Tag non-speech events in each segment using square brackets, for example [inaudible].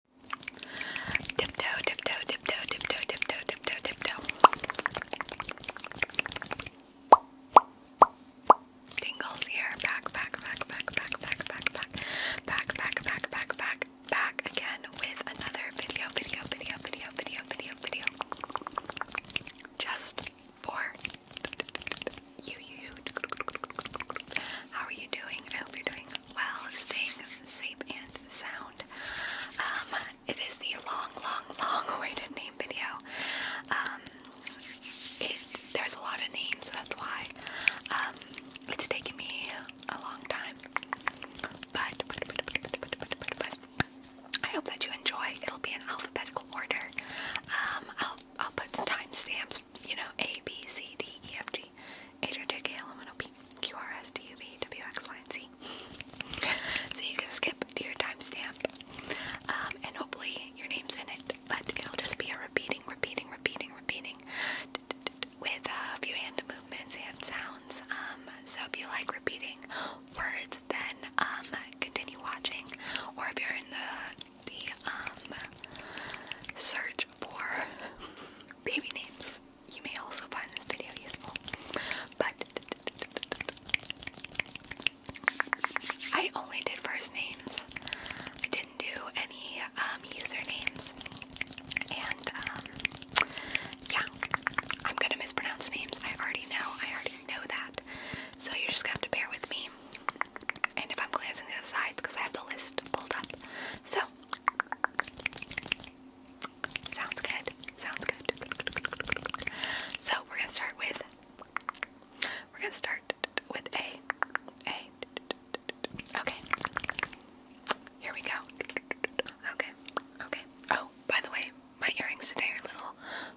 Tiptoe, tiptoe, tiptoe, tiptoe, tiptoe, tiptoe, tiptoe. Tingles here. Back, back, back, back, back, back, back, back, back, back, back, back, back, back again with another video, video, video, video, video, video, video. Just for you, you, you. How are you doing? I hope you're doing while staying safe and sound. Um, it is the long, long, long awaited name video. Um, there's a lot of names, that's why um, it's taken me a long time. But, I hope that you enjoy. It'll be in alphabetical order. I'll I'll put some timestamps. You know, A B C D E F G H I J K L M N O P Q, R, S, T, U, V, W, X, Y, and Z. So you can skip to your timestamp, um, and hopefully your name's in it, but it'll just be a repeating, repeating, repeating, repeating with a few hand movements and sounds. Um, so if you like repeating words, then um, continue watching, or if you're in the the search for [laughs] baby names you may also find this video useful. But I only did first names. I didn't do any um, usernames. And um, yeah, I'm gonna mispronounce names. I already know. I already know that. So you're just gonna have to bear with me. And if I'm glancing to the sides, because I have the list pulled up. So so sounds good. Sounds good. So we're gonna start with we're gonna start with A. A Okay. Here we go. Okay. Okay. Oh, by the way, my earrings today are little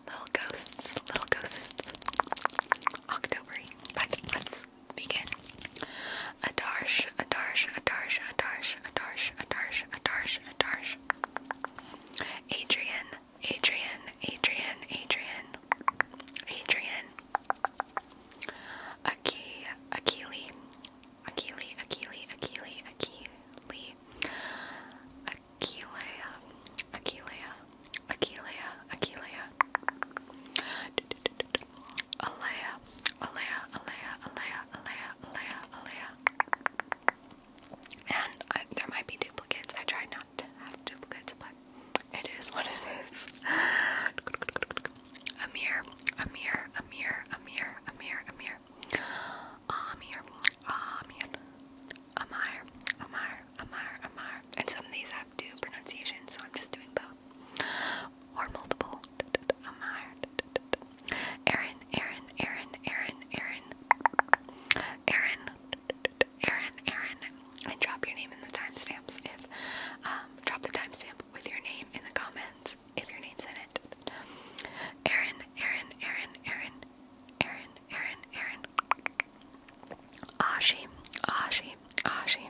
little ghosts. Little ghosts. Octobery. But let let's begin. Adarsh, Adarsh, Adarsh, Adarsh, Adarsh, Adarsh, Adarsh, Adarsh. Adrian, Adrian, Adrian, Adrian, Adrian. Aki, Akili, Akili, Akili, Akili, Akili. Akilea, Akilea, Akilea, Akilea. Alea, Alea, Alea, Alea, Alea, Alea, Alea. And there might be duplicates. I try not to have duplicates, but it is what it is. Amir, Amir, Amir, Amir, Amir, Amir. Amir, Amir. Amir, Amir, Amir, Amir. And some of these have two pronunciations, so I'm just doing both. Or multiple. I'm hired. Aaron, Aaron, Aaron, Aaron, Aaron. Aaron, Aaron, Aaron. And drop your name in the timestamps if, um, drop the timestamp with your name in the comments if your name's in it. Aaron, Aaron, Aaron, Aaron, Aaron, Aaron, Aaron. Ashi, Ashi, Ashi,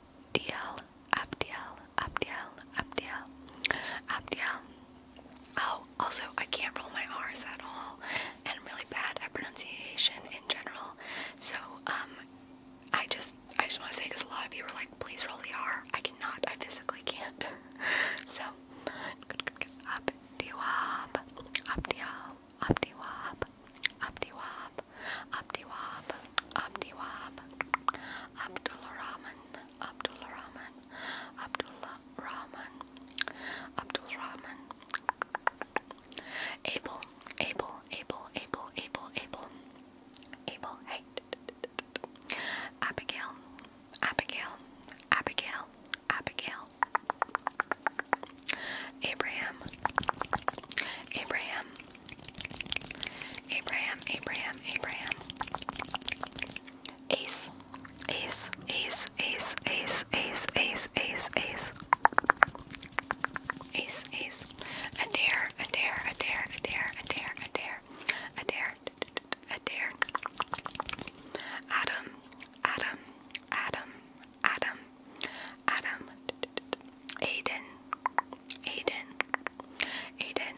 Abdiel, Abdiel, Abdiel, Abdiel, Abdiel. Oh, also, I can't roll my R's at all, and I'm really bad at pronunciation in general. So, um, I just, I just want to say, because a lot of you were like, please roll the R. I cannot. I physically can't. [laughs] so, Abdiwab, Abdiel, Abdiwab, Abdiwab, Abdiwab, Abdi Wahab, Abdullah Rahman, Abdullah Rahman, Abdullah Rahman, Abdul Rahman, Abel, Abel, Abel, Abel, Abel, Abel, Abel, hey, Abigail, Abigail, Abigail, Abigail, Abraham, Abraham. Abraham, Abraham, Abraham. Ace, ace, ace, ace, ace, ace, ace, ace, ace. Ace, ace. Adair, Adair, Adair, Adair, Adair, Adair, Adair, Adair. Adam, Adam, Adam, Adam, Adam. Aiden, Aiden, Aiden.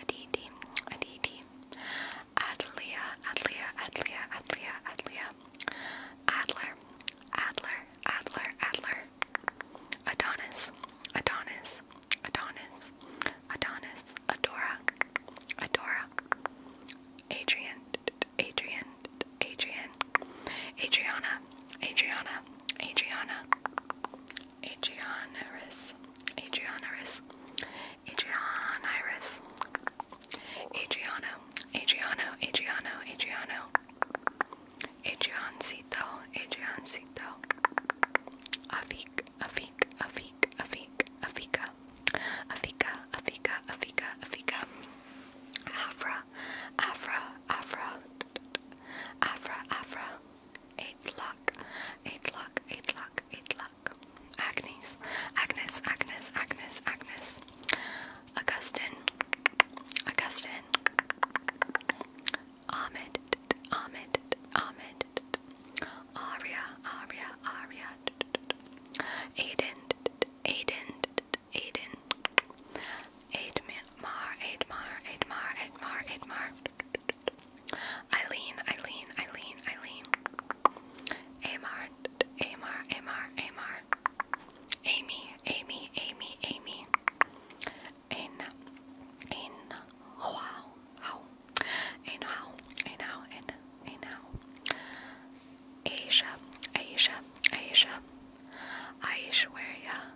Aditi, Aditi, Adlia, Adlia, Adlia, Adlia, Adlia, Adler, Adler, Adler, Adler, Adonis, Adonis, Adonis, Adonis, Adora, Adora, Adrian, Adrian, Adrian, Adriana, Adriana, Adriana, Adrianiris, Adrianiris, Adrianiris, Adriano, Adriano, Adriano, Adriano, Adriancito, Adriancito, Afic, Afic, Afic, Afic, Afica, Afica, Afica, Afica, Afica, Afra, Afra, Afra, Afra, Afra. Aidlock, Aidlock, Aidlock, Aidlock. Agnes, Agnes, Agnes, Agnes, Agnes. Augustine, Augustine. Ahmed, Ahmed, Ahmed. Aria, Aria, Aria. Aiden, Aiden, Aiden. Aidmar, Aidmar, Aidmar, Aidmar, Aidmar. Eileen, Eileen, Eileen, Eileen. Amar, Amar, Amar, Amar. Amy, Amy, Amy, Amy. In, in, wow, how, in how, in how, in, in how. Asia, Asia, Asia. Aishwarya,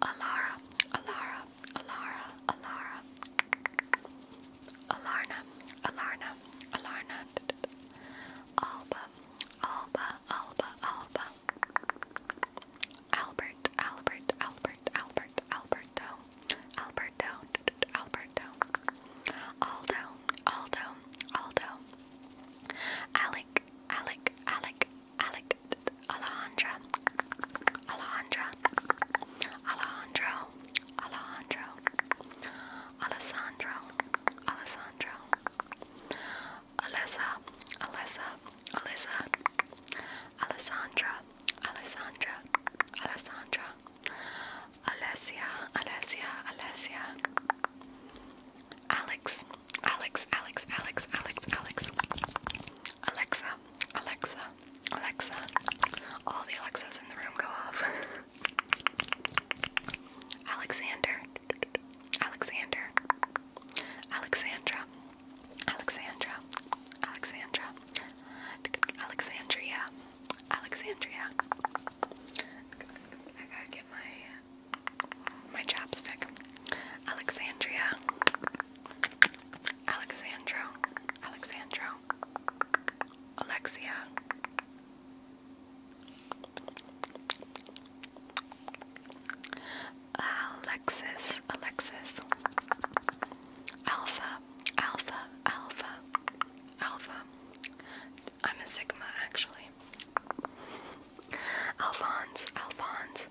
Alara, Alara, Alara, Alara, Alarna, Alarna, Alarna, Alba, Alba, Alba, Alba, Albert, Albert, Albert, Albert, Alberto, Alberto, Alberto, Aldo, Aldo, Aldo, Alec, Alec, Alec, Alec, Alejandra, Alejandra, Alejandro, Alejandro, Alessandro, Alessandro, Alessa, Alessa, Alessa, Alessandra, Alessandra, Alessandra, Alessia, Alessia, Alessia, Alex, Alex, Alex, Alex, Alex, Alex, Alexa, Alexa, Alexa. All the Alexas in the room go off. [laughs] Alexander. Alexander. Alexandra. Alexandra. Alexandra. Alexandria. Alexandria. I gotta get my my chapstick. Alexandria. Alexandro, Alexandro, Alexia. Alexis, Alexis, Alpha, Alpha, Alpha, Alpha. I'm a Sigma actually. Alphonse, Alphonse,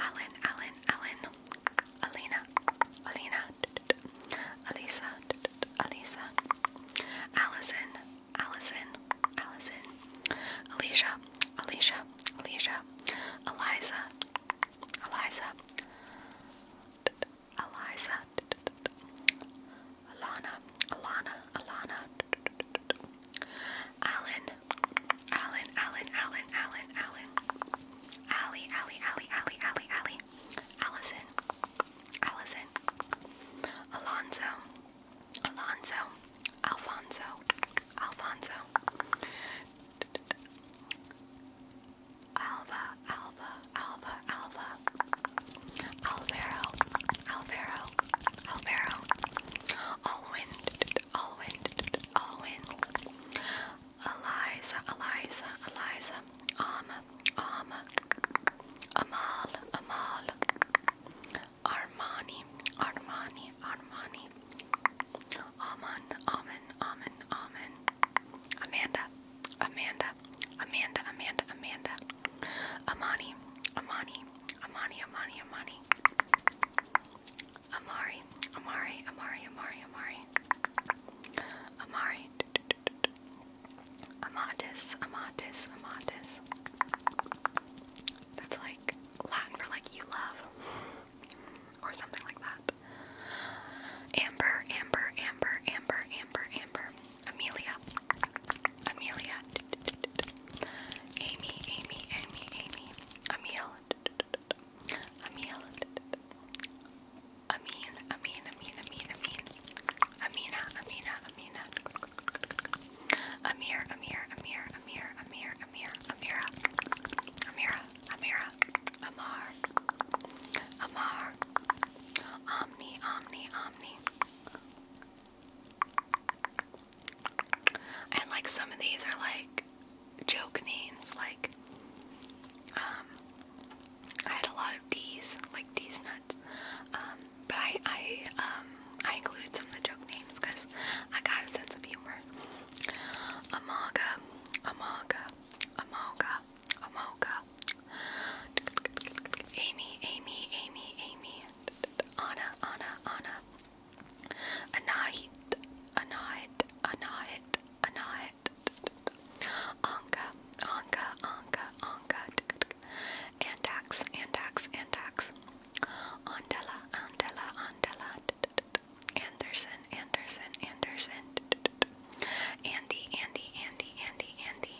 Alan, Alan, Alan, Alina, Alina, Alisa, Alisa, Allison, Allison, Allison, Alicia, Alicia, Alicia, Eliza, Eliza, Eliza, Alana, Alana, Alana, Alan, Alan, Alan, Alan, Alan, Alan, Allie, Allie, Allie, Allie, Allie, Allie, Allison, Allison, Alonzo, Alonzo, Alfonso, Alfonso, Alva, Alva, Alva, Alva, Alvaro, Alvaro, Alvaro, Alwyn, Alwyn, Alwyn, Eliza, Eliza, Eliza, um, um, Amal, Amal, Armani, Armani, Armani, Aman, Aman, Aman, Aman, Amanda, Amanda, Amanda, Amanda, Amanda, Amani, Amani, Amani, Amani, Amani, Amari, Amari, Amari, Amari, Amari, Amari, Amatis, Amatis, Amatis. That's like Latin for like you love, or something like that. Amber, Amber, Amber, Amber, Amber, Amber. Amelia, Amelia. Amy, Amy, Amy, Amy. Emil, Amin, Amin, Amin, Amin, Amin, Amin, Amina, Amina, Amina, Amir, Amir, Amir, Amir, Amir, Amir, Amira, Amira, Amira, Amar, Amar, Omni, Omni, Omni. And like some of these are like joke names like um, I had a lot of D's, like D's nuts. Um, but I um, I included some of the joke names because I got a sense of humor. Amaga, Amaga, Amoga, Amoga. Amy, Amy, Amy, Amy. Anna, Anna, Anna. Anahit, Anahit, Anahit, Anahit it. Anka, Anka, Anka, Anka, and tax, and tax, and tax. Andela, Andela, Andela, Anderson, Anderson, Anderson, Andy, Andy, Andy, Andy, Andy,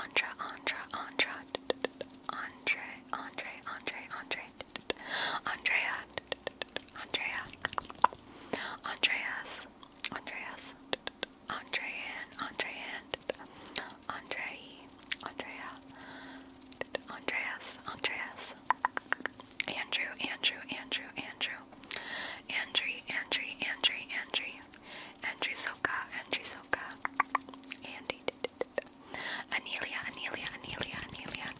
Andra, Andra, Andra, Andre, Andre, Andre, Andre, Andrea, Andrea, Andreas, Andreas, Andrean, Andrean, Andre, Andrea, Andreas, Andreas, Andrew, Andrew, Andrew, Andrew, Andrew, Andrew, Andrew, Andrew, Andrew Soka, Andrew Soka, Andy, Anelia, Anelia, Anelia, Anelia,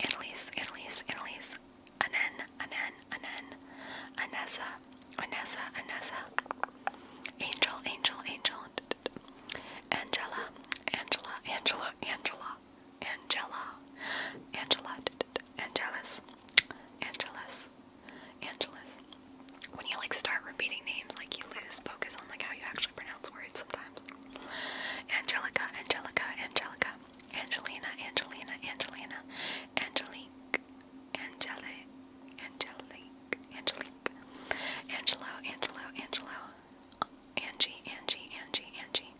Annalise, Annalise, Annalise, Anan, Anan, Anan, Anessa, Anessa, Anessa, Angel, Angel, Angel, Angela, Angela, Angela, Angela, Angela, Angela, Angelus, Angelus, Angelus. When you like start repeating names, like you lose focus on like how you actually pronounce words sometimes. Angelica, Angelica, Angelica, Angelina, Angelina, Angelina, Angelique, Angelique, Angelique, Angelique, Angelo, Angelo, Angelo, Angie, Angie, Angie, Angie,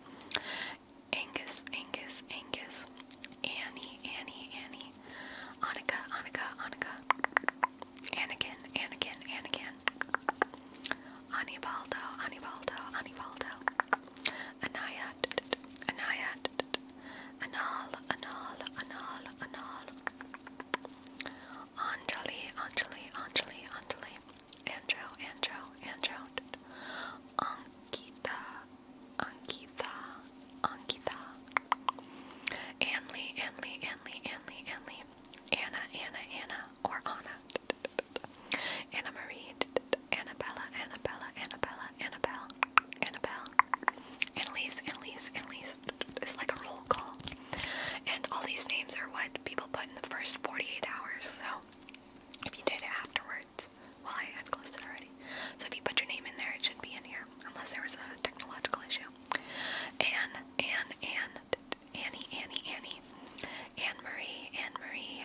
Angus, Angus, Angus, Annie, Annie, Annie, Annika, Annika, Annika, Anakin, Anakin, Anakin, Anibaldo, Anibaldo, Anibaldo, Anaya, Anaya, Anal, Anal, Anal, Anal, Anjali, Anjali, Anjali, Anjali, Andrew, Andrew, Andrew, Ankita, Ankita, Ankita, Anley, Anley, Anley, Anley, Anley, Anna, Anna, Anna, or Anna. Anna Marie, Annabella, Annabella, Annabella, Annabelle, Annabelle, Annalise, Annalise, Annalise. It's like a roll call. And all these names are what people put in the first 48 hours. So if you did it afterwards, well, I had closed it already. So if you put your name in there, it should be in here, unless there was a technological issue. Anne, Anne, Anne, Annie, Annie, Annie, Anne Marie, Anne Marie,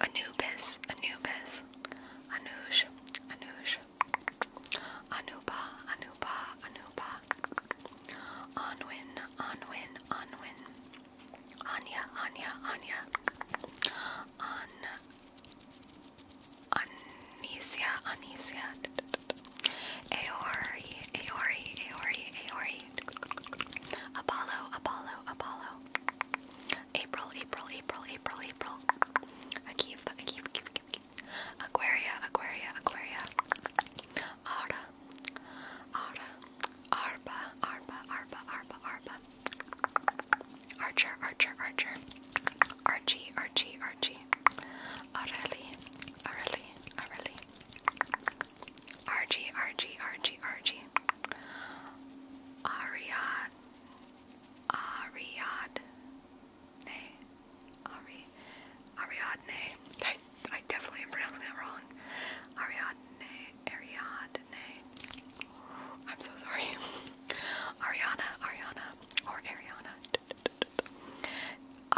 Anubis, Anubis, Anubis, Anush, Anush, Anupa, Anupa, Anupa, Anwin, Anwin, Anwin, Anya, Anya, Anya, An, Anisia, Anisia, Aori, Aori, Aori, Aori, Apollo, Apollo, Apollo, April, April, April, April, April. Akeem, Akeem, Akeem, Akeem. Aquaria, Aquaria, Aquaria. Ara, Ara, Arba, Arba, Arba, Arba, Arba. Archer, Archer, Archer. Archie, Archie, Archie. Areli, Areli, Areli. Archie, Archie, Archie, Archie. Ariad. Ariadne. Ari Ariadne. I I definitely am pronouncing that wrong. Ariadne. Ariadne. I'm so sorry. [laughs] Ariana. Ariana. Or Ariana.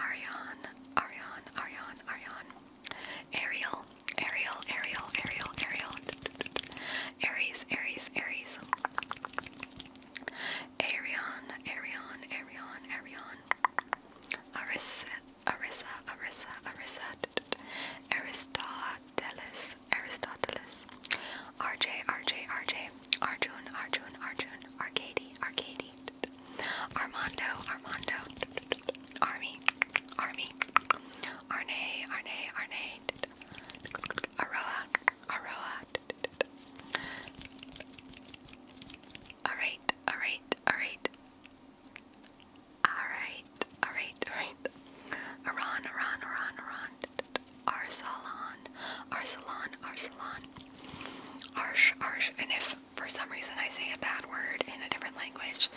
Ariane. Ariane. Ariane. Ariane. Ariel. Ariel. Ariel. Ariel. Ariel. Aries, Aries, Aries. Arion, Arion, Arion, Arion. Arisa, Arisa, Arisa, Arisa. Aristoteles, Aristoteles. RJ, RJ, RJ. Arjun, Arjun, Arjun. Arcady, Arcady. Armando, Armando. Army, Army. Arne, Arne, Arne. Aroa, Aroa. Alright, alright, alright. Alright, alright, alright. Aran, Aran, Aran, Aran. Arsalan, Arsalan, Arsalan. Arsh, Arsh. And if for some reason I say a bad word in a different language,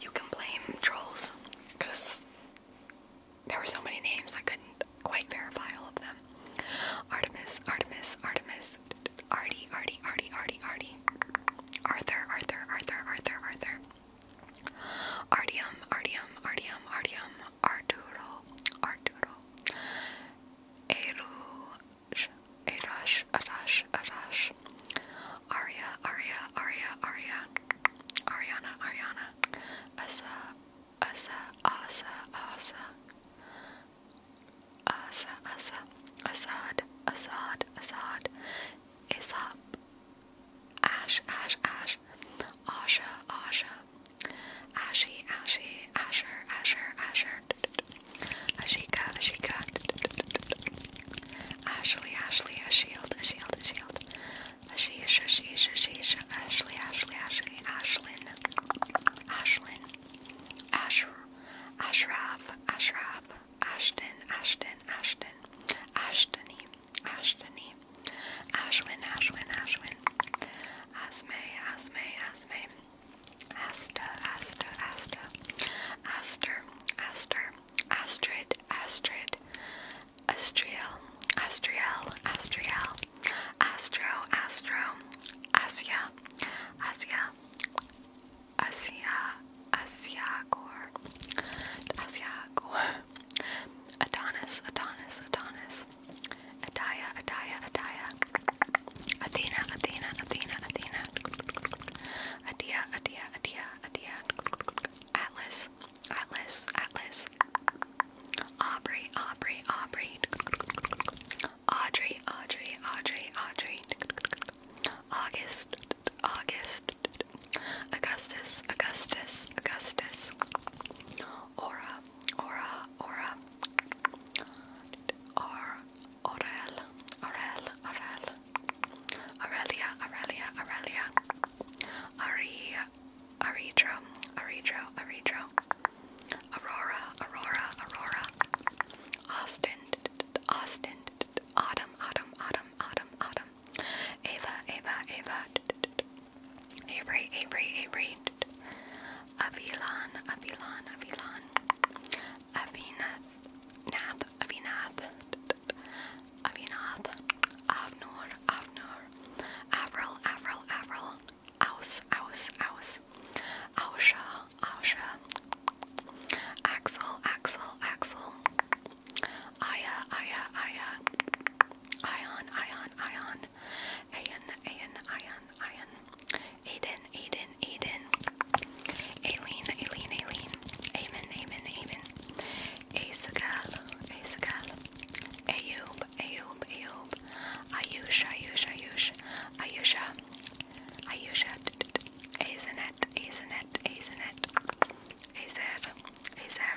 you can blame trolls there were so many names I couldn't quite verify all of them. Artemis, Artemis, Artemis, Artie, Artie, Artie, Artie, Artie, Arthur, Arthur, Arthur, Arthur, Arthur, Artium, Artium, Artium, Artium, Arturo, Arturo, Erush, Erush, Arash, Arash, Aria, Aria, Aria, Aria, Ariana, Ariana, Asa, asa, asa, asa. Asa, asa, Assad, Assad, Assad. Aesop. Ash, ash, ash. Asha, asha. Ashy, ashy, asher, asher, asher. Ashika, ashika. Ashley, Ashley, a shield, a shield, a shield. Ashish, Ashish, Ashish, Ashley, Ashley, Ashley, Ashlyn, Ashlyn, Asher, Ashraf, Ashraf, Ashton, Ashton, Ashton, Ashtony, Ashtony, Ashwin, Ashwin, Ashwin, Asme, Asme, Asme, Asta, Asta, Asta, Aster, Aster, Astrid, Astrid, Astriel, Astriel, Astriel, Astro, Astro, Asia, Asia, Asia, Asiagor, Asiagor, Adonis, Adonis, Adonis, Adaya, Adaya, Adaya, Athena, Athena, Athena, Athena, Adia, Adia, Adia, Adia, Atlas, Atlas, Atlas, Aubrey, Aubrey, Aubrey, Audrey, Audrey, Audrey, Audrey, August, August, Augustus, Augustus, Augustus, Aura, Aura, Aura, Or, Aurel, Aurel, Aurel, Aurelia, Aurelia, Aurelia, Aria, Aridro, Aridro, Aridro, Aurora, Aurora, Aurora, Austin, Austin, Autumn, Autumn, Autumn, Autumn, Autumn, Ava, Ava, Ava, Avery, Avery, Avery, Avilan, Avilan, Avilan, Avinath, Nath, Avinath, Avinath, Avnor, Avnor, Avril, Avril, Avril, Aus, Aus, Aus, Ausha, Ausha, Axel, Axel, Axel, Aya, Aya, Aya, Ion, Ion, Ion, Ayan, Ayan, Ion, Ion, Aiden, Aiden, Aiden, Aileen, Aileen, Aileen, Amen, Amen, Amen, Asagal, Asagal, Ayub, Ayub, Ayub, Ayusha, Ayusha, Ayush, Ayusha, Ayusha, Azanet, Azanet, Azanet, Azer, Azer,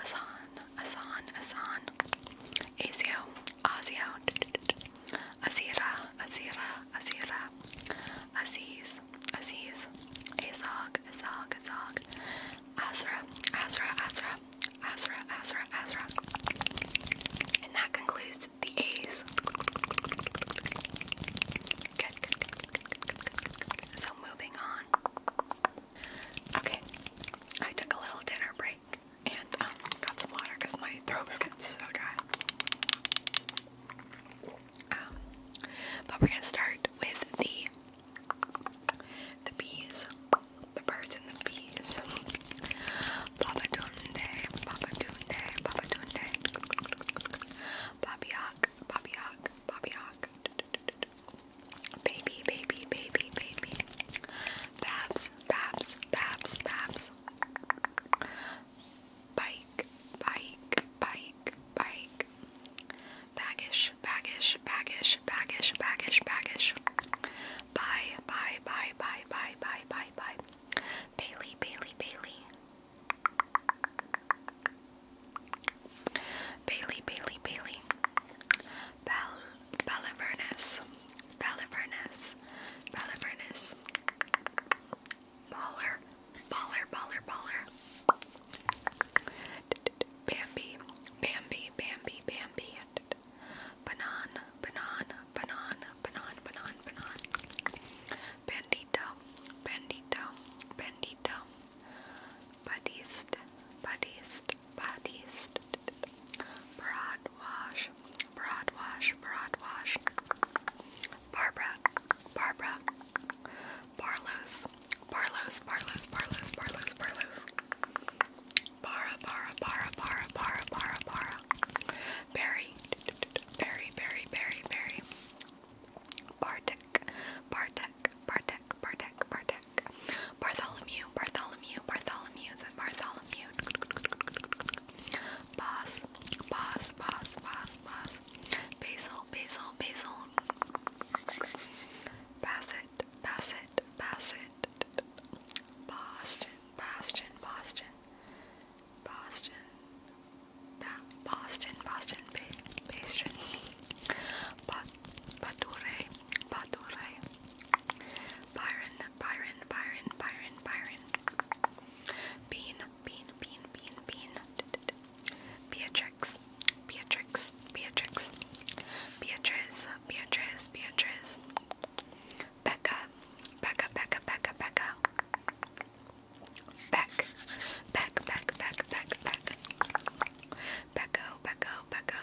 Azan, Azan, Azan, Azio, Azio, Azira, Azira, Azira, Aziz, Aziz, Azog, Azog, Azog, Azra, Azra, Azra, Azra, Azra, Azra. And that concludes the A's. Good, good, good, good, good, good, good, good. So moving on. Okay, I took a little dinner break and um, got some water because my throat was getting so dry. Um, but we're gonna start with the the bees, the birds and the bees. Babatunde, Babatunde, Babatunde. Babiak, Babiak, Babiak. Baby, baby, baby, baby. Babs, Babs, Babs, Babs. Bike, bike, bike, bike. Baggish, baggish, baggish, baggish, baggish, baggish. Bye, bye, bye, bye, bye, bye, bye, bye. Bailey, Bailey, Bailey. Bailey, Bailey, Bailey. Bal Balivernus. Balivernus. Balivernus. Baller. Baller, baller, baller. Bambi, Bambi, Bambi, Bambi. Banana, banana, banana, banana, banana, banana. Bandito, bandito, bandito. Badist, badist, badist. Broad wash, broad wash, broad wash. Barbara, Barbara. Barlow's, Barlos, Barlos, Barlos, Barlos, Barlos. Bara, bara, bara, bara, bara, bara, bara. Berry, berry, berry, berry, berry. Bartek, Bartek, Bartek, Bartek, Bartek. Bartholomew, Bartholomew, Bartholomew, the Bartholomew. Boss, boss, boss, boss, boss. Basil, basil, basil. Bassett, Bassett, Bassett, Bassett, Boston, Boston, Boston, Boston, Boston, Boston, Boston, Bature, Bature, Byron, Byron, Byron, Byron, Byron, Bean, Bean, Bean, Bean, Bean, Beatrix, Beatrix, Beatrix, Beatrice, Beatrice, Beatrice, Becca, Becca, Becca, Becca, Becca, Beck, Beck, Beck, Beck, Beck, Beck, Becco, Becco, Becco,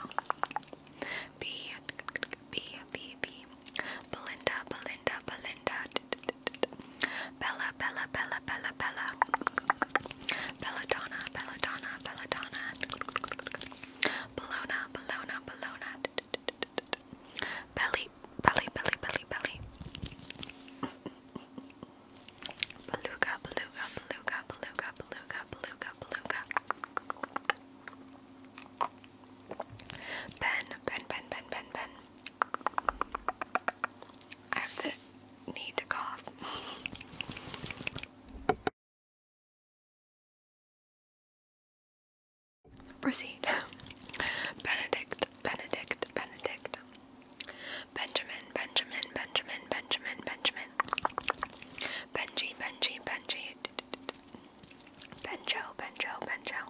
B, B, B, B, Belinda, Belinda, Belinda, Bella, Bella, Bella, Bella, Bella, Belladonna, Belladonna, Belladonna, Bologna, Bologna, Bologna, Belly, Belly, Belly, Belly, Belly, Beluga, Beluga, Beluga, Beluga, Beluga, Beluga, Beluga, Ben, Ben, Ben, Ben, Ben, Ben. I have the need to cough. Proceed. [laughs] Benedict, Benedict, Benedict. Benjamin, Benjamin, Benjamin, Benjamin, Benjamin. Benji, Benji, Benji. Benjo, Benjo, Benjo.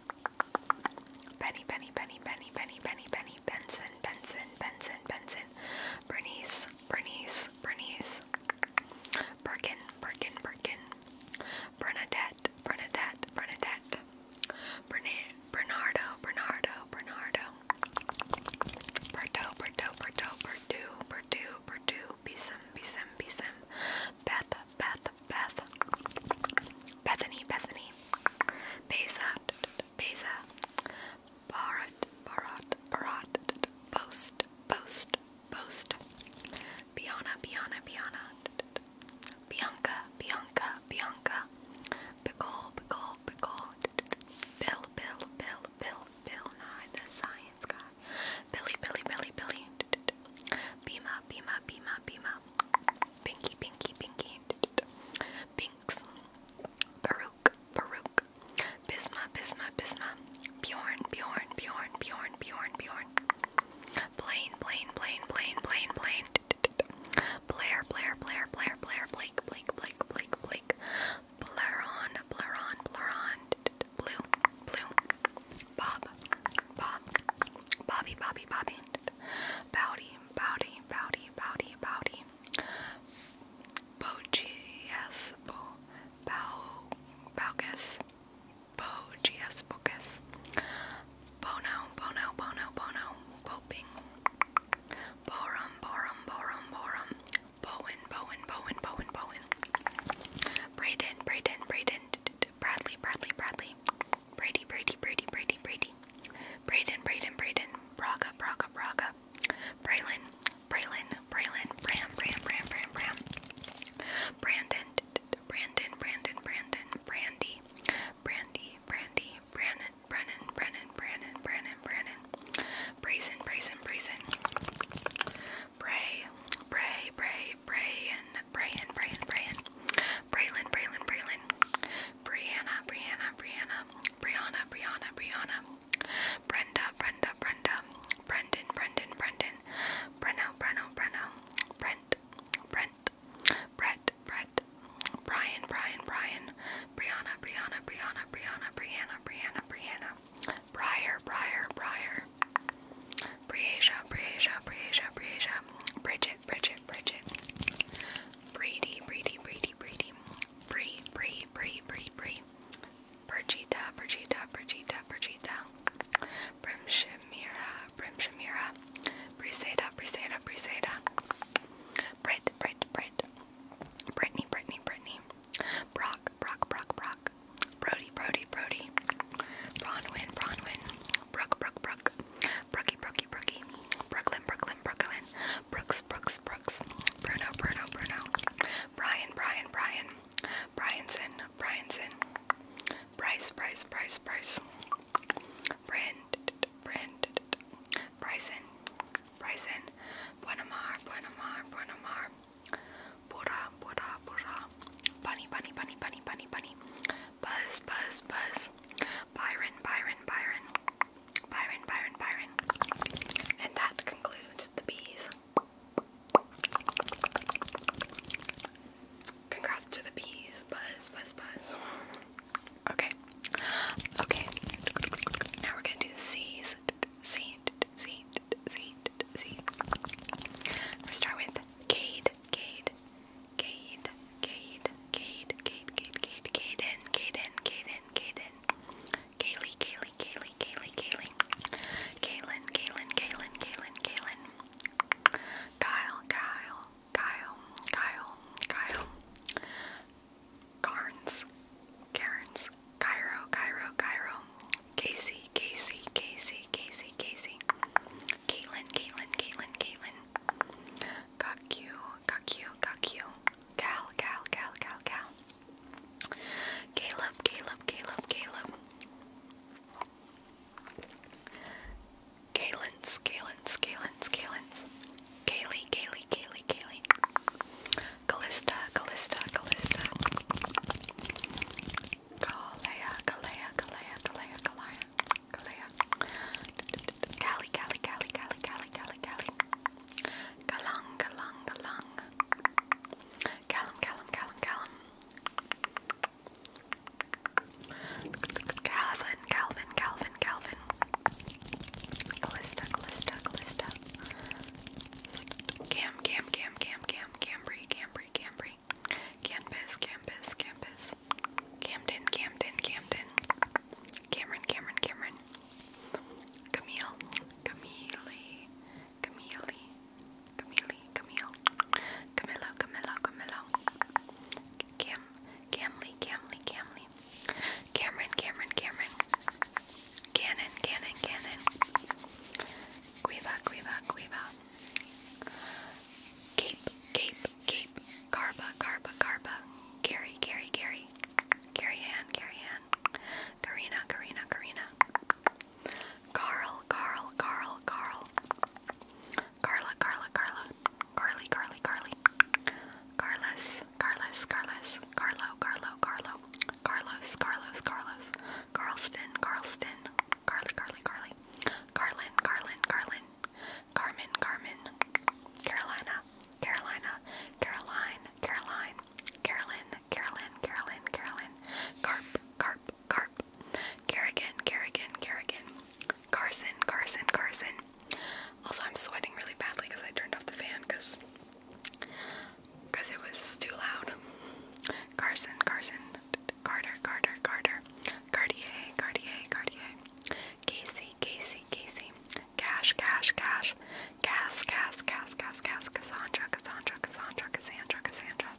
Benny, Benny, Benny, Benny, Benny, Benny, Benny. Benson, Benson, Benson, Benson. Bernice, Bernice, Bernice. Perkins. Perkin, Perkin, Perkin. Bernadette, Bernadette, Bernadette. Bernard, Bernardo, Bernardo, Bernardo. Berto, Berto, Berto, Bertu, Bertu, Bertu. Bism, Bism, Bism. Beth, Beth, Beth. Bethany, Bethany. Beza, Beza. Bharat, Bharat, Bharat, Post, Post, Post, Biana, Biana, Biana, Bianca, Bianca, Bianca, Pickle, Pickle, Pickle, Bill, Bill, Bill, Bill, Bill Nye, the science guy, Billy, Billy, Billy, Billy, Bima, Bima, Bima, Bima, Pinky, Pinky, Pinky, Pinks, Baruch, Baruch, Bisma, Bisma, Bisma. Bjorn, Bjorn, Bjorn, Bjorn, Bjorn, Bjorn. Blaine, Blaine, Blaine, Blaine, Blaine, Blaine. Blair, Blair, Blair, Blair, Blair, Blake, Blake, Blake, Blake, Blake. Blaron, Blaron, Blaron. Blue, Blue. Bob, Bob. Bobby, Bobby, Bobby. Bowdy, Bowdy, Bowdy, Bowdy, Bowdy. Bogiaspo, Baugus, Bogiasbocus, Bono, Bono, Bono, Bono, Poping, Borum, Borum, Borum, Borum, Bowen, Bowen, Bowen, Bowen, Bowen, Braden, Braden, Braden, Bradley, Bradley, Bradley, Brady, Brady, Brady, Brady, Brady, Braden, Braden, Braden, Braga, Braga, Braga, Braylon, Braylon, Braylon, Bram, Bram, Bram, Bram, Bram, Brandon, Brandon, Brandon, Brandon, Brandy, Brandy, Brandy, Brandon, Brennan, Brennan, Brandon, Brandon, Brandon, Brazen, Brazen, Brazen, Bray, Bray, Bray, Brayan, Brayan, Brayan, Brayan, Braylon, Braylon, Braylon, Brianna, Brianna, Brianna, Brianna, Brianna, Brianna. Brenda, Brenda, Brenda, Brendan, Brendan, Brendan, Breno, Breno, Breno, Brent, Brent, Brett, Brett, Brian, Brian, Brian, Brianna, Brianna, Brianna, Brianna, Brianna, Brianna, Brianna, Briar, Briar, Briar, Briasia, Briasia, Briasia, Briasia, Bridget, Bridget, Bridget, Brady, Brady, Brady, Brady, Bree, Bree, Bree, Bree, Bree. Brigitta, Brigitta, Brigitta, Brigitta, Brimshamira, Brimshamira, Briseda, Briseda, Briseda, Brit, Brit, Brit, Brittany, Brittany, Brittany, Brock, Brock, Brock, Brock, Brody, Brody, Brody, Bronwyn, Bronwyn, Brook, Brook, Brook, Brookie, Brookie, Brookie, Brooklyn, Brooklyn, Brooklyn, Brooks, Brooks, Brooks, Bruno, Bruno, Bruno, Brian, Brian, Brian, Bryanson, Bryanson, Bryce, Bryce, Bryce, Bryce, Brand, Brand, Bryson, Bryson, Buenamar, Buenamar, Buenamar, Buddha, Buddha, Buddha, Bunny, Bunny, Bunny, Bunny, Bunny, Bunny, Buzz, Buzz, Buzz, Byron, Byron, Byron, Byron, Byron, Byron. And that concludes the bees. Congrats to the bees. Buzz, buzz, buzz. Okay. Okay. Now we're gonna do C's. C, C, C, C. we start with Cade, Cade, Cade, Cade, Cade, Cade, Cade, Cade, Caden, Caden, Caden, Caden. Kaylee, Kaylee, Kaylee, Kaylee, Kaylee, Kaylin, Kaylin, Kaylin, Kaylin, Kaylin, Kyle, Kyle, Kyle, Kyle, Kyle, Carnes, Karens, Cairo, Cairo, Cairo, Casey, Casey, Casey, Casey, Casey, Caitlin, Caitlin, Caitlin, Caitlin, Cuck you, Cuck you, Cuck you, Cal, Cal, Cal, Cal, Cal. Caleb, Caleb, Caleb, Caleb. Galen's, Galen's, Galen's, Galen's. Kaylee, Kaylee, Kaylee, Kaylee. Callista, Callista, Callista. Kalea, Kalea, Kalea, Kalea, Kalea, Kalea. Callie, Callie, Callie, Callie, Callie, Callie, Callie. Galang, Galang, Galang. Callum, Callum, Callum, Callum. Calvin, Calvin, Calvin, Calvin. Callista, Callista, Callista. Cam, Cam, Cam, Cam, Cam, Cambry, Cambry, Cambry. Campus, Campus, Campus. Camden, Camden, Camden. Cameron, Cameron, Cameron. Camille, Camille. Camille, Camille, Camille, Camillo, Camillo, Camillo, Cam, Camly, Camly, Camly, Cameron, Cameron, Cameron, Cannon, Cannon, Cannon, Quiva, Quiva, Quiva, Cape, Cape, Cape, Garba, Garba, Garba, Gary, Gary, Gary, Gary Ann, Gary Ann, Karina, Karina, Karina, Carl, Carl, Carl, Carl. Carla, Carla, Carla. Carly, Carly, Carly. Carlos, Carlos, Carlos. Carlo, Carlo, Carlo. Carlos, Carlos, Carlos. Carlston, Carlston. Carly, Carly, Carly. Carlin, Carlin, Carlin. Carmen, Carmen. Carolina, Carolina. Caroline, Caroline. Carolyn, Carolyn, Carolyn, Carolyn, Carp, Carp, Carp, Kerrigan, Kerrigan, Kerrigan, Carson, Carson, Carson. Also, I'm sweating really badly because I turned off the fan because because it was too loud. Carson, Carson, Carter, Carter, Carter, Cartier, Cartier, Cartier, Casey, Casey, Casey, Cash, Cash, Cash, Gas, Gas, Gas, Gas. Cass, Cass, Cassandra, Cassandra, Cassandra, Cassandra, Cassandra,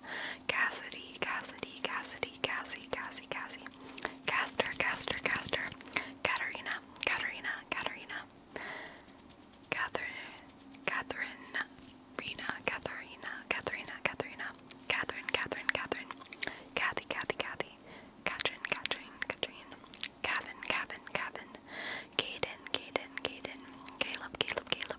Cassidy, Cassidy, Cassidy, Cassie, Cassie, Cassie, Caster, Caster, Caster, Katarina, Katarina, Katarina, Catherine, Catherine, Rena, Katharina, Katharina, Katharina, Catherine, Catherine, Catherine, Kathy, Kathy, Kathy, Katrin, Katrin, Katrin, Gavin, Gavin, Gavin, Caden, Caden, Caden, Caleb, Caleb, Caleb.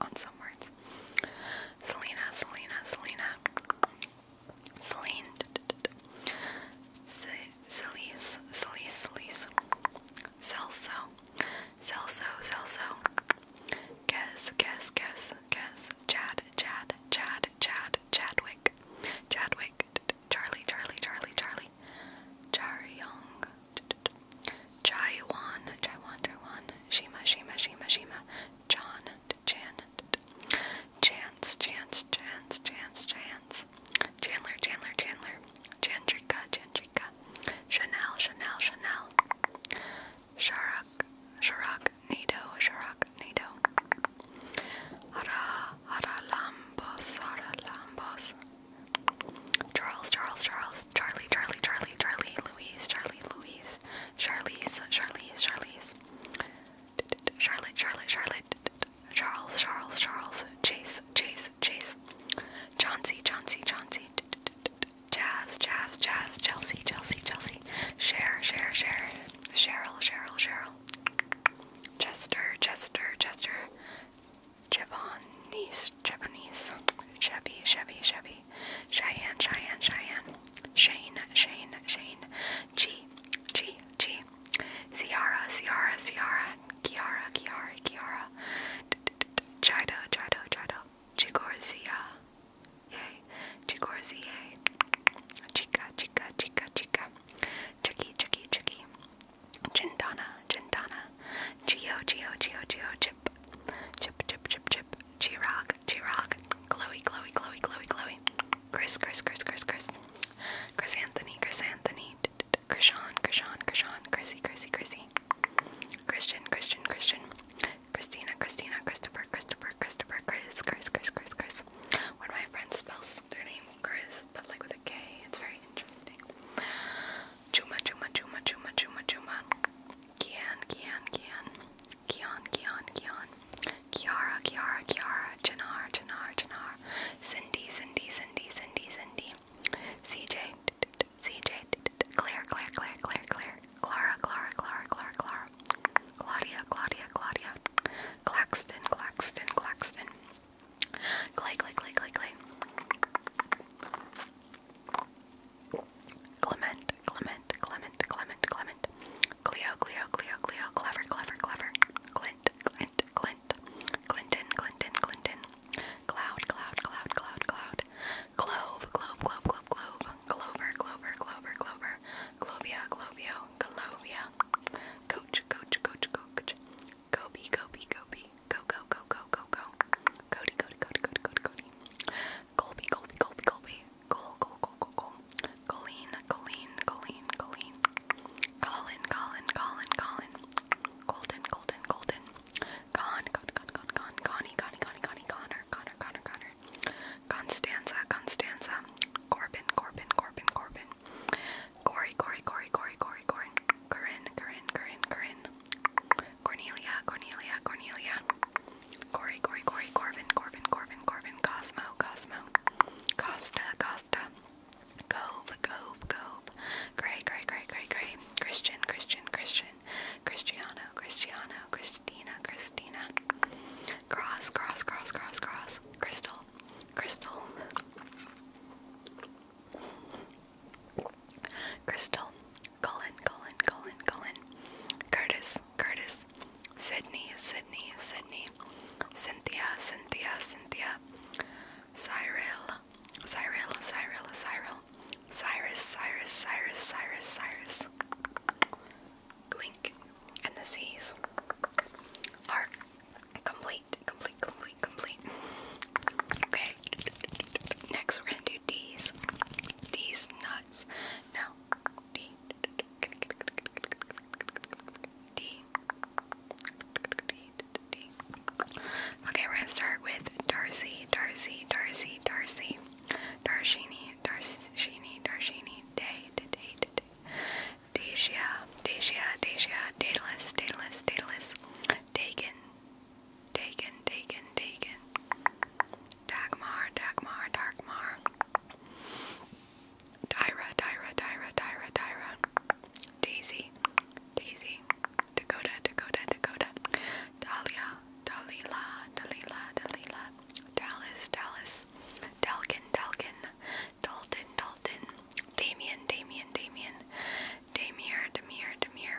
on some words. Selena, Selena, Selena, Celine, Celise, Celise, Celise, Celso, Celso, Celso, Kes, Kes, Kes, Kes, Chad, Chad, Chad, Chad, Chadwick, Chadwick, Charlie, Charlie, Charlie, Charlie, Char Young, Jaiwan, Jaiwan, Jaiwan, Shima, Shima, Shima, Shima, John, Jan, Chance, Chance, Chance, Chance, Chance, Chandler, Chandler, Chandler, Chandrika, Chandrika, Chanel, Chanel, Chanel, Sharak, Sharak, Nido, Sharak, Nido, Hara, Hara Lambos, Hara Lambos, Charles, Charles, Charles, Charlie, Charlie, Charlie, Charlie, Louise, Charlie, Louise, Charlize, Charlize, Charlize, Charlotte, Charlotte, Charlotte, Charles, Charles, Charles, Chase, Chase, Chase, Chauncey, Chauncey, Chauncey, Jazz, Jazz, Jazz, Chelsea, Chelsea, Chelsea, Share, Share, Share, Cheryl, Cheryl, Cheryl, Chester, Chester, Chester, Javanese, Japanese, Chevy, Chevy, Chevy, Cheyenne, Cheyenne, Cheyenne, Shane, Shane, Shane, G, G, G, Ciara, Ciara, Ciara, Kiara, Kiara, Kiara, Chido, Chido, Chido, Chigorzia, yay, Chigorzia, Chica, Chica, Chica, Chica, Chicky, Chicky, Chicky, Chintana, Chintana, Geo, Geo, Geo, Geo, Chip, Chip, Chip, Chip, Chip, Chip, G-Rock, G-Rock, Chloe, Chloe, Chloe, Chloe, Chloe, Chris, Chris, Chris, Chris, Chris, Chris Anthony, Chris Anthony, Krishan, Krishan, Krishan, Chrissy, Chrissy, Chrissy, Christian, Christian, Christian, Christina, Christina, Christopher, Christopher, Christopher, Chris, Chris, Chris, Chris, Chris. One of my friends spells their name Chris, but like with a K, it's very interesting. Chuma, Chuma, Chuma, Chuma, Chuma, Chuma. Kian, Kian, Kian, Kian, Kian, Kian, Kiara, Kiara, Kiara, Janar, Janar, Janar, Cindy, Cindy, Cindy, Cindy, Cindy, CJ, CJ, Claire, Claire, Claire, Claire, Claire, Clara, Clara, Clara, Clara, Clara, Claudia, Claudia, Claudia, Claxton, Claxton, Claxton, Clay, Clay, Clay, Clay, Clay. Clement, Clement, Clement, Clement, Clement, Cleo, Cleo, Cleo, Cleo, Clever, Clever, Clever, Clint, Clint, Clint, Clinton, Clinton, Clinton, Cloud, Cloud, Cloud, Cloud, Cloud, Clove, Clove, Clove, Clove, Clove, Clover, Clover, Clover, Clover, Clovia, Clovio, Clovia, Coach, Coach, Coach, Coach, Gobi, Gobi, Gobi, Go, go, go, go, go, go. Cody, Cody, Cody, Cody, Cody, Cody. Colby, Colby, Colby, Colby. Col, Col, Col, Col, Col. Colleen, Colleen, Colleen, Colleen. Colin, Colin, Colin, Colin. Colton, Colton, Colton. Con, Con, Con, Con, Con. Connie, Connie, Connie, Connie, Connor, Connor, Connor, Connor. Constanza, Constanza. Corbin, Corbin, Corbin, Corbin. Cory, Cory, Cory, Cory, Cory, Cory. Corinne, Corinne, Corinne, Corinne. Cornelia, Cornelia, Cornelia, Cory, Cory, Cory, Corbin, Corbin, Corbin, Corbin, Cosmo, Cosmo, Costa, Costa, Cove, Cove, Cove, Gray, Gray, Gray, Gray, Gray, Christian, Christian, Christian, Cristiano, Cristiano, Christina, Christina, Cross, Cross, Cross, Cross, Cross, Crystal, Crystal. Crystal, Colin, Colin, Colin, Colin, Curtis, Curtis, Sydney, Sydney, Sydney, Cynthia, Cynthia, Cynthia, Cyril, Cyril, Cyril, Cyril, Cyrus, Cyrus, Cyrus, Cyrus, Cyrus, Glink, and the C's are complete, complete, complete, complete. Okay. Next, we're gonna do these, these nuts. Now, D, D, D. Okay, we're gonna start with Darcy, Darcy, Darcy, Darcy, Darshini, Darshini, Darshini, Day, Day, Day, Dacia, Dacia, Dacia, Daedalus, Daedalus, Daedalus, Dagon, Dagon, Dagon, Dagon. Dagmar, Dagmar, Dagmar. Dyra, Dyra, Dyra, Dyra, Dyra. Daisy, Daisy. Dakota, Dakota, Dakota. Dahlia, Dalila, Dalila, Dalila. Dallas, Dallas. Dalkin, Dalkin. Dalton, Dalton. Damien, Damien, Damien. Damir, Damir, Damir.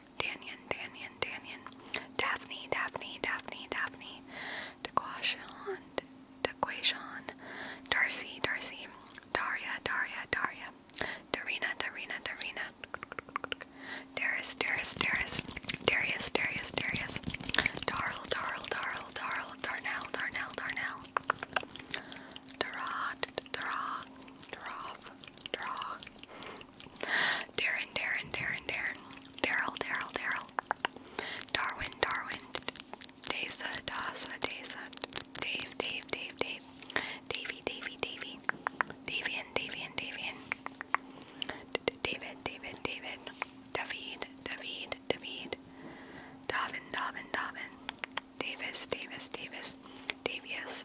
Danian, Danian, Danian, Daphne, Daphne, Daphne, Daphne, DeQuashon, DeQuashon, Darcy, Darcy, Daria, Daria, Daria, Darina, Darina, Darina, Darius, Darius, Darius, Darius, Darius, Darius, Darl, Darl, Darl, Darl, Darnell, Darnell, Darnell, Darod, Darog, Darog, Darog, Darren, Darren, Darren, Darren, Daryl, Daryl, Daryl, Darwin, Darwin, Dasa, Dasa, Dasa, Dave, Dave, Dave, Dave, Davy, Davy, Davy, Davian, Davian, Davian, David, David, David, David, David, David, Davin, Davin, Davin, Davis, Davis, Davis, Davius,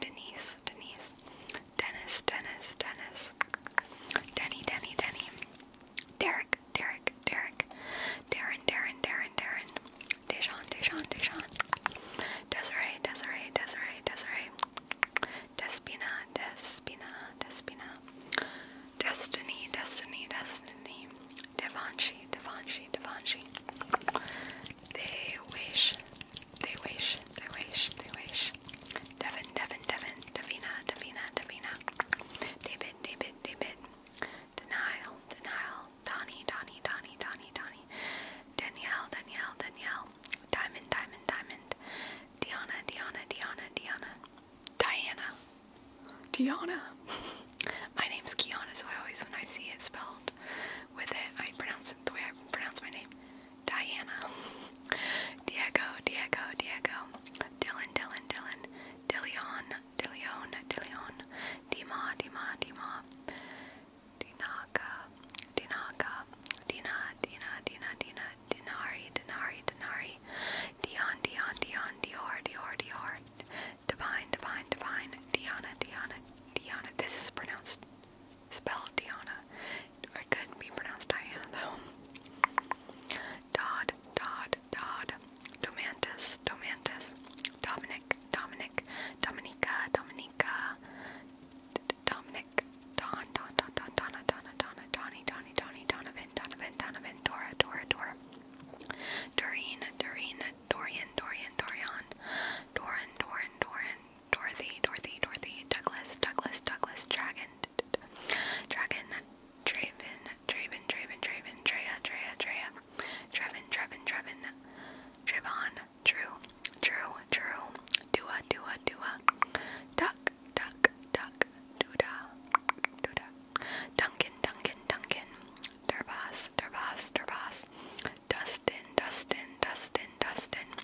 Denise, Denise, Dennis, Dennis, Dennis, Denny, Denny, Denny, Derek, Derek, Derek, Darren, Darren, Darren, Darren, Dejan, Dejan, Dejan, Desiree, Desiree, Desiree, Desiree, Despina, Despina, Despina, Destiny, Destiny, Destiny, Devanshi, Devanshi, Devanshi. They wish they wish, they wish, they wish. Devin, Devin, Devin, Devina. Devina. Devina. David, David, David. Denial, denial. Donnie, Donnie, Donnie, Donnie, Donnie. Danielle, Danielle, Danielle. Diamond, Diamond, Diamond. Diana, Diana, Diana, [laughs] Diana. Diana. Diana. My name's Kiana, so I always, when I see it spelled with it. I pronounce it the way I pronounce my name. Diana. [laughs] Diego, Diego, Diego. Dylan, Dylan, Dylan. Dillion, Dillion, Dillion. Dima, Dima, Dima. Dinaka, Dinaka. Dina, Dina, Dina, Dina. Dinari, Dinari, Dinari. Dion, Dion, Dion. Dior, Dior, Dior. Divine, Divine, Divine. Diana, Diana, Diana. This is pronounced spelled Diana. It could be pronounced Diana though. Dodd, Dodd, Dodd, Domantis, Domantis, Dominic, Dominic, Dominica, Dominica, Dominic, Don, Don, Don, Don, Donna, Donna, Donna, Donnie, Donnie, Donnie, Donovan, Donovan, Donovan, Dora, Dora, Dora, Doreen, Doreen, Dorian, Dorian, Dorian, Doran, Doran, Doran, Dorothy, Dorothy, Dorothy, Douglas, Douglas, Douglas, Dragon, Dragon, Draven, Draven, Draven, Draven, Drea, Drea, Drea, Trevin, Trevin, Trevin, Trevon, Drew, Drew, Drew, Dua, Dua, Dua, Duck, Duck, Duck, Duda, Duda, Duncan, Duncan, Duncan, Dervas, Dervas, Dervas, Dustin, Dustin, Dustin, Dustin,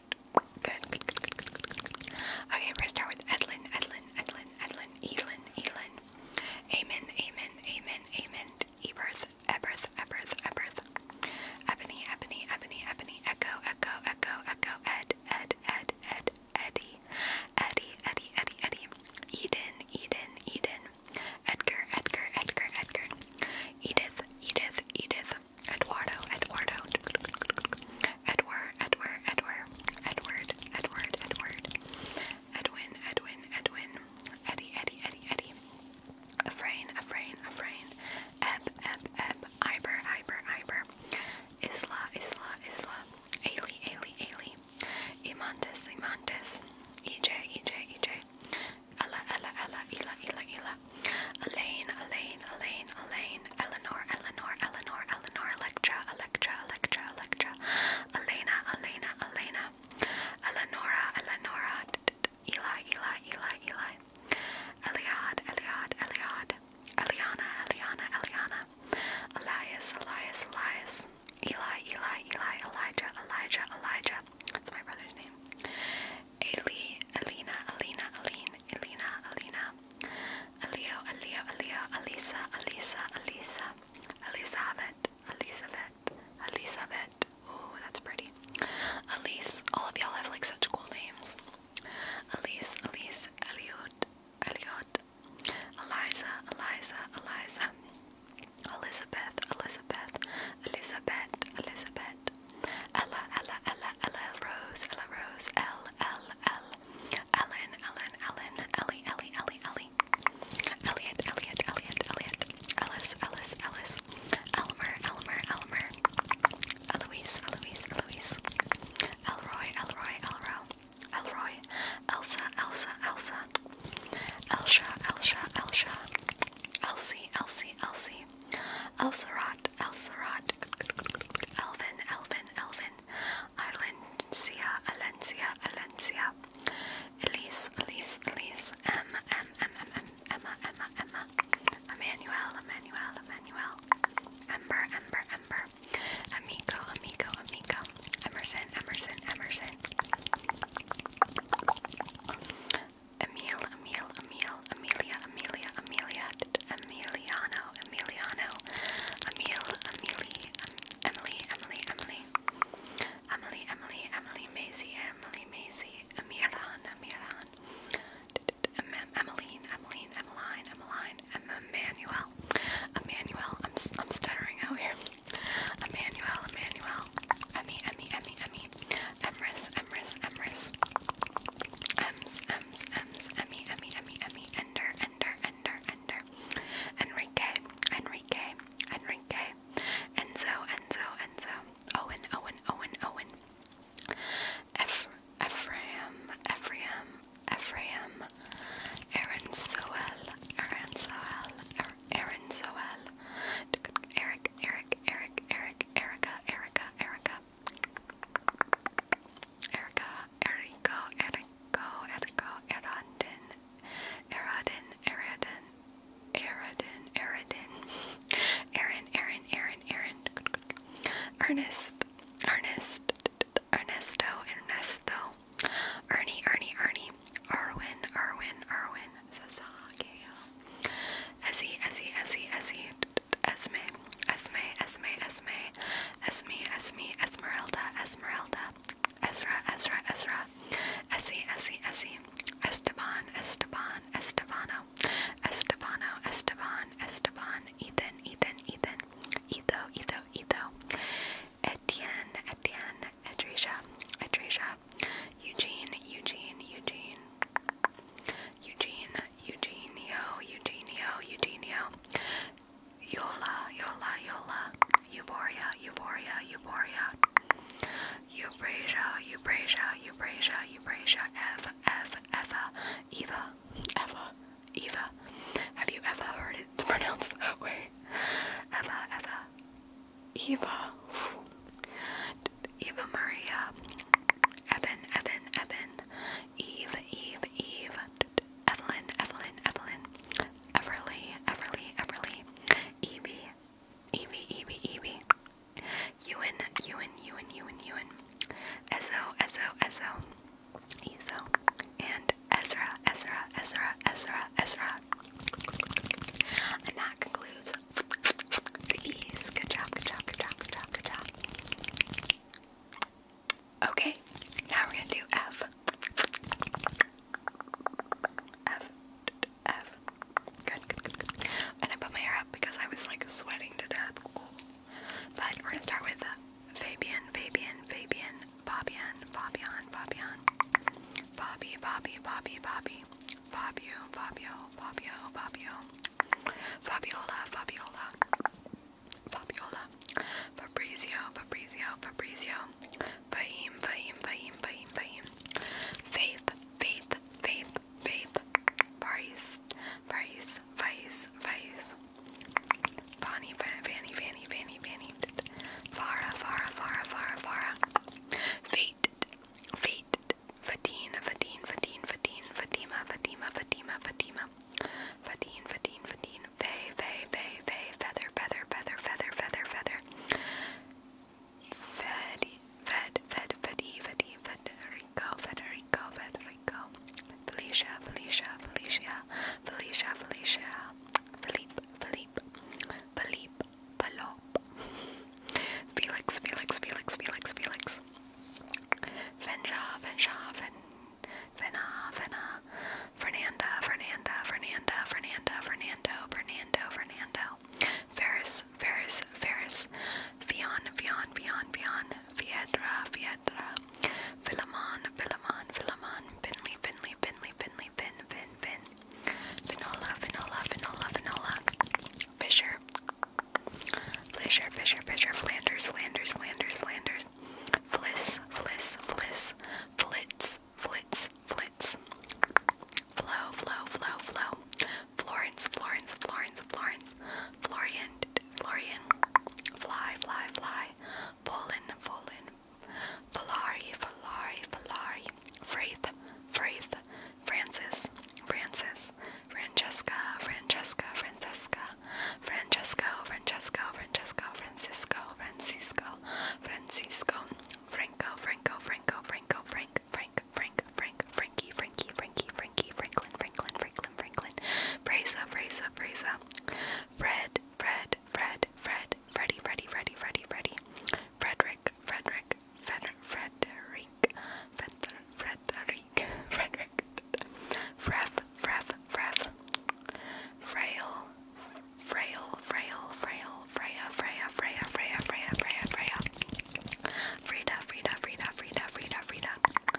Good, Okay, we're gonna start with Edlin, Edlin, Edlin, Edlin, Elin, Elin. Amen, Amen, Amen, Amen. Eberth, Eberth, Eberth, Eberth. Ebony, Ebony, Ebony, Ebony. Echo, Echo, Echo, Echo. Ed, Ed, Ed, Ed, Eddie, Eddie, Eddie, Eddie. Eden, Eden, Eden. Edgar, Edgar, Edgar, Edgar. Edith, Edith, Edith. Eduardo, Eduardo, Edward, Edward, Edward, Edward, Edward, Edward, Edwin, Edwin, Edwin, Eddie, Eddie, Eddie, Eddie, Afrain, Afrain, Afrain, Eb, Eb, Eb, Iber, Iber, Iber, Isla, Isla, Isla, Ailey, Ailey, Ailey, Imantis, Imantis, EJ, EJ, EJ, Ella, Ella, Ella, Ela, Ela, Ela, Elaine, Elaine, Elaine, Elaine, Eleanor, Eleanor, Eleanor, Eleanor, Electra, Electra, Electra, Electra, Elena, Elena, Elena, Eleonora, Eleonora, Eli, Eli, Eli, Eli, Eliad, Eliad, Eliad, Eliana, Eliana, Eliana, Elias, Elias, Elias, Eli, Eli, Eli, Elijah, Elijah, Elijah. That's my brother's name. Ailey, Alina, Alina, Aline, Alina, Alina, Alio, Alio, Alio, Alisa, Alisa, Alisa, Elizabeth, Elizabeth, Elizabeth. Ooh, that's pretty. Elise, all of y'all have like such cool names. Elise, Elise, Eliot, Eliot, Eliza, Eliza, Eliza, Elizabeth, Elizabeth, Elizabeth, Elizabeth, Ella, Ella, Ella, Ella Rose, Ella Rose, L, L, L, Ellen, Ellen, Ellen, Ellie, Ellie, Ellie, Ellie, Elliot, Elliot, Elliot, Elliot, Ellis, Ellis, Ellis, Elmer, Elmer, Elmer, Eloise, Eloise, Eloise, Elroy, Elroy, Elro, Elroy, Elsa, Elsa, Elsa, Elsha, Elsha, Elsha, Elsie, Elsie, Elsie, Elsarat, Elsarat, Elsarat, Elvin, Elvin, Elvin, Alencia, Alencia, Alencia, Elise, Elise, Elise, M, M, M, M, M, Emma, Emma, Emma, Emmanuel, Emmanuel, Emmanuel, Ember, Ember, Ember, Amigo, Amigo, Amigo, Emerson, Emerson, Emerson. Emil, Emil, Emil, Amelia, Amelia, Amelia, Emiliano, Emiliano, Emil, Emily, Emily, Emily, Emily, Emily, Emily, Emily, Maisie, Emily, Maisie, Emiran, Emiran, Emmeline, Emmeline, Emmeline, Emmeline, Emmanuel, Emmanuel, I'm, I'm stuttering out here, Emmanuel, Emmanuel, Emmy, Emmy, Emmy, Emmy, Emrys, Emrys, Emrys, M's, M's, M's, Emmy, Emmy, Emmy, Emmy, Ender, Ender, Ender, Ender, Enrique, Enrique, Enrique, Enzo, Enzo, Enzo, Owen, Owen, Owen, Owen, Eph Ephraim, Ephraim, Ephraim, Aaron Soel, Aaron Soel, Aaron Soel, Eric, Eric, Eric, Eric, Erica, Erica, Erica. Erica, Erico, Erico, Erico, Eradin, Eradin, Eradin, Eradin, Eradin, Aaron, [laughs] Aaron, Aaron, Aaron, Ernest, Ernest, Ernesto, Ernesto, Ernie, Ernie, Ernie, Arwin, Arwin, Arwin, Sasageo, Ezzy, Ezzy, Ezzy, Ezzy, Esme, Esme, Esme, Esme, Esme, Esme, Esmeralda, Esmeralda, Ezra, Ezra, Ezra, Essie, Essie, Essie, Esteban, Esteban, Estebano, Estebano, Esteban, Esteban, Ethan, Ethan, Ethan, Etho, Etho, Etho, Etienne, Etienne, Edrisha, Edrisha, Eugene, Eugene, Eugene. Eugene, Eugenio, Eugenio, Eugenio, Yola, Yola, Yola, Euboria, Euboria, Euboria, Euphrasia, Euphrasia, Euphrasia, Euphrasia, F, F, Eva, Eva, Eva, Eva. Have you ever heard it pronounced that way? Eva, Eva, Eva. Eva Maria, Evan, Evan, Evan, Eve, Eve, Eve, Evelyn, Evelyn, Evelyn, Everly, Everly, Everly, Evie, Evie, Evie, Evie, Ewan, Ewan, Ewan, Ewan, Ewan, Ezo, Ezo, Ezo, Ezo, and Ezra, Ezra, Ezra, Ezra, Ezra. And that concludes the E's. Good job, good job, good job, good job, good job. Okay, now we're gonna do F. F. F. Good, good, good, good. And I put my hair up because I was like sweating to death. But we're gonna start with uh, Fabian, Fabian, Fabian, Fabian, Fabian, Fabian, Bobby, Bobby, Bobby, Bobby, Fabio, Fabio, Fabio, Fabio, Fabiola, Fabiola, Fabiola, Fabrizio, Fabrizio, Fabrizio, Fahim, Fahim, Fahim, Fahim, Fahim, Faith, Faith, Faith, Faith, Paris, Paris, Vice, Vice, Bonnie, Fanny, Fanny, Fanny, Fanny, Farah, Farah, Farah, Farah, Farah, Fate, Fate, Fatin, Fatin, Fatin, Fatin, Fatima, Fatima, Fatima, Fatima, Fadeen, Fadeen, Fadeen, Fay, Fay, Fay, Fay, Feather, Feather, Feather, Feather, Feather, Feather, Fed, Fed, Fed, Fedi, Fedi, Federico, Federico, Federico, Felicia, Felicia, Felicia, Felicia, Felicia, Philippe, Philippe, Philippe, Palop, Felix, Felix, Felix, Felix, Felix, Fenja, Fenja, Fen. Fena, Fena, Fernanda, Fernanda, Fernanda, Fernanda, Fernando, Fernando, Fernando, Ferris, Ferris, Ferris, Fion, Fion, Fion, Fion, Fiedra, Fiedra, Philemon, Philemon, Philemon, Finley, Finley, Finley, Finley, Fin, Fin, Fin, Vinola, Vinola, Vinola, Vinola, Fisher, Fisher, Fisher, Fisher, Flanders, Flanders, Flanders, Flanders colors. Fliss, fliss, fliss, flits, flits, flits. Flow, flow, flow, flow. Florence, Florence, Florence, Florence. Florian, Florian. Fly, fly, fly. Pollen, pollen. Valari, Valari, Valari. Fraith, Fraith. Francis, Francis. Francesca, Francesca, Francesca. Francesco, Francesco, Francesco, Francisco, Francisco, Francisco, Franco, Franco, Franco, Franco, Frank, Frank, Frank, Frank, Frankie, Frankie, Frankie, Frankie, Franklin, Franklin, Franklin, Franklin, Fraser, Fraser, Fraser, Fred, Fred, Fred, Fred, Freddy, Freddy, Freddy, Freddy, Freddy, Frederick, Frederick, Frederick, Frederick, Frederick, Frederick, Freff, Freff, Freff, Frail, Frail, Frail, Frail, Freya, Freya, Freya, Freya, Freya, Freya, Freya, Frida, Frida, Frida, Frida, Frida, Frida,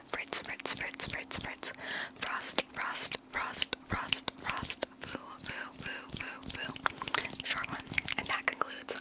Fritz, Fritz, Fritz, Fritz, Fritz, Frost, Frost, Frost, Frost, Frost, Boo, Boo, Boo, Boo, Boo, short one, and that concludes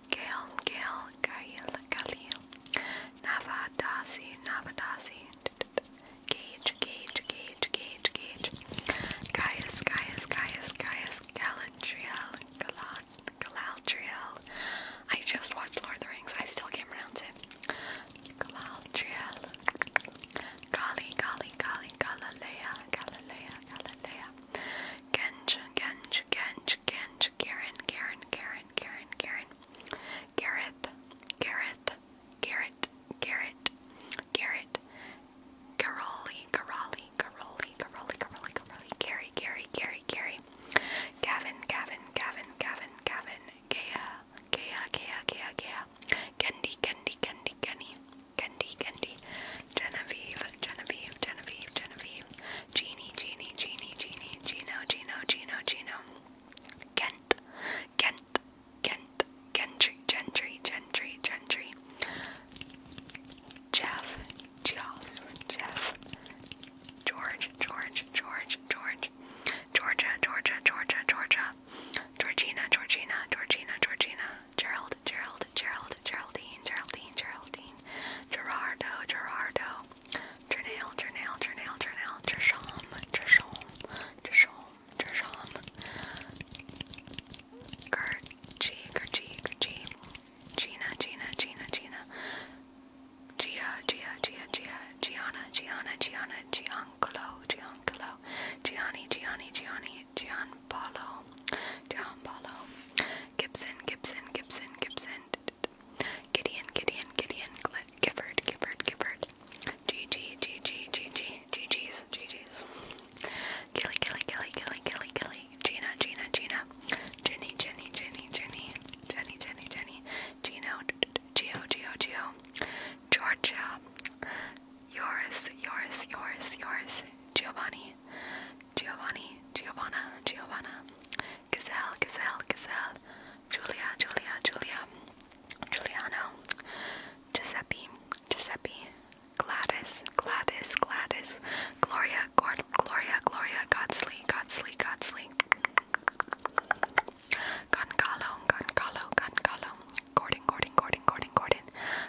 Gail, Gail, Gail, Galil, Navadasi, Navadasi, Gage, Gage, Gage, Gage, Gage, Gaius, Gaius, Gaius, Gaius, Galadriel, Galad, Galadriel. I just watched Lord of the Rings, I still can't pronounce it. Galadriel, Gali, Gali, Gali, Galilea, Galilea, Galilea, Genj, Genj, Genj, Kench, Karen, Karen, Karen, Karen, Karen, Gareth, Gareth, Garrett, Garrett, Garrett, Caroli, Caroli, Caroli, Caroli, Caroli, Caroli, Gary, Gary, Gary, Gary, Gavin, Gavin, Gavin, Gavin, Gavin, Gaya, Gaya, Gaya, Gaya, Gaya, Kendi, Kendi, Kendi, Kenny, Kendi, Kendi, Genevieve, Genevieve, Genevieve, Genevieve, Genie, Genie, Genie, Genie, Gino, Gino, Gino, Gino. Kent, Kent, Kent, Gentry, Gentry, Gentry, Gentry. Jeff, Jeff, Jeff. George, George, George, George. Georgia, Georgia, Georgia, Georgia. Georgina, Georgina, Georgina, Georgina. Gerald, Gerald, Gerald, Geraldine, Geraldine, Geraldine. Gerardo, Gerardo. Journal, journal, journal, journal, Trishom, Trishom, Trishom, Trishom, Gerchi, Gerchi, Gerchi, Gina, Gina, Gina, Gina, Gia, Gia, Gia, Gia, Gianna, Gianna, Gianna, Giancolo, Giancolo, Gianni, Gianni, Gianni, Gianpolo, Gianpolo, Gibson, Gibson, Gibson, Gibson, Gifford. Gideon, Gideon, Gideon, Gifford, Gifford, Gifford. GG, GG, GG, GG's, GG's. Gilly, Gilly, Gilly, Gilly, Gilly, Gilly. Gina, Gina, Gina. Jenny, Jenny, Jenny, Jenny. Jenny, Jenny, Jenny. Gino, Geo, Geo, Geo. Georgia. Yours, yours, yours, yours. Giovanni. Giovanni, Giovanna, Giovanna, Gazelle, Gazelle, Gazelle, Julia, Julia, Julia, Giuliano, Giuseppe, Giuseppe, Gladys, Gladys, Gladys, Gloria, Gord, Gloria, Gloria, Godsley, Godsley, Godsley, Goncalo, Goncalo, Goncalo, Gordon, Gordon, Gordon, Gordon, Gordon,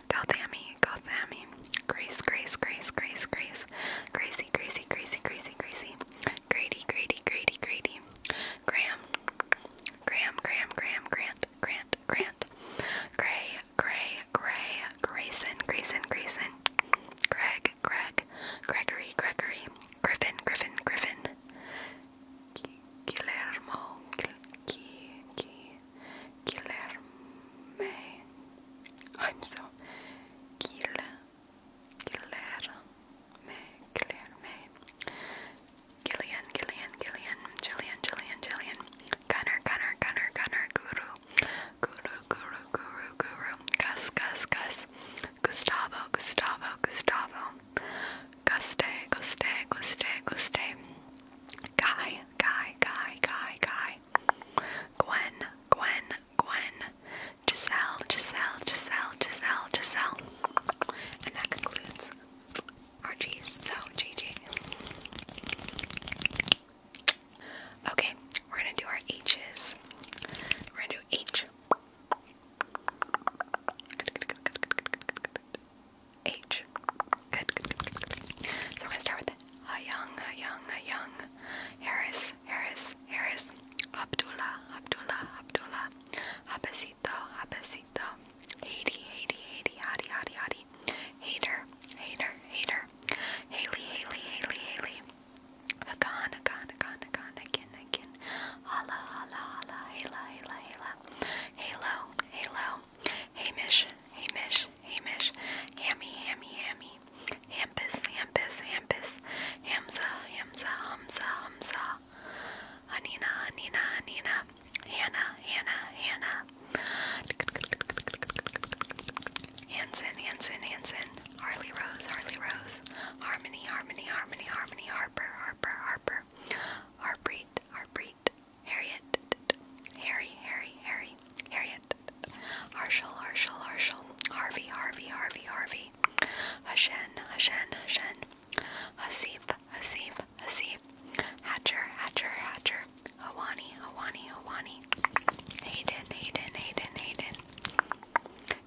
Gothami, Gothami, Grace, Grace, Grace, Grace, Grace, Gracie, Gracie, Gracie, Gracie, Gracie, Grady, Grady, Grady, Grady, Graham, Graham, Graham, Graham, Grant, Grant, Grant, Gray, Gray, Gray, Grayson, Grayson, Grayson, Greg, Greg, Gregory, Gregory, Griffin, Griffin, Griffin, Guillermo, Guillerme, I'm so, Guillermo. Guilherme, Guilherme, Gillian, Gillian, Gillian, Jillian, Jillian, Jillian, Gunner, Gunner, Gunner, Gunner, Guru, Guru, Guru, Guru, Guru, Gus, Gus, Gus, Gustavo, Gustavo, Gustavo, Guste, Guste, Guste, Guste, Guy, Guy, Guy, Guy, Guy, Gwen, Gwen, Gwen, Giselle, Giselle, Giselle, Giselle, Giselle. And that concludes our G's. So, GG. Okay, we're gonna do our H's. We're gonna do H. Good, good, good, good, good, good, good, good, good. H. Good, good, good, good, good. So we're gonna start with a young, a young, a young Harris, Harris, Harris, Abdullah, Abdullah, Abdullah, Habesito, Habesito, Haiti, Haiti, Haiti, Hadi, Hadi, Hadi, Hater, Hater, Hater, Haley, Haley, Haley, Haley, Hagan, Hagan, Hagan, Hagan, Again, Again, Hala, Hala, Hala, Hala, Hala, Hala, Halo, Halo, Hamish, Hamish, Hamish, Hammy, Hammy, Hammy, Hampus, Hampus, Hampus, Hamza, Hamza, Hamza, Hamza, Hanina, Hanina, Hanina, Hannah, Hannah, Hannah, Hanson, Hanson, Hanson, Harley Rose, Harley Rose, Harmony, Harmony, Harmony, Harmony, Harper, Harper, Harper, Harpreet, Harpreet, Harriet, Harry, Harry, Harry, Harriet, Harshal, Harshal, Harshal, Harvey, Harvey, Harvey, Harvey, Hasi, Hashen, Hashen, Hashen, Hasif, Hasif, Hatcher, Hatcher, Hatcher, Hawani, Hawani, Hawani, Hayden, Hayden, Hayden, Hayden,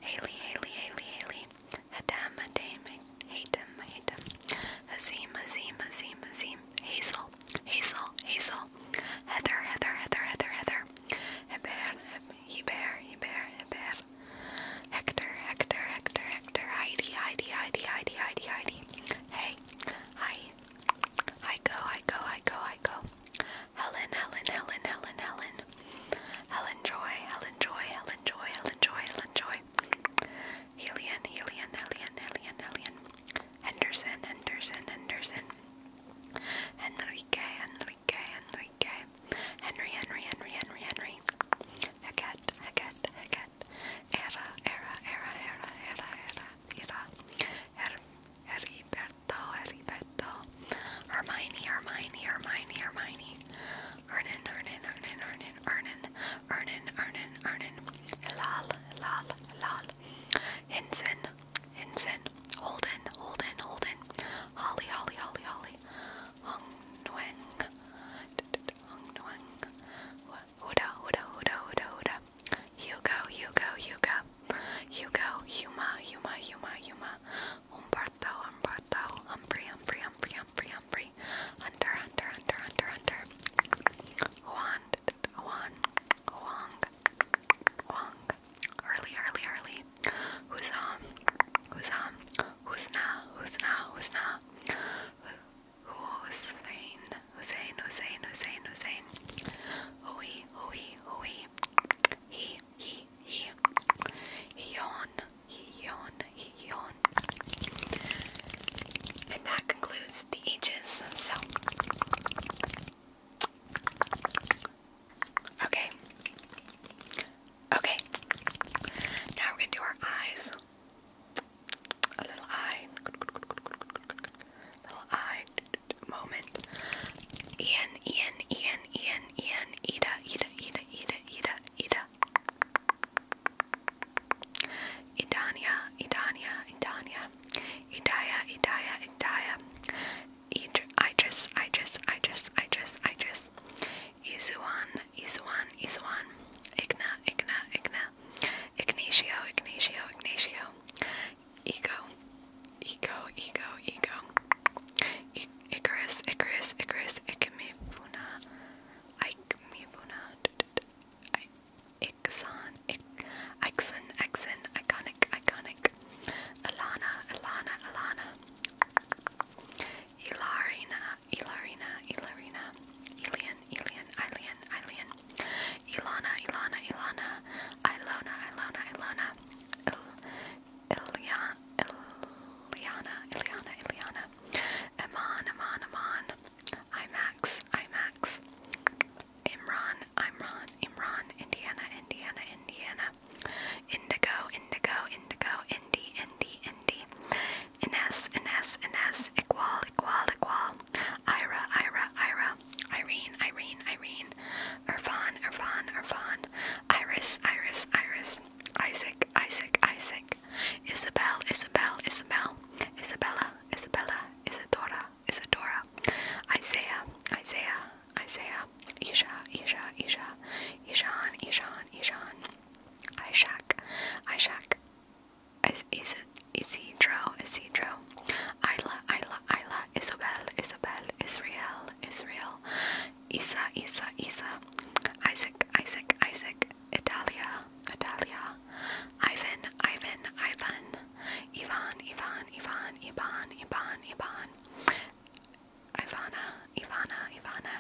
Haley, Haley, Haley, Haley, Hadam, Hadam, Hatem, Hatem, Hazim, Hazim, Hazim, Hazim, Hazel, Hazel, Hazel, Heather, Heather, Heather, Heather, Heather, Heber, Heber, Heber, Heber. Hector, Hector, Hector, Hector. Heidi, Heidi, Heidi, Heidi, Heidi, Heidi. Hey, hi. I go, I go, I go, I go. Helen, Helen, Helen, Helen, Helen. Helen Joy, Helen Joy, Helen Joy, Helen Joy, Helen Joy. Helian, Helian, Helian, Helian, Helian. Henderson, Henderson, Henderson. Enrique, Enrique. Enrique, Enrique, Henry, Henry, Henry, Henry, Henry, Hackett, Hackett, Hackett, Era, Era, Era, Era, Era, Era, Era, Her Heriberto, Heriberto, Hermione, Hermione, Hermione, Hermione, Ernan, Ernan, Ernan, Ernan, Ernan, Ernan, Ernan, Ernan, Lal, Lal, Lal, Henson, Hinson, Holden, Holden, Holden, Holly, Holly, Holly, Holly, Hong Nguyen, Hong Nguyen, Huda, Huda, Huda, Huda, Huda, Hugo, Hugo, Hugo, Hugo, Huma, Huma, Huma, Huma, Humberto, Humberto, Humphrey, Humphrey, Humphrey, Humphrey, Humphrey, Hunter, Hunter, Hunter, Hunter, Hunter, Juan, Juan, Wong, Wong, early, early, early. Who's um, who's um, who's na, who's na, who's na, Hussein, Hussein, Hussein, Hussein, Hussein, Hui, Hui, Hui, he, he, he, Hion, Hion, Hion. And that concludes the ages. So. Okay. Okay. Now we're going to do our eyes. A little eye. Little eye moment. Ian, Ian, Ian, Ian, Ian, Ida, Ida, Ida, Ida, Ida, Ida. Idania, Idania, Idania. Idaya, Idaya, Idaya. Idris, Idris, Idris, Idris, Idris, Izuan, Izuan, Izuan, Igna, Igna, Igna, Ignacio, Ignacio, Ignacio, Ego, Ego, Ego, Ego, I Icarus, Icarus, Icarus, Ikemifuna, Ikemifuna, Ixon, Ixon, Ixon, Iconic, Iconic, Alana, Alana, Alana. Ilarina, Ilarina, Ilarina, Elian, Elian, Ilian, Ilian, Ilana, Ilana, Ilana, Ilona, Ilona, Ilona, Il, Ilian, Iliana, Iliana, Iliana, Iman, Iman, Iman, IMAX, IMAX, Imran, Imran, Imran, Indiana, Indiana, Indiana, Indigo, Indigo, Indigo, Indie, Indie, Indie, Ines, Ines, Ines, Equal, Equal, Equal, Ira, Ira, Ira, Irene, Irene, Irene, Irfan, Irfan, Irfan, Iris, Iris, Iris, Isaac, Isaac, Isaac, Isabel, Isabel, Isabel, Isabella, Isabella, Isadora, Isadora, Isaiah, Isaiah, Isaiah, uh, Isha, Isha, Isha, Ishan, Ishan, Ishan, Ishak, Ishak, Is Is Isidro, Isidro, Isla, Isla, Isla, Isabel, Isabel, Israel, Israel, Isa, Isa, Isa, Isaac, Isaac, Isaac, Italia, Italia, Ivan, Ivan, Ivan, Ivan, Ivan, Ivan, Ivan, Ivan, Ivan. Ivana, Ivana, Ivana,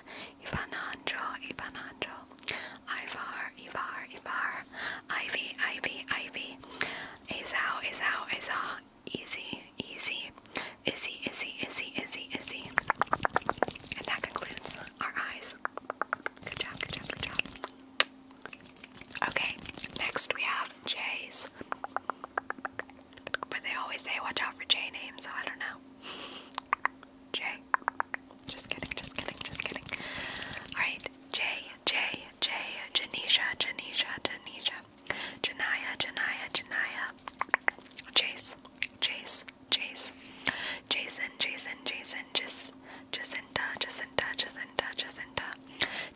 Ivananjo, Ivananjo, Ivar, Ivar, Ivar, Ivy, Ivy, Ivy, Azao, Azao, Azao, Easy, Easy, Izzy, Izzy, Izzy, Izzy, Izzy. And that concludes our eyes. Good job, good job, good job. Okay, next we have J's. But they always say watch out for J names, so I don't know. [laughs] J. Just kidding, just kidding, just kidding. Alright, J, J, J, Janisha, Janisha, Janisha, Janaya, Janaya, Janaya, Chase, Chase, Chase, Jason, Jason, Jason, Jis, Jacinta, Jacinta, Jacinta, Jacinta,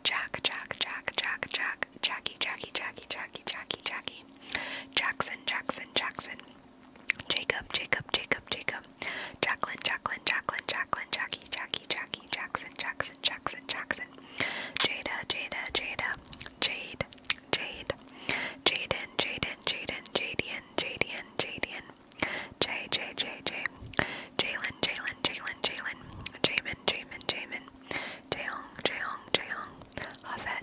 Jack, Jack, Jack, Jack, Jack, Jack, Jackie, Jackie, Jackie, Jackie, Jackie, Jackie, Jackson, Jackson, Jackson, Jacob, Jacob, Jacob, Jacob, Jacqueline, Jacqueline, Jacqueline, Jacqueline, Jackie, Jackie, Jackie, Jackson, Jackson, Jackson, Jackson, Jada, Jada, Jada, Jade, Jade, Jaden, Jaden, Jaden, Jadian, Jadian, Jadian, J, J, J, J, Jalen, Jalen, Jalen, Jalen, Jamin, Jamin, Jamin. Jaehyung, Jaehyung, Jaehyung, Hafet,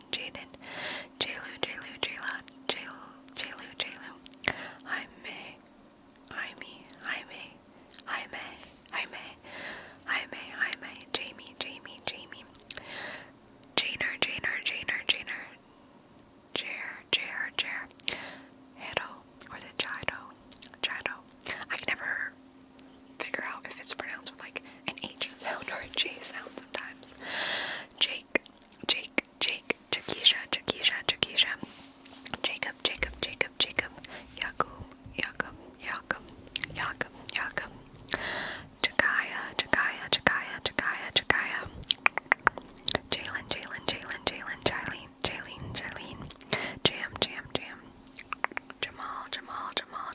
Jaden, Jaden, Jalu, Jalu, Jayla, Jalu, Jalu, Jalu, Jaime, Jaime, Jaime, Jaime, Jaime, Jaime, Jaime, Jamie, Jamie, Jamie, Janer, Janer, Janer, Janer, Jer, Jer, Jer, Hero, or is it Chido? Chido. I can never figure out if it's pronounced with like an H sound or a J sound sometimes. Jake, Jake, Jake, Jakisha, Jakisha, Jakisha, Jacob, Jacob, Jacob, Jacob, Yakub, Yakum, Yakum, Yakum, Yakum, Jakaya, Jakaya, Jakaya, Jakaya, Jakaya, Jalen, Jalen, Jalen, Jalen, Jaleen, Jaleen, Jaleen, Jam, Jam, Jam, Jamal, Jamal, Jamal,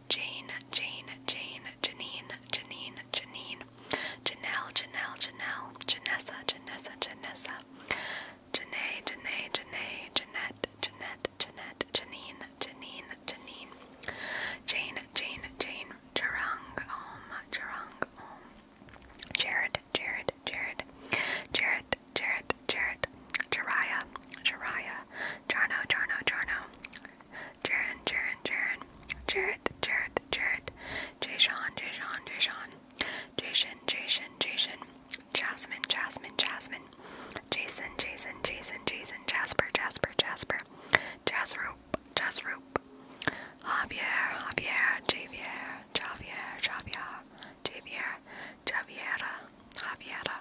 Jane, Jane, Jane, Janine, Janine, Janine, Janelle, Janelle, Janelle, Janessa, Janessa, Janessa, Janae, Janae, Janae, Jeanette, Jeanette, Jeanette, Janine, Janine, Janine, Jane, Jane, Jane, Jarang, Om, Jarang, Om, Jared, Jared, Jared, Jared, Jared, Jared, Jariah, Jariah, Jarno, Jarno, Jarno, Jaron, Jaron, Jaron, Jarrett, Jarrett, Jarrett, Jason, Jason, Jason, Jason, Jason, Jason, Jasmine, Jasmine, Jasmine, Jason, Jason, Jason, Jason, Jasper, Jasper, Jasper, Jasrope, Jasrope, Javier, Javier, Javier, Javier, Javier, Javier, Javiera, Javiera,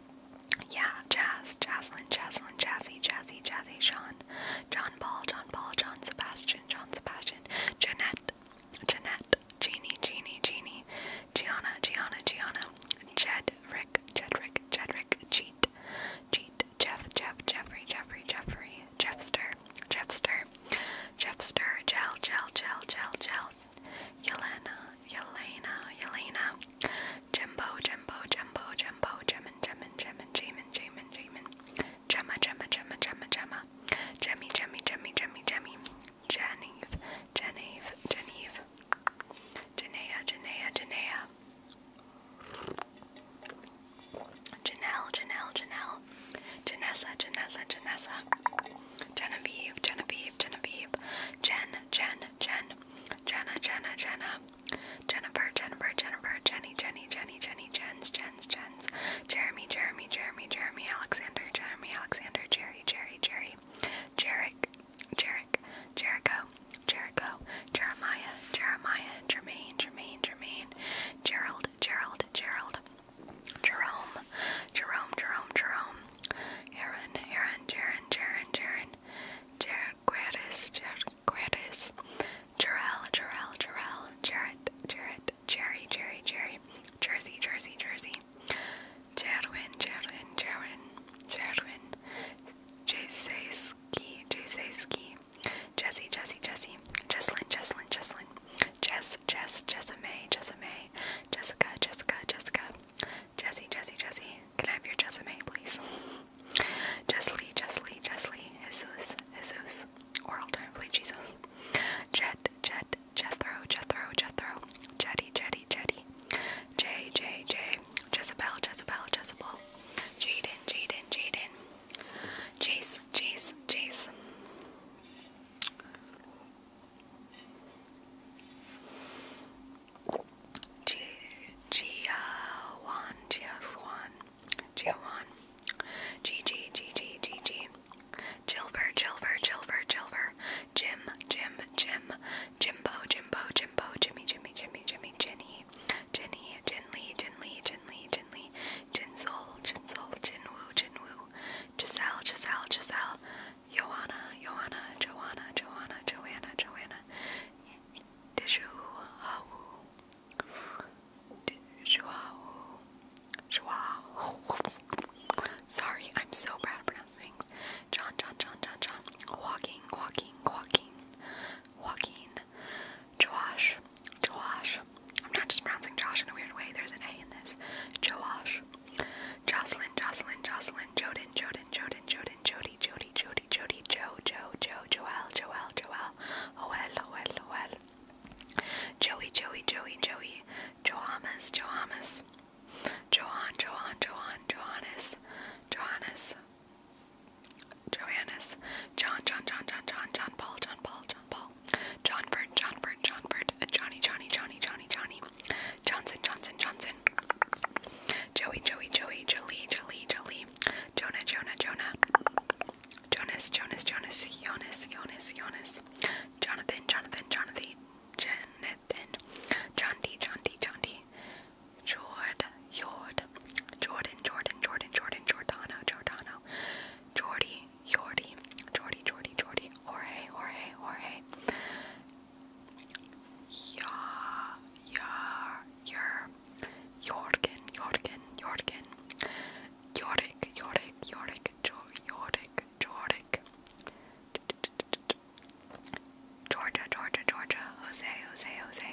Yeah, Jazz, Jaslyn, Jaslyn, Jazzy, Jazzy, Jazzy, Sean, John Paul, John Paul, John Sebastian, John Sebastian, Jeanette, Jeanette, Jeannie, Jeannie, Jeannie, Gianna, Gianna, Gianna, Jed, Rick, Jedrick, Jedrick, Cheat, Cheat, Jeff, Jeff, Jeffrey, Jeffrey, Jeffrey, Jeffster, Jeffster, Jeffster, Jel, Jel, Jel, Jel, Jel, Yelena, Yelena, Yelena, Jimbo, Jimbo, Jimbo, Jimbo, Jemin, Jemin, Jemin, Jamin, Jamin, Jamin, Gemma, Gemma, Gemma, Gemma, Gemma, Jemmy, Jemmy, Jemmy, Jemmy, Jemmy, Geneve, Geneve, Geneve, Genea, Genea, Genea, Janelle, Janelle, Janelle, Janessa, Janessa, Janessa, Genevieve, Genevieve, Genevieve, Jen, Jen, Jen, Jenna, Jenna, Jenna, Jennifer, Jennifer, Jennifer, Jenny, Jenny, Jenny, Jenny, Jens, Jens, Jens, Jeremy, Jeremy, Jeremy, Jeremy, Alexander, Jeremy, Alexander, Jerry, Jerry, Jerry, Jerick, Jerick, Jericho, Jericho, Jeremiah, Jeremiah, Jermaine, Jermaine, Jermaine, Gerald, Gerald, Gerald, Jerome, Jerome, Jerome, Jerome, Aaron, Aaron, Jaron, Jaron, Jaron. Jarquetis, Jarquetis, Jarrell, Jarrell, Jarrell, Jarrett, Jarrett, Jerry, Jerry, Jerry, Jersey, Jersey, Jersey, Jadwin, Jadwin, Jadwin, Jadwin, Jaseski, Jaseski, Jesse, Jesse, Jesse, Jesslyn, Jesslyn, Jesslyn, Jess, Jess, Jessame, Jessame, Jessica, Jessica, Jessica, Jesse, Jesse, Jesse, can I have your resume, please? Justly, justly, justly, Jesus, Jesus, or alternatively Jesus. Jet, Jet, Jethro, Jethro, Jethro, Jetty, Jetty, Jetty, J, J, J, Jezebel, Jezebel, Jezebel, Jaden, Jaden, Jaden, Jace, Jace, Jace. Jiawan, Jiaswan, Jiawan, Gigi, Gigi, Gigi, Jilver, Jilver, Jilver, Jilver, Jim, Jim, Jim, Jimbo, Jimbo, Jimbo, Jimmy, Jimmy, Jimmy, Jimmy, Jenny, Jenny, Jinli, Jinli, Jinli, Jinli, Jinsol, Jinsol, Jinwoo, Jinwoo, Giselle, Giselle, Giselle, Joanna, Joanna, Joanna, Joanna, Joanna, Joanna, Sorry, I'm so bad at pronouncing things. John, John, John, John, John. Walking, walking, walking, walking. Joash, Joash. I'm not just pronouncing Josh in a weird way. There's an A in this. Joash. Jocelyn, Jocelyn, Jocelyn. Joden, Joden, Joden, Joden, Jody, Jody, Jody. Jody, Jody, Joe, Joe, Joe, Joel, Joel, Joel, Oel, Oel, Oel, Joey, Joey, Joey, Joey, Johamas, Johamas, Johan, Johan, Johan, Johannes, Johannes, Johannes, John, John, John, John, John, John, Paul, John, Paul, John, Paul, John Bird, John Bird, John Bird, Johnny, Johnny, Johnny, Johnny, Johnny, Johnson, Johnson, Johnson, Joey, Joey, Joey, Jolie, Jolie, Jolie, Jonah, Jonah, Jonah, Jonas, Jonas, Jonas, Jonas, Jonas, Jonas, Jonathan, Jonathan, Jonathan, Jonathan, John D, John D, John D, Jord, Jord, Jordan, Jordan, Jordan, Jordan, Jordano, Jordano, Jordy, Jordy, Jordy, Jordy, Jordy, Jorge, Jorge, Jorge. Yar, yar, your Jorgen, Jorgen, Jorgen, Jorik, Jorik, Jorik, Jorik, Jorik, Georgia, Georgia, Georgia, Jose, Jose, Jose,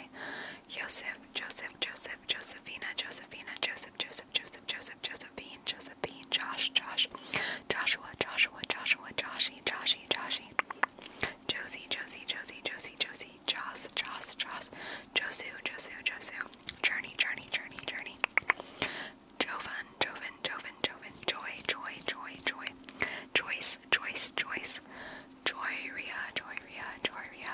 Joseph, Joseph, Joseph, Josephina, Josephina, Joseph, Joseph, Joseph, Joseph, Josephine, Josephine, Josh, Josh, Joshua, Joshua, Joshua, Joshi, Joshi, Joshi, Josie, Josie, Josie, Josie, Josie, Joss, Joss, Joss, Josu, Josu, Josu, Journey, Journey, Journey, Journey, Jovan, Jovan, Jovan, Jovan, Joy, Joy, Joy, Joy, Joyce, Joyce, Joyce, Joyria, Joyria, Joyria,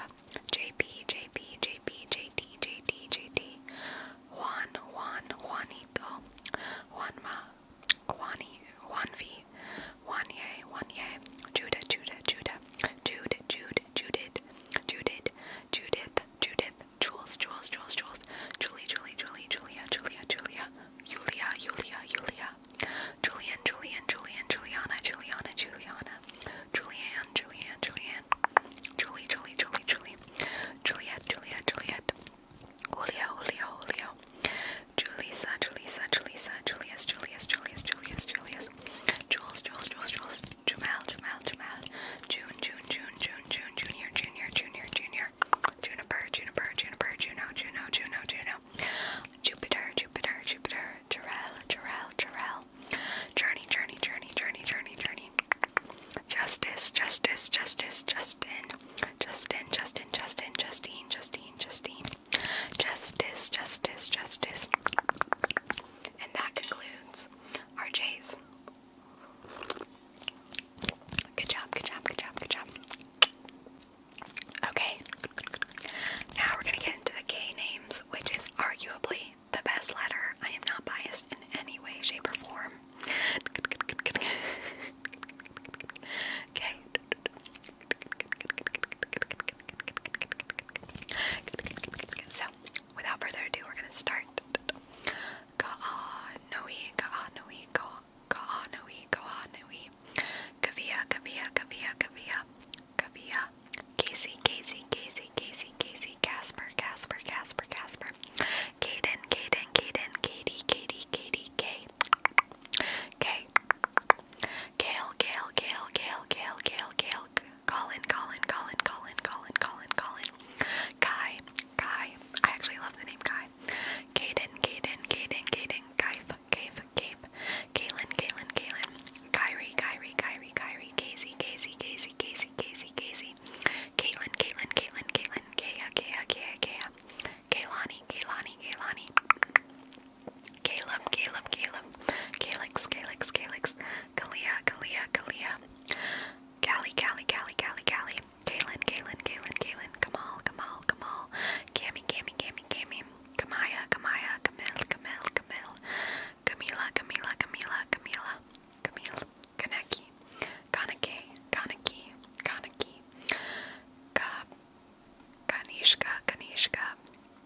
JP, JP, JP, JD, JD, JD, Juan, Juan, Juanito, Juanma, Juani, Juanvi, Wanye, Wanye, Judah, Judah, Judah, Jude, Jude, Judith, Judith, Judith, Judith, Jules, Jules, Jules, Jules, Julie, Julie, Julie, Julia, Julia, Julia, Julia, Julia, Julia, Julian, Julian, Julian, Juliana, Juliana, Juliana, Julianne, Julianne, Julianne, Julie, Julie, Julie, Julie, Juliet, Juliet, Juliet. Julio, Julio, Julio, now. Julissa, Julissa, Julissa, Julius, Julius, Julius, Julius, Julius, Jules, Jules, Jules, Jules, Jamal, Jamal, Jamal, June, June, June, June, June, Junior, Junior, Junior, Junior, Juniper, Juniper, Juniper, Juno, Juno, Juno, Juno, Jupiter, Jupiter, Jupiter, Jarrell, Jarrell, Jarrell, Journey, Journey, Journey, Journey, Journey, Journey. Justice, Justice, Justice, Justin, Justin, Justin, Justin, Justine, Justine, Justine, Justice, justice, justice. And that concludes our J's. Good job, good job, good job, good job. Okay, now we're gonna get into the K names, which is arguably the best letter. I am not biased in any way, shape, or form. [laughs] Okay. So, without further ado, we're gonna start. Ka'anui, ka'anui, ka'anui, ka'anui. Kavia, kavia, kavia, kavia, kavia. Casey, Casey, Casey, Casey, Casey, Casper, Casper, Casper, Casper. Caden, Caden, Caden, Katie, Katie, Katie, K. K. Kale, Kale, Kale, Kale, Kale, Kale, Kale, Colin, Colin, Colin, Colin, Colin, Colin, Colin, Kai, Kai. I actually love the name Kai. Kaden, Kaden, Kaden, Kaden, Kaif, Kaif, Kaif, Kaylin, Kaylin, Kaylin, Kyrie, Kyrie, Kyrie, Kyrie, Casey, Casey, Casey, Casey, Casey, Casey, Caitlin, Caitlin, Caitlin, Caitlin, Kaya, Kaya, Kaya, Kaya. Kaylani, Kaylani, Kaylani, Caleb, Caleb, Caleb, Calix, Calix, Calix, Kalia, Kalia, Kalia, Callie, Callie, Callie, Callie, Callie, Galen, Galen, Galen, Galen, Kamal, Kamal, Kamal, Gammy, Gammy, Gammy, Gammy, Kamaya, Kamaya, Camille, Camille, Camille, Camila, Camila, Camila, Camila, Camille, Kaneki, Kanake, Kaneki, Kaneki, Kanishka, Kanishka,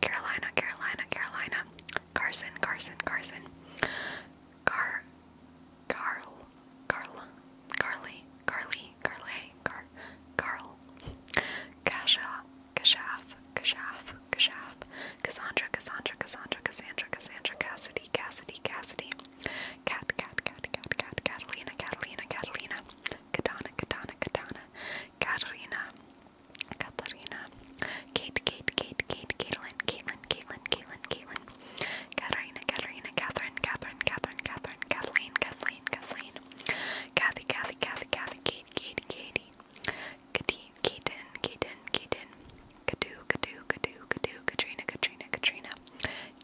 Carolina, Carolina, Carolina, Carson, Carson, Carson, Car, Carl, Carla, Carly, Carly, Carlay, Car, Carl, Kasha, Kashaf, Kashaf, Kashaf, Cassandra, Cassandra, Cassandra, Cassandra, Cassandra, Cassidy, Cassidy, Cassidy, Cat, Cat, Cat, Cat, Cat, Catalina, Catalina, Catalina, Katana, Katana, Katana, Katarina, Katarina, Kate, Kate, Kate, Kate, Caitlin, Caitlin, Caitlin, Caitlin, Caitlin, Katarina, Katarina, Catherine, Catherine, Catherine, Catherine, Kathleen, Kathleen, Kathleen, Kathy, Kathy, Kathy, Kathy, Kate, Kate, Katie, Katie, Kaden, Kaden, Kaden, Kadu, Kadu, Kadu, Kadu, Katrina, Katrina, Katrina,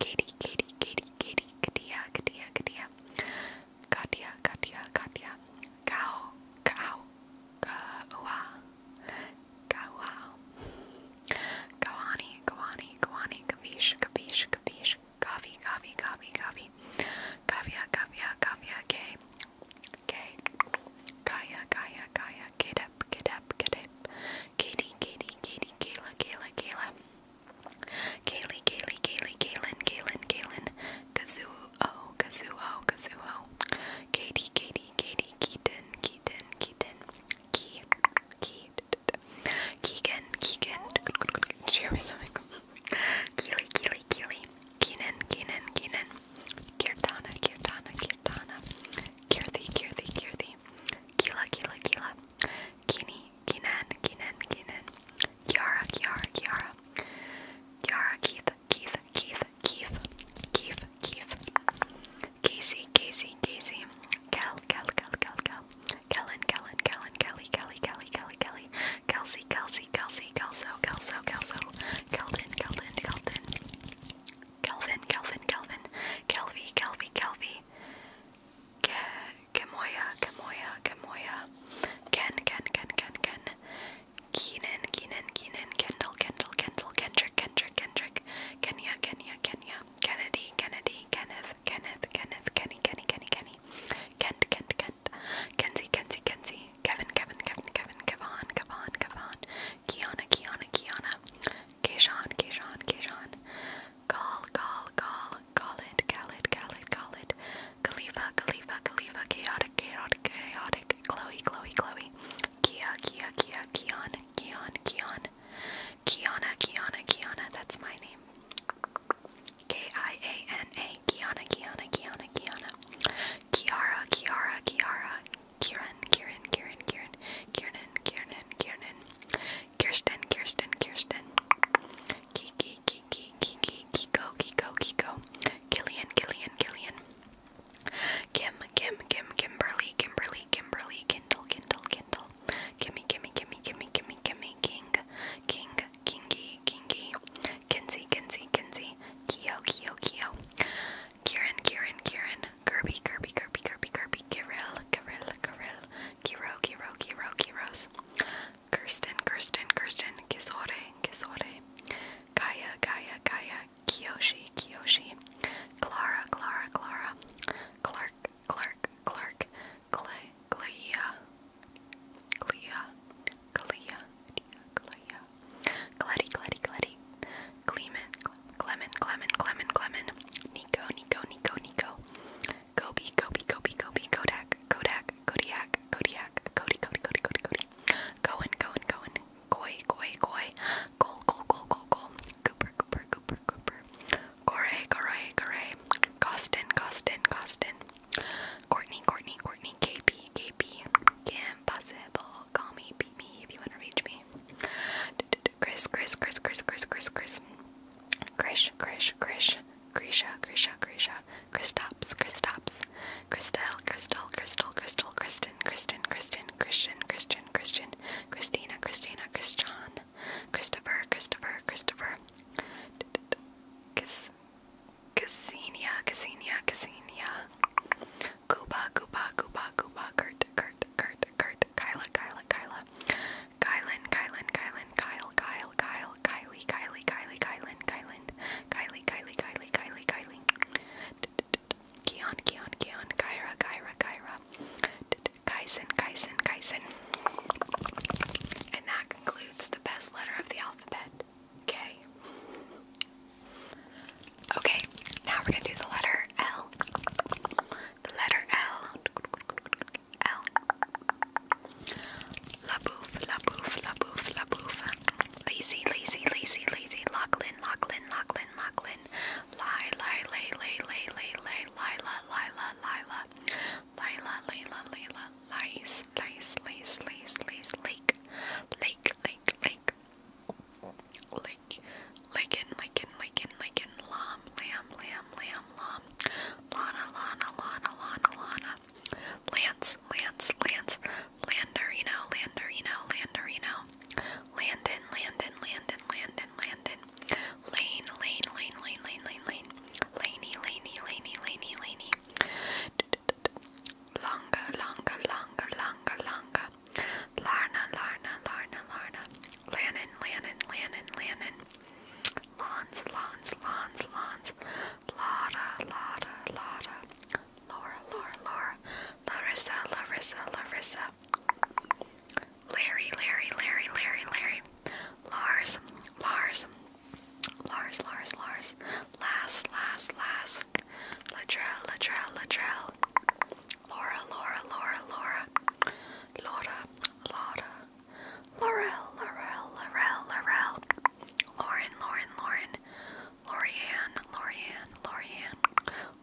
Katie, Katie, Katie, Katie, Katia, Katia, Katia. Katya, Katya, Katya, Kao, Kao, Kawa, Kawa, Kawani, Kawani, Kawani, Kavish, Kavish, Kavish, Kavi, Kavi, Kavi, Kavi, Kavya, Kavya, Kavya, K, K, Kaya, Kaya, Kaya, Kidep, Kidep, Kidep, Katie, Katie, Katie, Kayla, Kayla, Kayla. Kaylee, Kaylee, Kaylee, Kaylin, Kaylin, Kaylin, Kazuo, oh, Kazuo, oh, Kazuo, oh. Katie, Katie, Katie, Keaton, Keaton, Keaton, Key, Key, Keegan, Keegan, cheer me stomach. Keely, Keely, Keely, Keenan, Keenan, Keenan, Kirtana, Kirtana, Kirtana, Kirthi, Kirthi, Kirthi, Keela, Keela, Keela, Keeny, Keenan, Keenan, Keenan. Kiara, Kiara, Kiara, Kiara, Keith, Keith, Keith, Keith, Keith, Keith, Casey, Casey, Casey, Kel, Kel, Kel, Kel, Kel, Kellen, Kellen, Kellen, Kelly, Kelly, Kelly, Kelly, Kelly, Kelsey, Kelsey, Kelsey, Kelso, Kelso, Kelso, Kelvin, Kelvin, Kelvin, Kelvin, Kelvin, Kelvin, Kelvy, Kelvy, Kelvy. Kamoya, Kamoya, Kamoya, Ken, Ken, Ken, Ken, Ken, Keenan, Keenan, Keenan, Kendall, Kendall, Kendall, Kendrick, Kendrick, Kendrick, Kenya, Kenya, Kenya, Kennedy, Kennedy, Kenneth, Kenneth, Kenneth, Kenny, Kenny, Kenny, Kenny, Kent, Kent, Kent, Kenzie, Kenzie, Kenzie, Kevin, Kevin, Kevin, Kevin, Kevon, Kevon, Kevon, Kiana, Kiana, Kiana, Keyshawn, Keyshawn, Keyshawn, Call, Call, Call, Khalid, Khalid, Khalid, Khalid, Khalifa, Khalifa, Khalifa, Chaotic, Chaotic, Chaotic, Chloe, Chloe, Chloe, Kia, Kia, Kia, Kion, Kion, Kion, Kiana, Kiana, Kiana, that's my name. K-I-A-N-A, Kiana, Kiana, Kiana, Kiana, Kiara, Kiara, Kiara, Kieran, Kieran, Kieran, Kieran, Kieran, Kieran, Kieran, Kirsten, Kirsten, Kirsten, Kiki, Kiki, Kiki, Kiko, Kiko, Kiko, Killian, Killian, Killian, Kim, Kim, Kim, Kimberly, Kimberly, Kimberly, Kindle, Kindle, Kindle, Kimmy, Kimmy, Kimmy, Kimmy, Kimmy, Kimmy, King, King, Kingy, Kingy, Kinsey, Kinsey, Kinsey, Kyo, Kyo, Kyo, Kieran, Kieran, Kieran, Kirby, Kirby, Kirby, Kirby, Kirby, Kiril, Kiril, Kiril, Kiro, Kiro, Kiro, Kiros. Kirsten, Kirsten, Kirsten, Kisore, Kisore, Kaya, Kaya, Kaya, Kiyoshi, Kiyoshi, Clara, Clara, Clara, Clark, Clark, Clark, Clay, Clea, Clea, Clea, Clea, Gladdy, Gladdy, Gladdy, Clement, Clement, Clement, Clement, Clement, Nico, Nico, Nico, Nico, Gobi, Gobi, Gobi, Gobi, Kodak, Kodak, Kodiak, Kodiak, Kodiak, Cody, Cody, Cody, Cody, Cody, Cohen, Cohen, Cohen, Koi, Koi, Koi, Goal, Goal, Goal, Goal, Goal, Cooper, Cooper, Cooper, Cooper, Gore, Gore, Gore, Costin, Costin, Costin, Courtney, Courtney, Courtney, KP, KP, Impossible, call me, beat me if you want to reach me. Chris, Chris, Chris, Chris, Chris, Chris, Chris, Chris, Chris, Chris, Grisha, Grisha, Grisha, Kristaps, Kristaps, Christelle, Crystal, Crystal, Crystal, Kristen, Kristen, Kristen, Christian, Christian, Christian, Christina, Christina, Christian, Christopher, Christopher, Christopher, Cassinia, Cassinia, Cassinia, Koopa, Koopa, Koopa, Koopa, Kurt, Kurt, Kurt, Kurt, Kyla, Kyla, Kyla, Kylan, Kylan, Kylan, Kyle, Kyle. Kyle, Kyle, Kylie, Kylie, Kylie, Kylan, Kylan, Kylie, Kylie, Kylie, Kylie, Kylie, Keon, Keon, Keon, Kyra, Kyra, Kyra, Kyson, Kyson, Kyson. And that concludes the best letter of the alphabet, K. Okay, now we're gonna do the letter L. The letter L. L. La Bouffe, La Bouffe, La Bouffe, La Bouffe. Lazy, lazy, lazy, lazy. Lachlan, Lachlan, Lachlan, Lachlan. Lie, lie, lay, lay, lay, lay, lay. Lila, Lila, Lila. Lila, Lila, Lila. Lice, lice, lice, lice, lice. Lake, lake, lake, lake. Lake, Lakin, Lakin, Lakin, Lakin. Lamb, lamb, lamb, lamb, lamb. Lana, Lana, Lana, Lana, Lana. Lance, Lance, Lance, Landerino, Landerino, Landerino, Landon, Landon, Landon, Landon, Landon, Lane, Lane, Lane, Lane, Lane, Lane, Lane, Laney, Laney, Laney, Laney, Laney, Longa, Longa, Longa, Longa, Longa, Larna, Larna, Larna, Larna, Lannon, Lannon, Lannon, Lannon, Lawns, Lawns, Lawns, Lawns, Lara, Lara, Lara, Laura, Laura, Laura, Larissa, Larissa, Larissa, Larry, Larry, Larry, Larry, Larry, Lars, Lars, Lars, Lars, Lars, Last, Last, Last, Latrell, Latrell, Latrell, Laura, Laura, Laura, Laura, Laura, Laura, Laurel, Laurel, Laurel, Laurel, Lauren, Lauren, Lauren, Lorianne, Lorianne, Lorianne,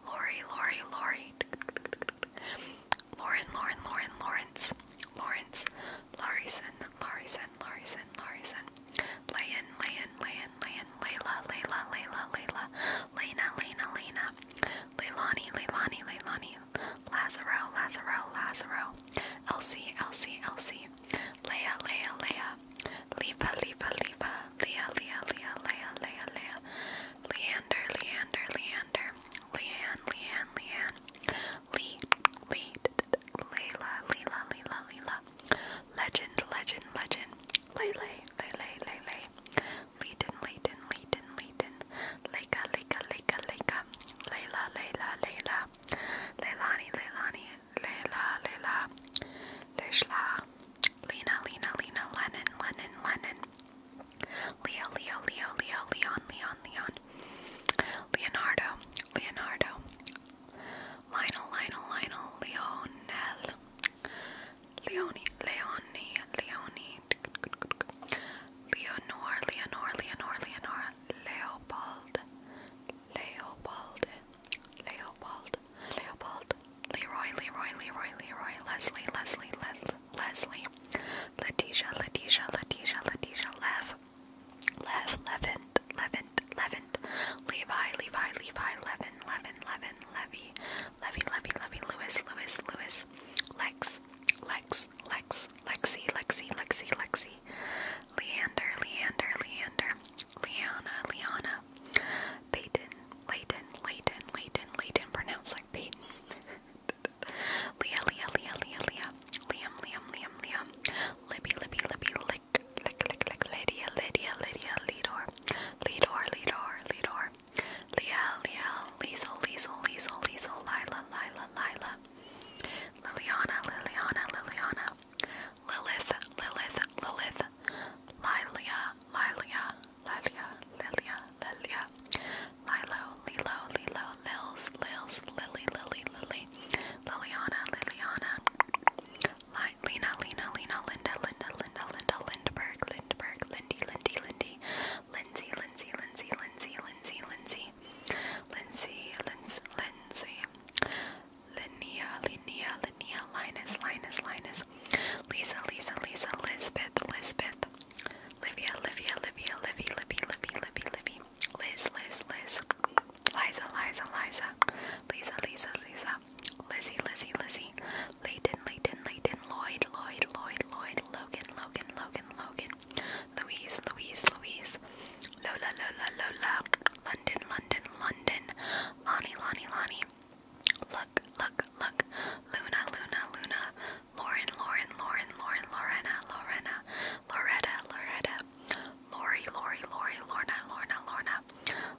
Lori, Lori, Lori, Lauren, Lauren, Lauren, Lawrence, Lawrence, Larison, Larison, Larison, Larison, Layan, Layan, Layan, Layan, Layla, Layla, Layla, Layla, Lena, Lena, Lena, Leilani, Leilani, Leilani, Lazaro, Lazaro, Lazaro, Elsie, Elsie, Elsie, Lily, Leia, Leia, Leia, Lipa, Lipa, Lipa, Leia, Leia, Leia, Leia, Leia, Leia, Leander, Leander, Leander, Leanne, Leanne, Leanne, Lee, Lee, Layla, Leela, Leela, Leela, Legend, Legend, Legend, Lele, Lele, Lele, Leighton, Leighton, Leighton, Leighton, Leka, Leka, Leka, Leka, Layla, Layla, Layla, Leilani, Leilani, Leila, Leila, Leishla, Lena, Lena, Lena, Lennon, Lennon, Lennon, Leo, Leo, Leo, Leo, Leon, Leon, Leon, Leonardo, Leonardo, Lionel, Lionel, Lionel, Lionel, Leonie, Leonie, Leonie, Leonor, Leonor, Leonor, Leonor, Leopold, Leopold, Leopold, Leopold, Leroy, Leroy, Leroy, Leroy, Leslie, Leslie, Les Leslie, Letitia, Letitia, Letitia, Letitia, Lev, Lev, Levant, Levant, Levant, Levi, Levi, Levi, Levin, Levin, Levin, Levy, Levy, Levy, Levy, Lewis, Lewis, Lewis, Lex, Lex, Lex, Lexi, Lexi, Lexi, Lexi, Leander, Leander, Leander, Liana, Liana, Peyton, Layton, Layton, Layton, Layton, pronounced like Peyton. [laughs] Leah, Leah, Leah, Leah, Leah, Liam, Liam, Liam, Liam, Libby, Libby, Libby, Lick, Lick, Lick, Lick, Lydia, Lydia, Lydia, Lidor, Lidor, Lidor, Lidor, Liel, Liel, Liesel, Liesel, Liesel, Liesel, Lila, Lila, Lila, Liliana, Liliana, Liliana, Lilith, Lilith, Lilith, Lilia, Lilia, Lilia, Lilia, Lilia, Lilo, Lilo, Lilo, Lils, Lils, Lily, Lily, Lily, Liliana, Liliana, Lina, Lina, Lina, Linda, Linda, Linda, Linda, Lindberg, Lindberg, Lindy, Lindy, Lindy, Lindsay, Lindsay, Lindsay, Lindsay, Lindsay, Lindsay, Lindsay, Lindsay, Lindsay, Linnea, Linnea, Linnea, Linus, Linus, Linus, Lisa, Lisa, Lisa, Lisbeth, Lisbeth, Livia, Livia, Livia, Livy, Livy, Livy, Livy, Livy, Liz, Liz, Liz, Liza, Liza, Liza, Lisa, Lisa, Lisa, Lizzie, Lizzie, Lizzie, Layton, Layton, Layton, Lloyd, Lloyd, Lloyd, Lloyd, Logan, Logan, Logan, Logan, Louise, Louise, Louise, Lola, Lola, Lola, London, London, London, Lonnie, Lonnie, Lonnie, look, look, look, Luna, Luna, Luna, Lauren, Lauren, Lauren, Lauren, Lorena, Lorena, Loretta, Loretta, Lori, Lori, Lori, Lorna, Lorna, Lorna,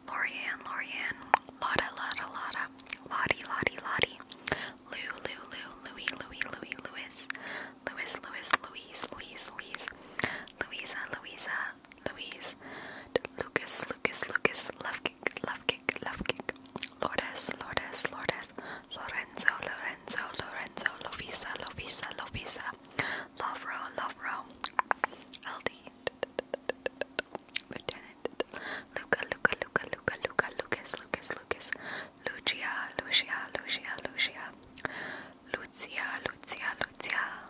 Lorianne, Lorianne, Lotta, Lotta, Lotta, Lottie, Lottie, Lottie, Lou, Lou, Lou, Louie, Louie, Louie, Louis, Louis, Louis, Louise, Louise, Louise, Louisa, Louisa, Louise, Lucas, Lucas, Lucas, love kick, love kick, love kick, Lourdes, Lourdes, Lourdes, Lorenzo, Lorenzo, Lorenzo, Lovisa, Lovisa, Lovisa, Love Lovro, Aldi, Lieutenant, Luca, Luca, Luca, Luca, Luca, Lucas, Lucas, Lucas, Lucia, Lucia, Lucia, Lucia, Lucia, Lucia, Lucia,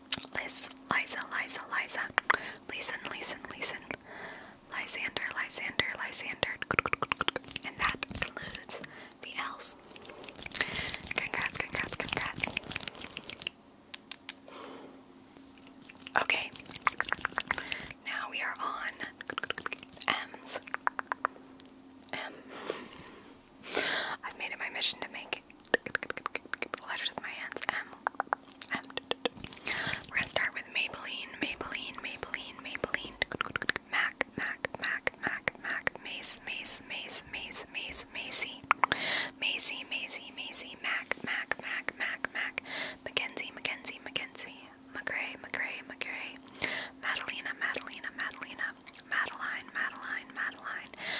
Liz, Liza, Liza, Liza, Listen, Listen, Listen, Lysander, Lysander, Lysander. And that concludes the L's. Congrats, congrats, congrats. Okay. Now we are on M's. M. I've made it my mission to make letters with my hands. M. We're gonna start with Maybelline, Maybelline, Maybelline, Maybelline. Mac, Mac, Mac, Mac, Mac. Mace, Mace, Mace, Mace, Mace, Macy. Macy, Macy, Macy. Mac, Mac, Mac, Mac, Mac. Mackenzie, Mackenzie, Mackenzie. McGray, McGray, McGray. Madalena, Madalena, Madalena. Madeline, Madeline, Madeline.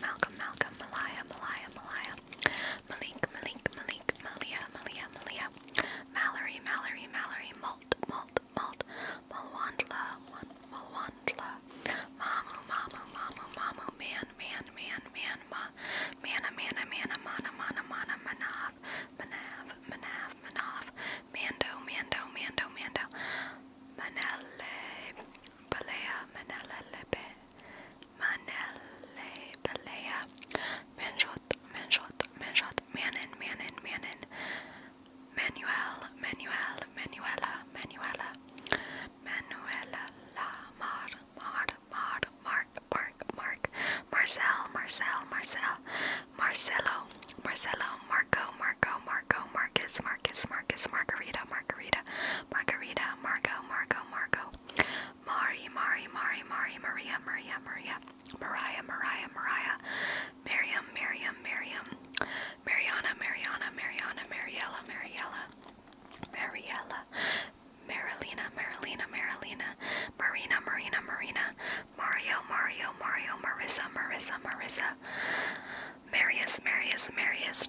Malcolm, Malcolm, Malcolm, Malaya, Malaya, Malaya, Malik, Malik, Malik, Malia, Malia, Malia, Mallory, Mallory, Mallory, Malt, Malt, Malt, Malwandla, Malwandla, Mamu, Mamu, Mamu, Mamu, Man, Man, Man, Man, Ma, Mana, Mana, Mana, Mana, Mana, Mana, Manav, Manav, Manav, Manav, Mando, Mando, Mando, Mando, Manele, Balea, Manele, Lebe. Manele Pelea, Manshot, Manshot, Manshot, Manin, Manin, Manin, Manuel, Manuel, Manuela, Manuela, Manuela, La Mar, Mar, Mar, Mark, Mark, Mark, Marcel, Marcel, Marcel, Marcelo, Marcelo, Marco, Marco, Marco, Marcus, Marcus, Marcus, Margarita, Margarita, Margarita, Marco, Marco, Marco, Mari, Mari, Mari, Mari, Maria, Maria, Maria, Mariah, Mariah, Mariah, Miriam, Miriam, Miriam, Mariana, Mariana, Mariana, Mariella, Mariella, Mariella, Marilina, Marilina, Marilina, Marina, Marina, Marina, Mario, Mario, Mario, Marissa, Marissa, Marissa, Marius, Marius, Marius,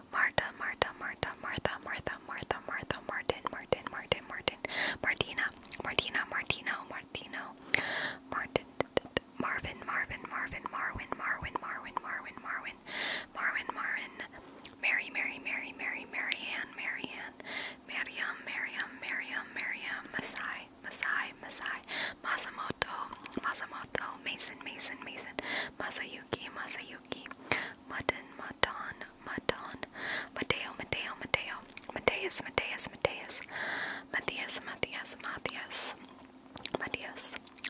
Marta, Marta, Marta, Martha, Martha, Martha, Martha, Martin, Martin, Martin, Martin, Martina, Martina, Martino, Martino, Martin, Marvin, Marvin, Marvin, Marwin, Marwin, Marwin, Marwin, Marwin, Marwin, Marwin, Mary, Mary, Mary, Mary, Marianne, Marianne, Mariam, Mariam, Mariam, Mariam, Masai, Masai, Masai, Masamoto, Masamoto, oh, Mason, Mason, Mason, Masayuki, Masayuki, Mutton, Maton, Maton, Mateo, Mateo, Mateo, Mateus, Mateus, Mateus, Matthias, Matthias, Matthias, Matthias,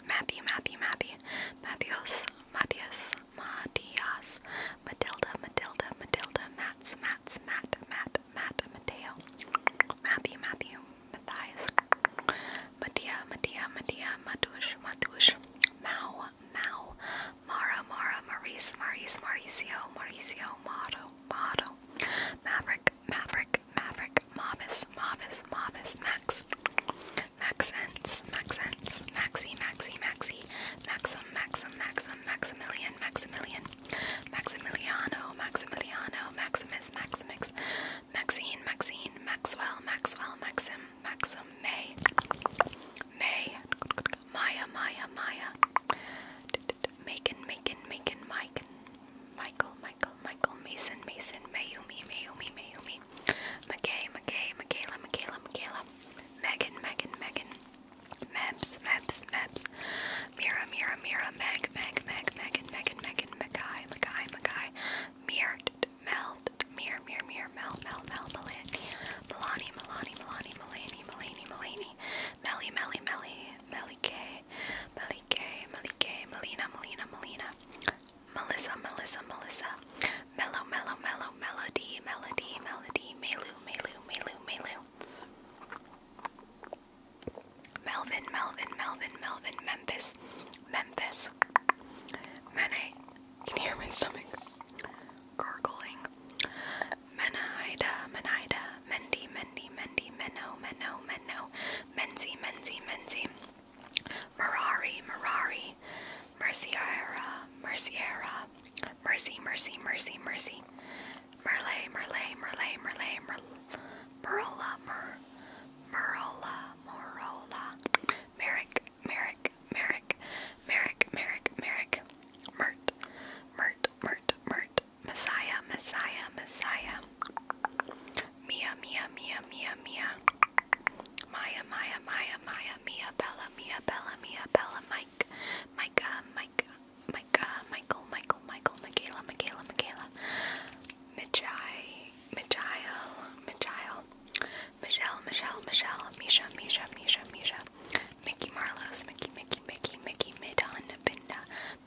Matthew, Matthew, Matthew, Matthews, Matthias, Matthias, Matilda, Matilda, Matilda, Mats, Mats, Matt, Matt, Matt, Mateo, Matthew, Matthew, Matthias, Matia, Matia, Mattia, Matush, Matush, Mau, Mau, Mara, Mara, Maurice, Maurice, Mauricio, Mauricio, Motto, Motto, Maverick, Maverick, Maverick, Mavis, Mavis, Mavis, Max, Maxence, Maxence, Maxi, Maxi, Maxi, Maxim, Maxim, Maxim, Maximilian, Maximilian, Maximiliano, Maximiliano, Maximus, Maximus. Maxine, Maxine, Maxwell, Maxwell, Maxim, Maxim, May, May, Maya, Maya, Maya, Macon, Macon, Macon, Mike, Michael, Michael, Michael, Mason, Mason, Mayumi, Mayumi, Mayumi, McKay, McKay, Michaela, Michaela, Michaela, Megan, Megan, Megan, Mabs, Mabs, Mabs, Mira, Mira, Mira, Meg, Meg, Meg, Megan, Megan, Megan, Mackay, Mackay, Mackay, Mir, Mel, Mir, Mir, Mir, Mel, Mel, Mel, Melanie, Melanie, Melanie, Melanie, Melanie, Melanie, Melanie, Melly, Melly, Melly, Melly K, Melly K, Melly K, Melina, Melina, Melina, Melissa, Melissa, Melissa, Mellow, Mellow, Mellow, Melody, Melody, Melody, Melu, Melu, Melu, Melu. Melvin, Melvin, Melvin, Melvin, Memphis, Memphis. Menai, can hear my stomach gurgling? Menahida, Menahida, Mendi, Mendi, Mendi, Menno, Menno, Menno, Menzi, Menzi, Menzi, Merari, Merari, Merciera, Merciera, Mercy, Mercy, Mercy, Mercy, Merlay, Merlay, Merlay, Merlay, Merla, Mer, Merola, Merola, Merrick, Merrick, Merrick, Merrick, Merrick, Merrick, Mert, Mert, Mert, Mert, Messiah, Messiah, Messiah, Mia, Mia, Mia, Mia, Mia, Maya, Maya, Maya, Maya, Mia, Bella, Mia, Bella, Mia, Bella, Mike, Micah, Mike, Micah, Michael, Michael, Michael, Michaela, Michaela, Michaela, Mijai, Michael, Michael, Michelle, Michelle, Michelle, Misha, Misha, Misha, Misha, Mickey Marlos, Mickey, Mickey, Mickey, Mickey, Midon, Binda,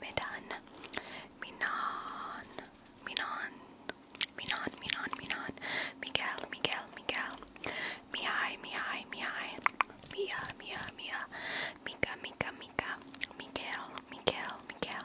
Midon, Minon, Minon, Minon, Minon, Minon, Miguel, Miguel, Miguel, Mihai, Mihai, Mihai, Mia, Mia, Mia, Mika, Mika, Mika, Miguel, Miguel, Miguel.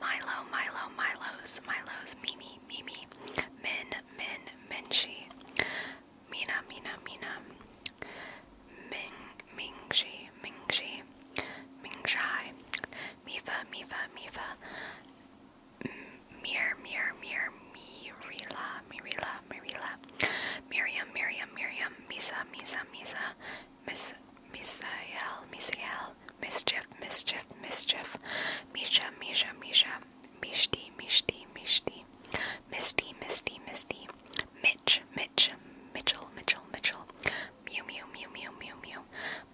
Milo, Milo, Milos, Milos, Mimi, Mimi, Min, Min, Minshi, Mina, Mina, Mina, Ming, Mingshi, Mingshi, Mingshai, Mifa, Mifa, Mifa, Mir, Mir, Mir, Mirila, Mirila, Mirila, Miriam, Miriam, Miriam, Misa, Misa, Misa, Miss Misael, Misael, Mischief, Mischief, Mischief, Misha, Misha, Misha, Mishti, Mishti, Mishti, Misty, Misty, Misty, Mitch, Mitch, Mitchell, Mitchell, Mitchell, Mew, Mew, Mew, Mew, Mew, Mew,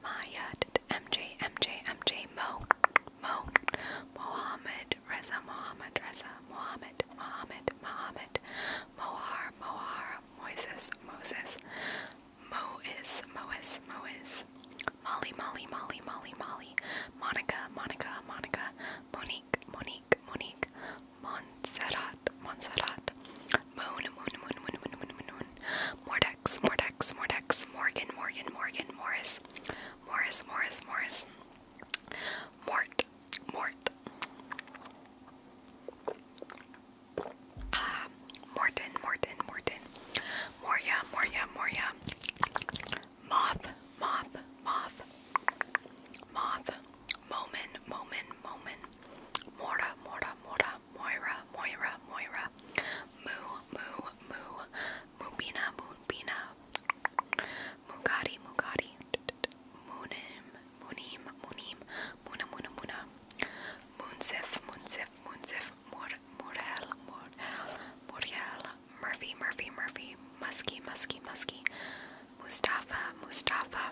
Maya, MJ, MJ, MJ, Mo, Mo, Mohammed, Reza, Mohammed, Reza, Mohammed, Mohammed, Mohammed, Mohar, Mohar, Moises, Moses, Mois, Mois, Mois, Molly, Molly, Molly, Molly, Molly, Monica, Monica, Monica, Monique, Monique, Monique, Montserrat, Montserrat, Moon, Moon, Moon, Moon, Moon, Moon, Moon, Moon, Mordex, Mordex, Mordex, Morgan, Morgan, Morgan, Morris, Morris, Morris, Morris, Mort, Mort. Uh, ah, Morton, Morton, Morton. Moria, Moria, Moria. Moth, moth, moth. Moth. Moment, moment, moment. Mora, Mora, Mora. Moira, Moira, Moira. Moo, moo, moo. Moopina, moopina. Mugati, Mugati. Moonim, moonim, moonim. Muna Muna Muna Munsif Munsif Munsif Mor Morel Morel Moriel Murphy Murphy Murphy Musky Musky Musky Mustafa Mustafa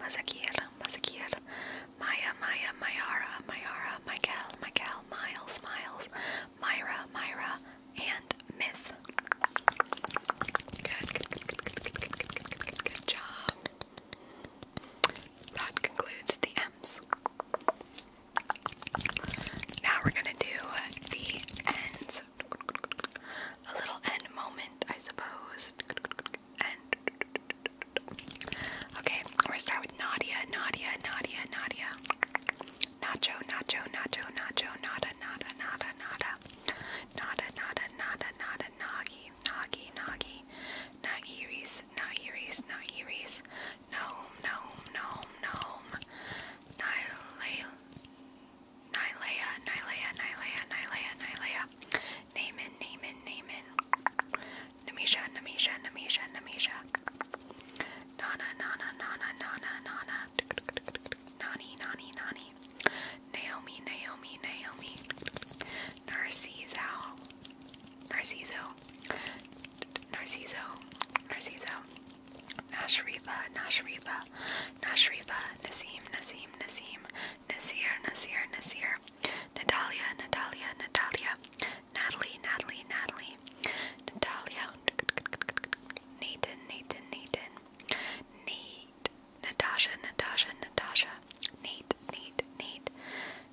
Mazakiel Mazakiel Maya Maya Mayara Mayara Michael Michael Miles Miles Myra Myra and Myth. Good, good, good, good, good, good, good, good, good, good, good, good job. That concludes the M's. Now we're gonna do the ends. A little end moment, I suppose. And okay, we're gonna start with Nadia, Nadia, Nadia, Nadia. Nacho, nacho, nacho, nacho, nada, nada, nada, nada. Nada, nada, nada, nada, nagi, nagi, nagi. Nagiri Uris, not Uris, not Uris. Gnome, gnome, gnome, gnome. Nilea, Nilea, Nilea, Nilea, Nilea, Nilea. Naaman, Naaman, Naaman. Namisha, Namisha, Namisha, Namisha. Nana, Nana, Nana, Nana, Nana. Nani, Nani, Nani. Naomi, Naomi, Naomi. Narcisal. Narciso, Narciso, Narciso, Nashrifa, Nashrifa, Nashrifa, Nasim, Nasim, Nasim, Nasir, Nasir, Nasir, Natalia, Natalia, Natalia, Natalie, Natalie, Natalie, Natalia, Nathan, Nathan, Nathan, Nate, Natasha, Natasha, Natasha, Nate, Nate, Nate,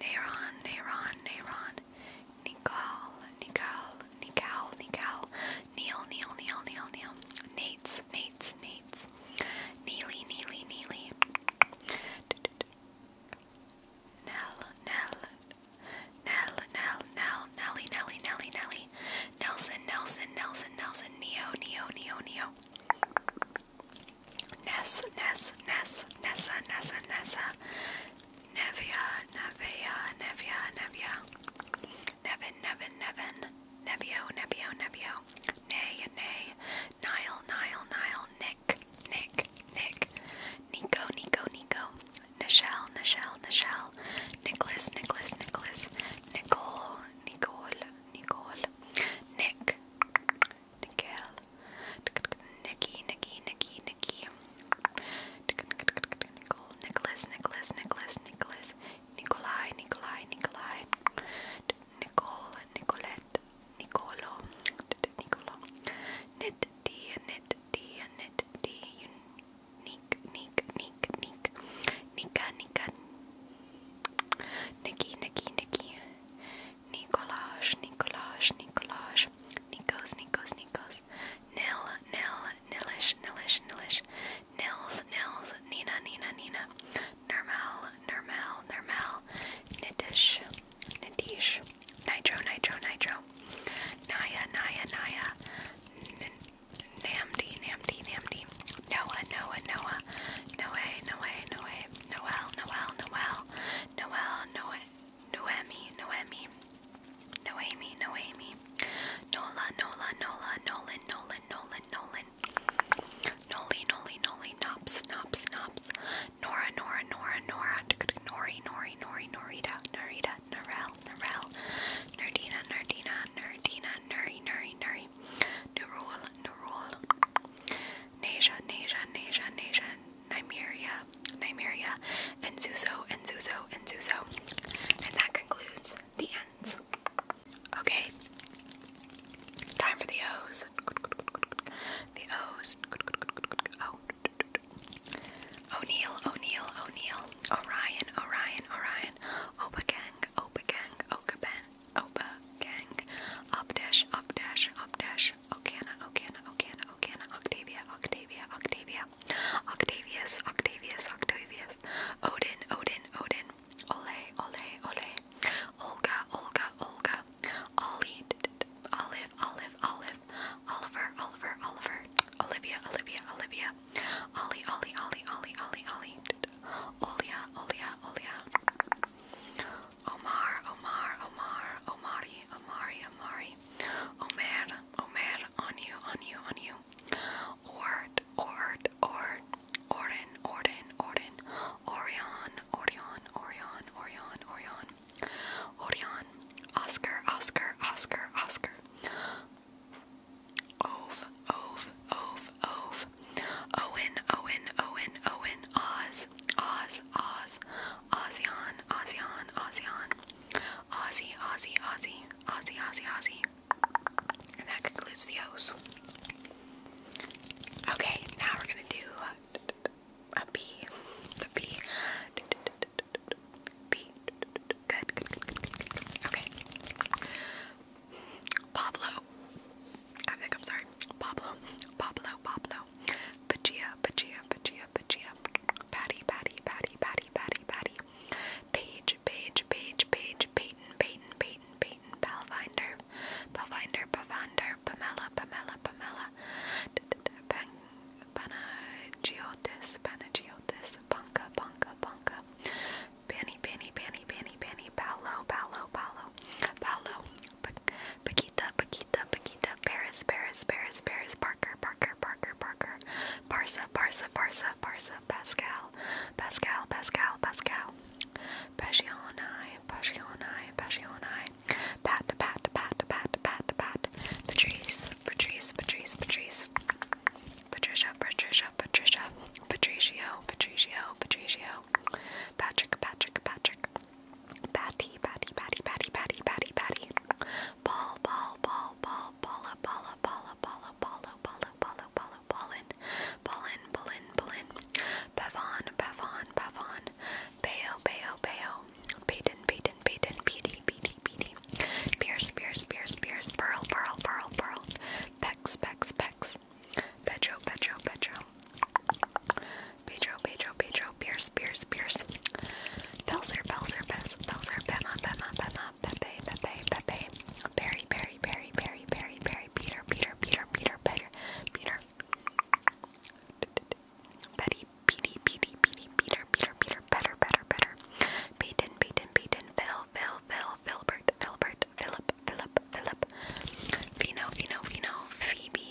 Neron, Neron, Neron, Nicole, Nicole, Nicole, Nicole, Neil, Neil, Neil, Neil, Neil, Nates, Nates, Nates, Neely, Neely, Neely, Nell, Nell, Nell, Nell, Nell, Nelly, Nelly, Nelly, Nelly, Nelson, Nelson, Nelson, Nelson, Neo, Neo, Neo, Neo. Ness, Ness, Ness, Nessa, Nessa, Nessa, Nevia, Nevia, Nevia, Nevia, Nevin, Nevin, Nevin, Nevio, Nevio, Nevio, Nay, Nay, Nile, Nile, Nile, Nick, Nick, Nick, Nico, Nico, Nico, Nichelle, Nichelle, Nichelle, Nicholas, Nicholas, Nicholas, Nicole, Nicole, Nicole, Nick, Nickel, Nicky, Nicky, Nicky, Nicky, Nicole, Nicholas, Nicholas, Nicholas, Nicholas, Nikolai, Nikolai, Nikolai, Nicole, Nicolette, Nicolo, Nicolo, Nit D, Nit D, Nit D, Unique, Nick, Nick, Nick, Nika, Nika, Nikki, Nikki, Nikki, Nikolaj, Nikolaj, Nikolaj, Nikos, Nikos, Nikos, Nil, Nil, Nilish, Nilish, Nilish, Nils, Nils, Nina, Nina, Nina, Nirmal, Nirmal, Nirmal, Nitish, Nitish, Nitro, Nitro, Nitro, Naya, Naya, Naya, Namdi, Namdi, Namdi, Noah, Noah, Noah, no way, no way, no way, Noel, Noel, Noel, Noel, Noe, Noemi, Noemi, Noemi, Noemi, Nola, Nola, Nola, Nolan, Nolan, Nolan, Nolan, Noli, Noli, Noli, Nops, Nops, Nops, Nora, Nora, Nora, Nora, Nori, Nori, Nori, Norita, Norita, Norel, Norel, Nerdina, Nerdina, Nerdina, Nuri, Nuri, Nuri, Nurul, Nurul. Nasia, Nasia, Nasia, Nasia, Nymeria, Nymeria, and Zuzo, and Zuzo, and Zuzo. And that concludes the ends. Okay. Time for the O's. The O's. Oh. O'Neill, O'Neill, O'Neill, Orion, Orion, Orion, Opa Gang, Opa Gang, Okaben, Opa Gang, Opdash, Opdash, Opdash, Okana, Okana, Okana, Octavia, Octavia, Octavia, Octavius, Octavius, Octavius, Odin, Odin, Odin, Ole, Ole, Ole, Olga, Olga, Olga, Ollie, Olive, Olive, Olive, Oliver, Oliver, Oliver, Olivia, Olivia, Olivia, Ollie, Ollie, Ollie, Ollie, Ollie, Ollie, Olia, Olia, Olia, Omar, Omar, Omar, Omari, Omari, Omari, Omer, Omer, on you, on you, on you. Ord, Ord, Ord, Orden, Orden, Orden, Orion, Orion, Orion, Orion, Orion, Orion, Oscar, Oscar, Oscar, Oscar. Ove, Ove, Ove, Ove, Owen, Owen, Owen, Owen, Oz, Oz, Oz, Oz, ASEAN, ASEAN, ASEAN, Aussie, Aussie, Aussie, Aussie, Aussie, Aussie. And that concludes the O's. Okay, now we're gonna do a B. The B. B. Good, good, good, good, good, good. Okay. Pablo. I think I'm sorry. Pablo, Pablo, Pablo. Pachia, Pachia, Pachia, Pachia. Patty, Patty, Patty, Patty, Patty, Patty. Page, Page, Page, Page, Peyton, Peyton, Peyton, Peyton, Palvinder, Palvinder, Pavander, Pamela, Pamela, Pamela. Panagiotis, Panagiotis, Bunka, Bunka, Bunka. Banny, Banny, Banny, Banny, Banny, Paolo, Paolo, Paolo, Paolo, Paquita, Paquita, Paquita, Paris, Paris, Paris, Paris, Parker, Parker, Parker, Parker, Parsa, Parsa, Parsa, Parsa, Pascal, Pascal, Pascal, Pascal, Passioni, Passioni, Passioni, Pat, Pat, Pat, Pat, Pat, Pat, Patrice, Patrice, Patrice, Patrice, Patricia, Patricia, Patricia, Patricio, Patricio, Patricio, Patrick, Patrick, Patrick, Batty, Batty, Batty, Batty, Batty, Batty, Batty. Ball, ball, ball, ball, balla, balla, balla, balla, balla, balla, balla, balla, ballin, ballin, ballin, ballin. Pavon, pavon, pavon. Bayo, bayo, bayo. Payton, payton, payton, peedy, peedy, peedy. Pierce, pierce, pierce, pierce. Pearl, pearl, pearl, pearl. Pex, pex, pex. Petro, petro, petro. Pedro, Pedro, Pedro, Pierce, Pierce, Pierce. Belzer, Belzer, Belzer, Belzer, Bema, Bema, Bema, Pepe, Pepe, Pepe. Barry, Barry, Barry, Barry, Barry, Barry, Peter, Peter, Peter, Peter, Peter, Peter. Betty, Petey, Petey, Petey, Peter, Peter, Peter, better, better, better. Peyton, Peyton, Peyton, Phil, Phil, Phil, Philbert, Philbert, Philip, Philip, Philip. Vino, Vino, Vino, Phoebe,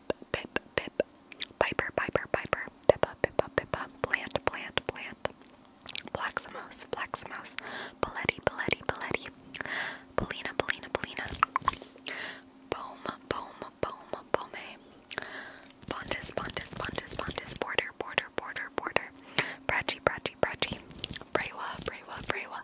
Pip, Pip, Pip, Piper, Piper, Piper, Pippa, Pippa, Pippa, Plant, Plant, Plant, Plaximos, Plaximos, Paletti, Paletti, Paletti, Polina, Polina, Polina, Boom, Boom, Boom, Bome, Pontus, Pontus, Pontus, Pontus, Border, Border, Border, Border, Brachi, Brachi, Brachi, Brewa, Brewa, Brewa,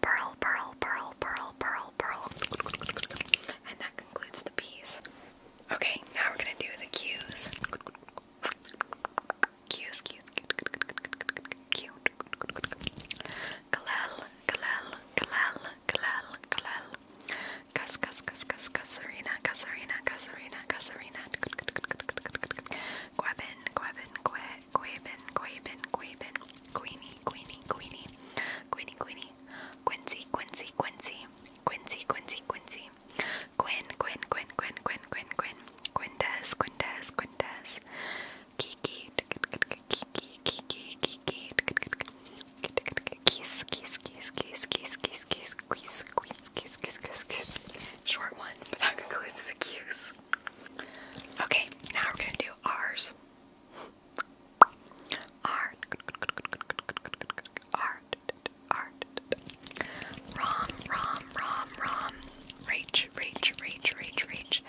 Pearl, pearl, pearl, pearl, pearl, pearl. And that concludes the P's. Okay, now we're gonna do the Q's. Q's, Q's, Q's, Q. Kalel, Kalel, Kalel, Kalel, Kalel. Kas, kas, kas, kas, Kasarina, Kasarina, Kasarina, Kasarina. Quabin, Quabin, Que, Quaven, Quaven, Quaven, Queenie, Queenie, Queenie, Queenie, Queenie, Quincy, Quincy, Quincy, Quincy, Quincy, Quincy, Quinn, Quinn, Quinn, Quinn, Quinn, Quinn, Quinn, Quintas, Quintas, Quintas, Kiki, Kiki, Kiki, Kiki, Kiss, kiss, kiss, kiss, kiss, kiss, kiss, kiss, kiss, kiss, kiss, kiss. Short one, but that concludes the cues. Okay, now we're gonna do ours. Art. Art. Art. Rom, Rom, Rom, Rom. Rach, Rach, Rach, Rach, Rach.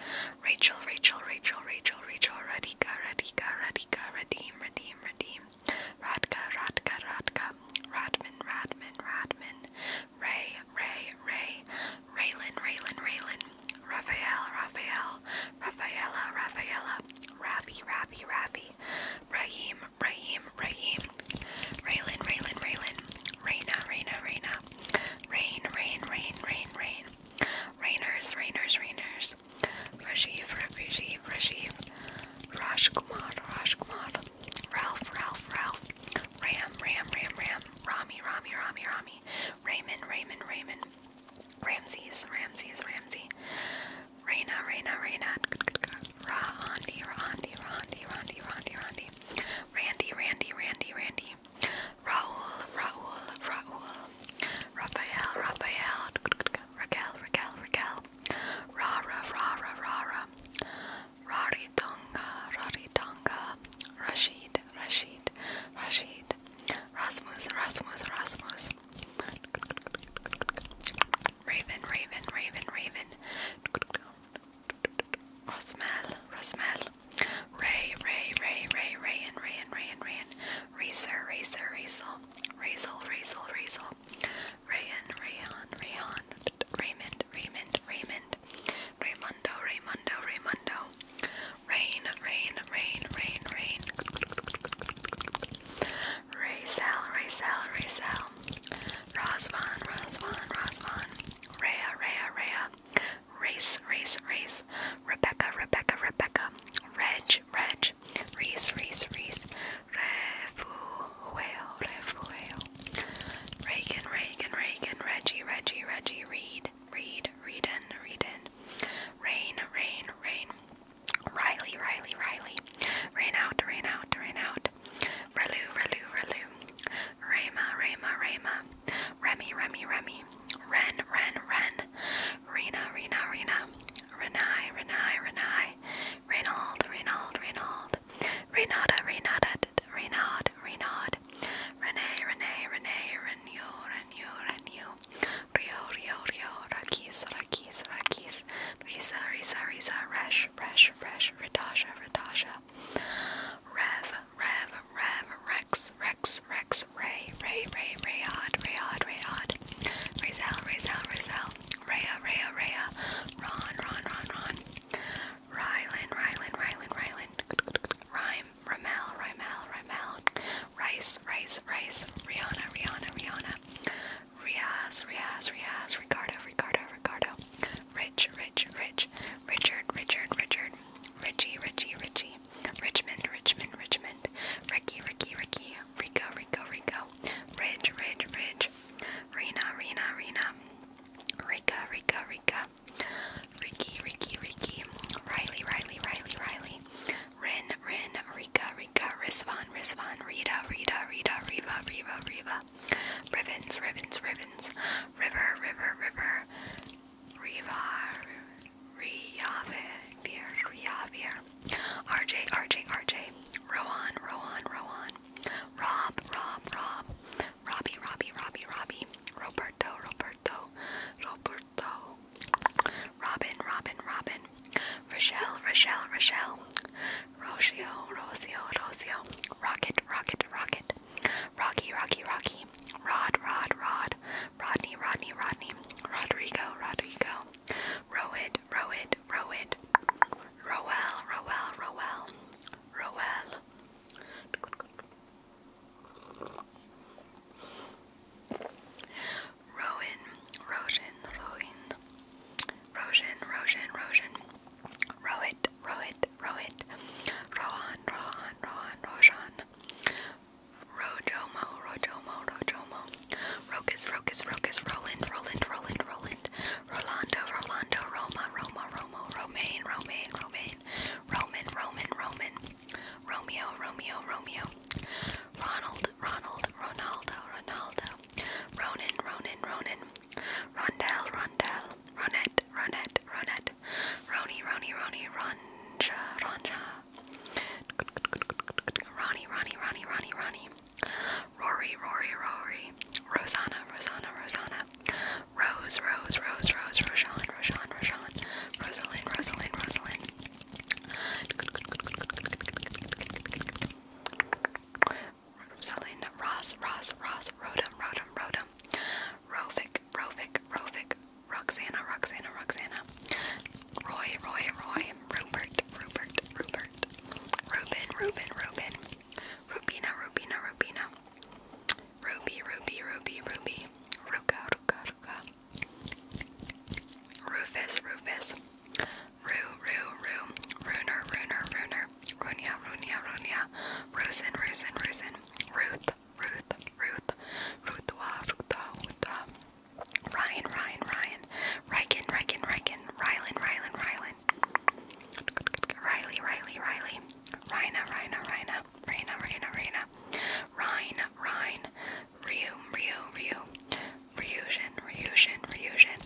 Rachel, Rachel, Rachel, Rachel, Rachel. Radhika, Radhika, Radhika. Redeem, redeem, redeem. Radka, Radka, Radka. Radman, Radman, Radman. Ray, Ray, Ray. Raylan, Raylan, Raylan, Raphael, Raphael, Raphaella, Raphaella, Rappy, Rappy, Rappy, Brahim, Brahim, Brahim, Raylan, Raylan, Raylan, Raina, Raina, Raina, Rain, Rain, Rain, Rain, Rain, Rainers, Rainers, Rainers, Rajiv, Rajiv, Rajiv, Rajkumar, Rajkumar, Ralph, Ralph, Ralph, Ram, Ram, Ram, Ram, Rami, Rami, Rami, Rami, Raymond, Raymond, Raymond, Ramses, Ramses, Ramsey, Raina, Raina, Raina, Rondi, Rondi, Rondi, Rondi, Rondi, Rondi, Randy, Randy, Randy, Randy, Raul, Raul, Raul, Raphael, Raphael, Raquel, Raquel, Raquel, Rara, Rara, Rara, Rari Tonga, Rari Tonga, Rashid, Rashid, Rashid, Rasmus, Rasmus, Rasmus, Raven, Raven, Raven, Raven, Rosmel, Rosmel, Ray, Ray, Ray, Ray, Ray, and Ray, and Ray, and Ray, Racer, Racer, Razel, Razel, Razel, Razel, Rayan, Rayon, Rayon, Raymond, Raymond, Raymond, Raymundo, Raymundo, Raymundo. Rain, rain, rain, rain, rain. Raycel, Raycel, Raycel. Rosvan, Rosvan, Rosvan. Rhea, Rhea, Rhea. Race, race, race. Rebecca, Rebecca, Rebecca. Reg, Reg. Reese, Reese, Reese. Refuel, Refuel. Reagan, Reagan, Reagan. Reggie, Reggie, Reggie. Reed read, read, read in, read in. Rain, rain, rain. Riley, Riley, Riley. Rain out, rain out, rain out. Relu, Relu, Relu. Rama, Rama, Rama. Remy, Remy, Remy. Ren, Ren, Ren. Rena, Rena, Rena. Renai, Renai, Renai. Reynold, Reynold, Reynold. Renata, Renata, Renaud, Renaud. Renee, Renee, Renee, Renew, Renew, Renew, Rio, Rio, Rio, Rakis, Rakis, Rakis, Risa, Risa, Risa, Resh, Resh, Resh, Ritasha, Ritasha, Rev, Rev, Rev, Rex, Rex, Rex, Ray, Ray, Ray, Rayod, Rayod, Rayod, Razel, Razel, Razel, Raya, Raya, Raya, Ron, Ron, Ron, Ron, Rylan, Rylan, Rylan, Rylan, Rhyme, Ramel, Ramel, Ramel, Rice, Rice, Rice, Rihanna, Rihanna, Rihanna, Riaz, Riaz, Riaz, Ricardo, Ricardo, Ricardo, Rich, Rich, Rich, Richard, Richard, Richard, Richie, Richie, Richie, Richmond, Richmond, Richmond, Ricky, Ricky, Ricky, Rico, Rico, Rico, Ridge, Ridge, Ridge, Rena, Rena, Rena, Rika, Rika, Rika, Ricky, Ricky, Ricky, Riley, Riley, Riley, Riley, Rin, Rin, Rika, Rika, Risvan, Risvan, Rita, Rita, Rita, Riva, Riva, Riva, Ribbons, Ribbons, Ribbons, River, River, River, Riva, Riavir, Riavir, RJ, RJ, RJ, Rowan, Rowan, Rowan, Rob, Rob, Rob, Robbie, Robbie, Robbie, Robbie, Roberto, Roberto. Roberto, Roberto, Robin, Robin, Robin, Rochelle, Rochelle, Rochelle, Rocio, Rocio, Rocio, Rocket, Rocket, Rocket, Rocky, Rocky, Rocky, Rod, Rod, Rod, Rodney, Rodney, Rodney, Rodrigo, Rodrigo, Roed, Roed, Roed, Roel, Roel, Roel, Roel. Rowan, Roshan, Rowan, Roshan, Roshan, Roshan, Rowit, Rowit, Rowit, Rohan, Rohan, Rohan, Roshan, Rojomo, Rojomo, Rojomo, Rokus, Rokus, Rokus, Roland, Roland, Roland, Roland, Rolando, Rolando, Roma, Roma, Romo, Romaine, Romaine, Romaine, Roman, Roman, Roman, Romeo, Romeo, Romeo. Ronald, Ronald, Ronaldo, Ronaldo. Ronan, Ronan, Ronan. Rondell, Rondell. Ronette, Ronette, Ronette. Roni, Roni, Roni, Ronja, Ronja. Ronnie, Ronnie, Ronnie, Ronnie, Ronnie. Rory, Rory, Rory. Rosanna, Rosanna, Rosanna. Rose, Rose, Rose, Rose, Roshan, Roshan, Roshan. Rosalind, Rosalind, Rosalind. Rosalind Ross Ross Ross Rodum Rodum Rodum Rovic Rovic Rovic Roxana Roxana Roxana Roy Roy Roy Rupert Rupert Rupert Ruben Ruben Ruben Rubina Rubina Rubina Ruby Ruby Ruby Ruby Ruka Ruka Ruka Rufus, Rufus. Roo, Roo, Roo. Rooner, Rooner, Rooner. Runia, Runia, Runia. Rosen, Rosen, Rosen. Ruth, Ruth, Ruth. Ruthwa, Ruthwa, Ruthwa. Ryan, Ryan, Ryan. Riken, Riken, Riken. Rylan, Rylan, Rylan. Riley, Riley, Riley. Rhina, Rhina, Rhina. Rhina, Rhina, Rhina. Rhine, Rhine. Ryu, Ryu, Ryu, Ryujin, Ryujin, Ryujin.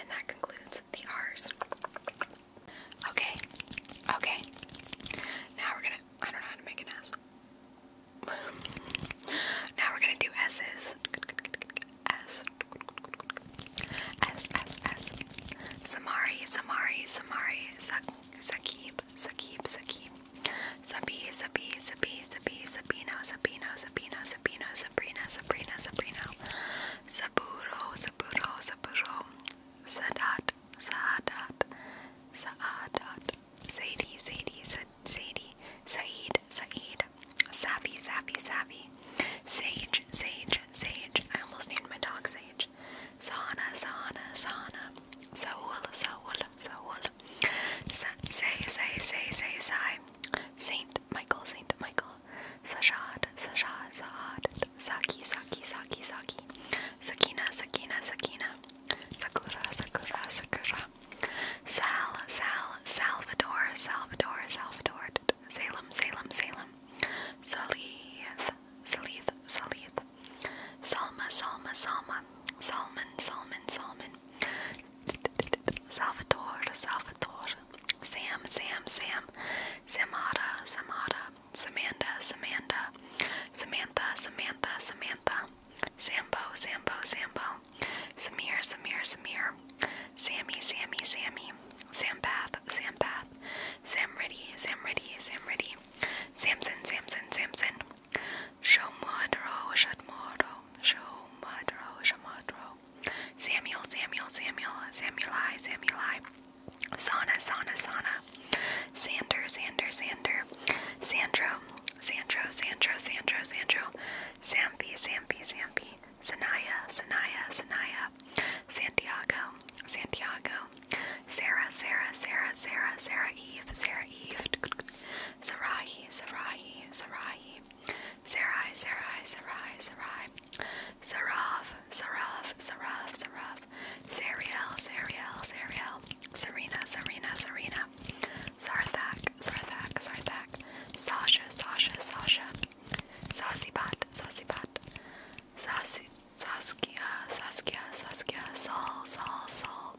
And that concludes the R's. Okay, okay. Now we're gonna, I don't know how to make an S. [laughs] now we're gonna do S's. S. S, S, S. Samari, Samari, Samari, Sak Sakib, Sakib, Sakib, Sabi, Sabi, Sabi, Sabi, Sabino, Sabino, Sabino, Sabino, Sabrina, Sabrina, Sabrino, Saburo, Saburo, Saburo, Sadat, Saadat, Saadat, Sadie, Sadie, Sadie, Said, Said, Savvy, Savvy, Savvy, Sage, Sage, Sage. I almost named my dog Sage much. Sana, Sana, Sana. Saul, Saul, Saul. Say, say, say, say, say. Saint Michael, Saint Michael. Sashad, Sashad, Saad. Saki, Saki, Saki, Saki. Sakina, Sakina, Sakina. Sakura, Sakura, Sakura. Sal, Sal, Salvador, Salvador, Salvador. Salem, Salem, Salem. Salith, Salith, Salith, Salma, Salma, Salma, Salman, Salman, Salman, Salvador, Salvador, Sam, Sam, Sam, Samada, Samada, Samantha, Samantha, Samantha, Samantha, Samantha, Sambo, Sambo, Sambo, Samir, Samir, Samir, Sammy, Sammy, Sammy, Sampath, Sampath, Sam, Sam, ready, ready, Sam, ready, Samson, Samson, Samson, Shomadro, Shadmoro, Shomadro, Shomadro, Samuel, Samuel, Samuel, Samuelai, Samuelai, Sana, Sana, Sana, Sander, Sander, Sander, Sandro, Sandro, Sandro, Sandro, Sandro, Sampi, Sampi, Sampi, Sanaya, Sanaya, Sanaya, Santiago, Santiago, Sarah, Sarah, Sarah, Sarah, Sarah Eve, Sarah Eve, Sarahi, Sarahi, Sarahi, Sarai, Sarai, Sarai, Sarai, Sarav, Sarav, Sarav, Sarav, Sariel, Sariel, Sariel, Serena, Serena, Serena, Sarthak, Sarthak, Sarthak, Sasha, Sasha, Sasha, Sasibat, Sasibat, Sasi. Saskia, Saskia, Saskia, Saul, Saul, Saul,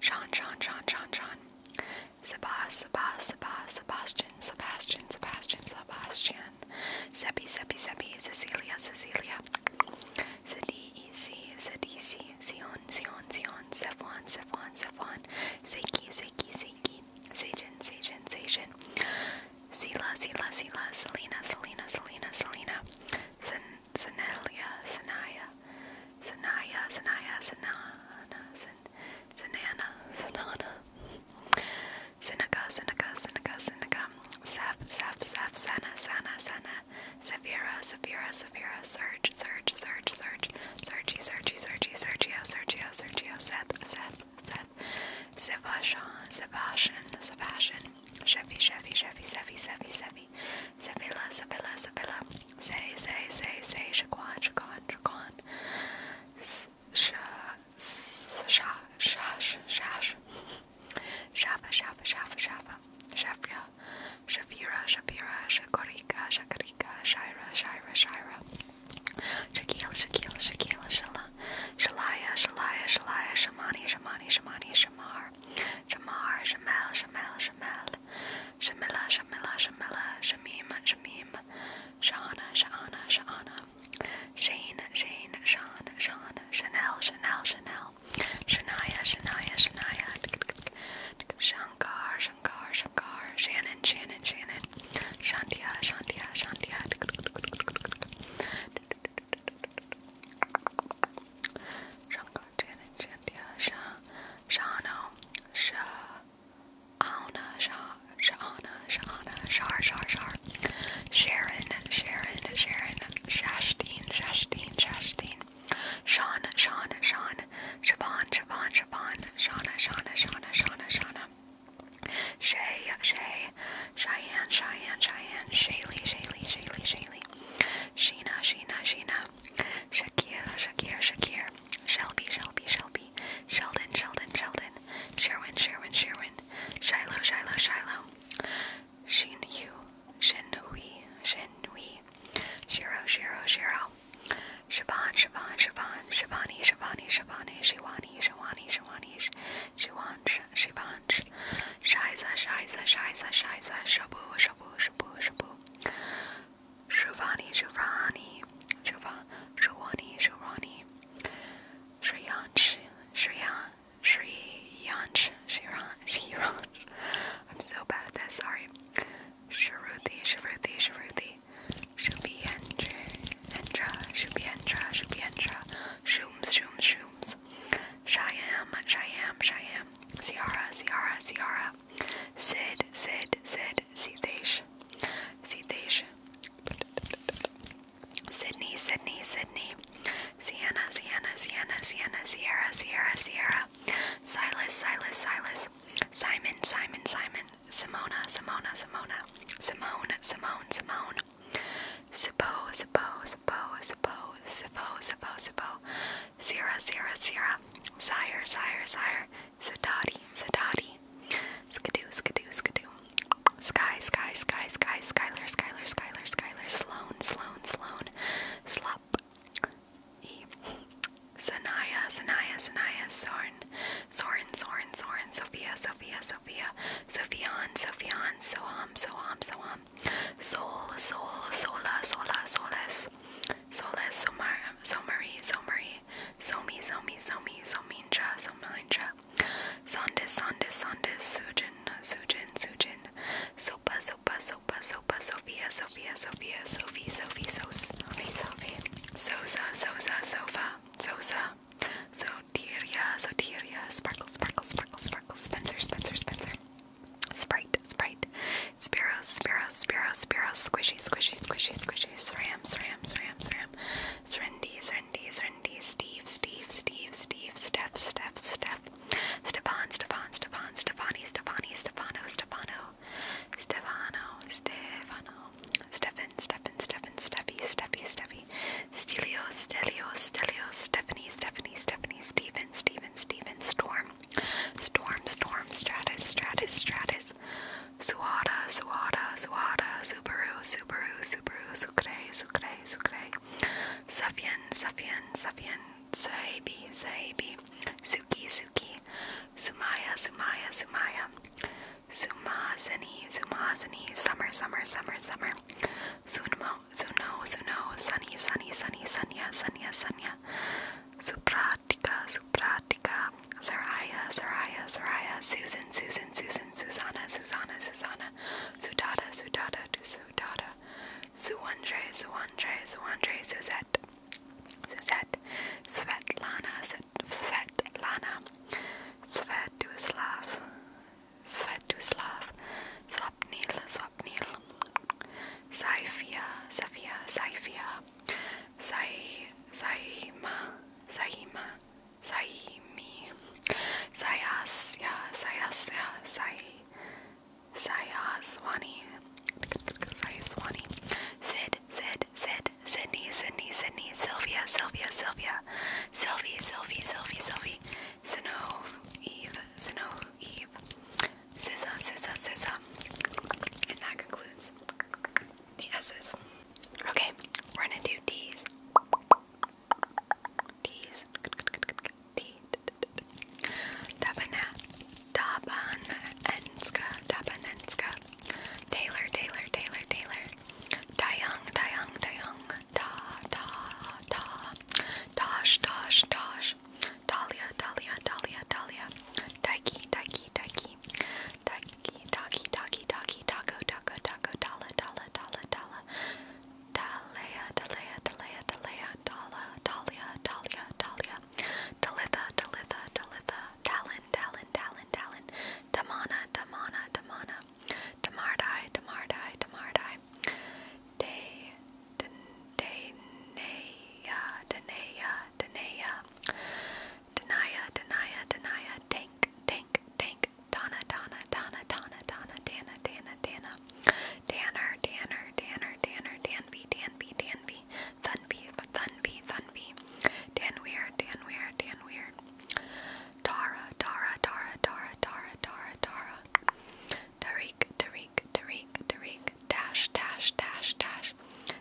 Sean, Sean, Sean, Sean, Sean. Sebas, Sebas, Sebas, Sebastian, Sebastian, Sebastian, Sebastian. Seppi, Seppi, Seppi, Cecilia, Cecilia. Sadiisi, Sadiisi, Zion, Zion, Zion, Zefwan, Zefwan, Zefwan. Seiki, Seiki, Seiki. Seijin, Seijin, Seijin. Sila, Sila, Sila, Selena, Selena, Selena, Selena. Sen, Senelia, Senaya, Sanaya, Sanaya, Sanana, San, Sanana, Sanana, Seneca, Seneca, Seneca, Seneca, Sep, Sep, Sep, Sana, Sana, Sana, Severa, Severa, Severa, Surge, Surge, Surge, Surge, Sergi, Sergi, Sergi, Sergio, Sergio, Sergio, Seth, Seth, Seth, Sebastian, Sebastian, Sebastian, Chevy, Chevy, Chevy, Chevy, Chevy, Chevy me. Sevilla, Sevilla, Sevilla. Say, say, say, say. Shaquan, Shaquan, Shaquan. Sha, shash, shash. Shafa, shafa, shafa, shafa. Shafria, Shafira, Shafira, Shakorika, Shakarika, Shira, Shira, Shira. Shakil, Shakil, Shakil, Shala. Shalaya, Shalaya, Shalaya, Shamani, Shamani, Shamani, Shamar. Shamar, Shamal, Shamal, Shamal. Shamila, Shamila, Shamila, Shamim, Shamim, Shauna, Shauna, Shauna, Shane, Shane, Sean, Sean, Chanel, Chanel, Chanel, Shania, Shania, Shania, Shankar, Shankar, Shankar, Shannon, Shannon, Shannon, Shantia, Shantia, Shantia. Shankar, Jin and Jindia, Sha, Shano, Sha, Auna, Sha, Shaana, Shaana, Shar, Shar, Shar, Sharon, Sharon, Sharon, Shashdeen, Shashdeen, Shashdeen, Sean, Sean, Sean, Siobhan, Siobhan, Siobhan, Shauna, Shauna, Shauna, Shauna, Shauna, Shay, Shay, Cheyenne, Cheyenne, Cheyenne, Shaylee, Shaylee, Shaylee, Shaylee, Sheena, Sheena, Sheena, Shakira, Shakira, Shakir, Shelby, Shelby, Shelby, Sheldon, Sheldon, Sheldon, Sherwin, Sherwin, Sherwin, Shiloh, Shiloh, Shiloh, Shinhu, Shinhui, Shinhui, Shiro, Shiro, Shiro, Shaban, Shaban, Shaban, Shabani, Shabani, Shabani, Shiwani, Shiwani, Shiwani, Shiwan, Shiban, Shiza, Shiza, Shiza, Shiza, Shabu, Shabu, Shabu, Shabu. Shivani, Shivani, Shiva, Shivani, Shivani, Shriyansh, Shriyan, Shriyansh, Shriyan, Shriyan. I'm so bad at this, sorry. Shruti, Shruti, Shruti, Shubhyendra, Endra, Shubhyendra, Shubhyendra, Shooms, Shooms, Shooms, Shyam, Shyam, Shyam, Ciara, Ciara, Ciara, Sid, Sid, Sid, Sitesh, Sitesh, Sydney, Sydney, Sydney, Sienna, Sienna, Sienna, Sienna, Sierra, Sierra, Sierra, Silas, Silas, Silas, Simon, Simon, Simon, Simona, Simona, Simona, Simone, Simone, Simone, Sipo, Sipo, Sipo, Sipo, Sipo, Sipo, Sipo, Sira, Sira, Sira, Sire, Sire, Sire, Sadati, Sadati, Skidoo, Skidoo, Skidoo, Sky, Sky, Sky, Sky, Skyler, Skyler, Skyler, Skyler, Sloan, Sloan, Sloan, Slup, E, Sanaya, Sanaya, Sanaya, Sorn, Soren, Soren, Soren, Sophia, Sophia, Sophia, Sophion, Sophion, Soham, Soham, Soham, Soul, Soul, Sola, Sola, Solas, Solis, Solis, Somar, Somari, Somari, Somi, Somi, Somi, Sominja, Sominja, Sondis, Sondis, Sondis, Sujin, Sujin, Sujin, Sopa, Sopa, Sopa, Sopa, Sophia, Sophia, Sophia, Sophie, Sophie, Sos, Sophie, Sophie, Sosa, Sosa, Sofa, Sosa, Sotiria, Sotiria, Sparkle, Sparkle, Sparkle, Sparkle, Spencer, Spencer, Spencer. Sprite, Sprite, Spiros, Spiros, Spiros, Spiros, Squishy, Squishy, Squishy, Squishy, Sram, Sram, Sram, Sram, Serendy, Serendy, Serendy, Steve, Steve, Steve, Steve, Steph, Steph, Steph, Stefan, Stefan, Stefan, Stefani, Stefani, Stefano, Stefano, Stefano, Stefano, Stefan, Stefan, Stefan, Steffi, Steffi, Steffi, Stelio, Stelio, Stelio, Stephanie, Stephanie, Stephanie, Steven, Steven, Steven, Storm. Storm, Storm, Stratus, Stratus, Stratus, Suada, Suada, Suada, Subaru, Subaru, Subaru, Sucre, Sucre, Sucre, Safian, Safian, Safian, Saibi, Saibi, Suki, Suki, Sumaya, Sumaya, Sumaya, Sumazani, Sumazani, Summer, Summer, Summer, Summer, Sunmo, Suno, Suno, Sunny, Sunny, Sunny, Sunya, Sunya, Sunya, Supra, Pratika, Supratika, Saraya, Saraya, Saraya, Susan, Susan, Susan, Susanna, Susanna, Susanna, Sudada, Sudada, Sudada, Suandre, Suandre, Suandre, Suzette, Suzette, Svetlana, Svetlana, Svetoslav, Svetoslav, Swapnil, Swapnil, Saifia, Safia, Saifia, Sai Saima Saima Saimi Sayas Ya Sayas Ya Sai Sayaswani Sayaswani Sid Sid Sid Sydney Sydney Sydney Sylvia Sylvia Sylvia Sylvie Sylvie Sylvie Sylvie Sinove Eve Sinove Eve Sissa Sissa Sissa and that concludes the S's. Okay, we're gonna do T's. T's. T. Dabana. Dabanenska. Dabanenska. Taylor, Taylor, Taylor, Taylor. Dayung, Dayung, Dayung. Da, da, da. Tosh, Tosh, Tosh. Dahlia, Dahlia, Dahlia, Dahlia. Daiki, Daiki, Daiki, Taki, Taki, Taki, Taki, Taki, Taco, Taco, Taco, Dala, Dala, Dala, Dala, Dalea, Dalea, Dalea, Dalea, Dala, Dalia, Dalia, Dalia, Dalitha, Dalitha, Dalitha, Talon, Talon, Talon, Talon, Damana, Damana, Damana, Damardai, Damardai, Damardai, Day, Day, Denea, Denea, Denea, Denaya, Denaya, Denaya, Tank, Tank, Tank, Donna, Donna, Donna, Donna, Donna, Dana, Dana, Dana, Danner, Danner, Danner, Danner, Danby, Danby, Danby, Thunby, Thunby, Thunby, Danweir, Danweir, Danweir, Tara, Tara, Tara, Tara, Tara, Tara, Tara, Tariq, Tariq, Tariq, Tariq, Dash, Dash, Dash, Dash.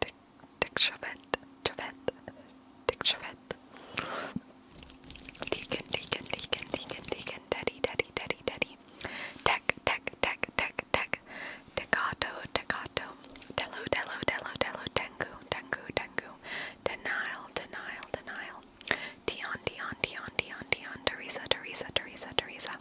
Dick Dick Chavette, Chavette, Dick Chavette. Deacon, Deacon, Deacon, Deacon, Deacon, Daddy, Daddy, Daddy, Daddy. Tech, Tech, Tech, Tech, Tech. Tecato, Tecato. Dello, Dello, Dello, Dello, Tengu, Tengu, Tengu. Denial, denial, denial. Dion, Dion, Dion, Dion, Dion, Teresa, Teresa, Teresa, Teresa.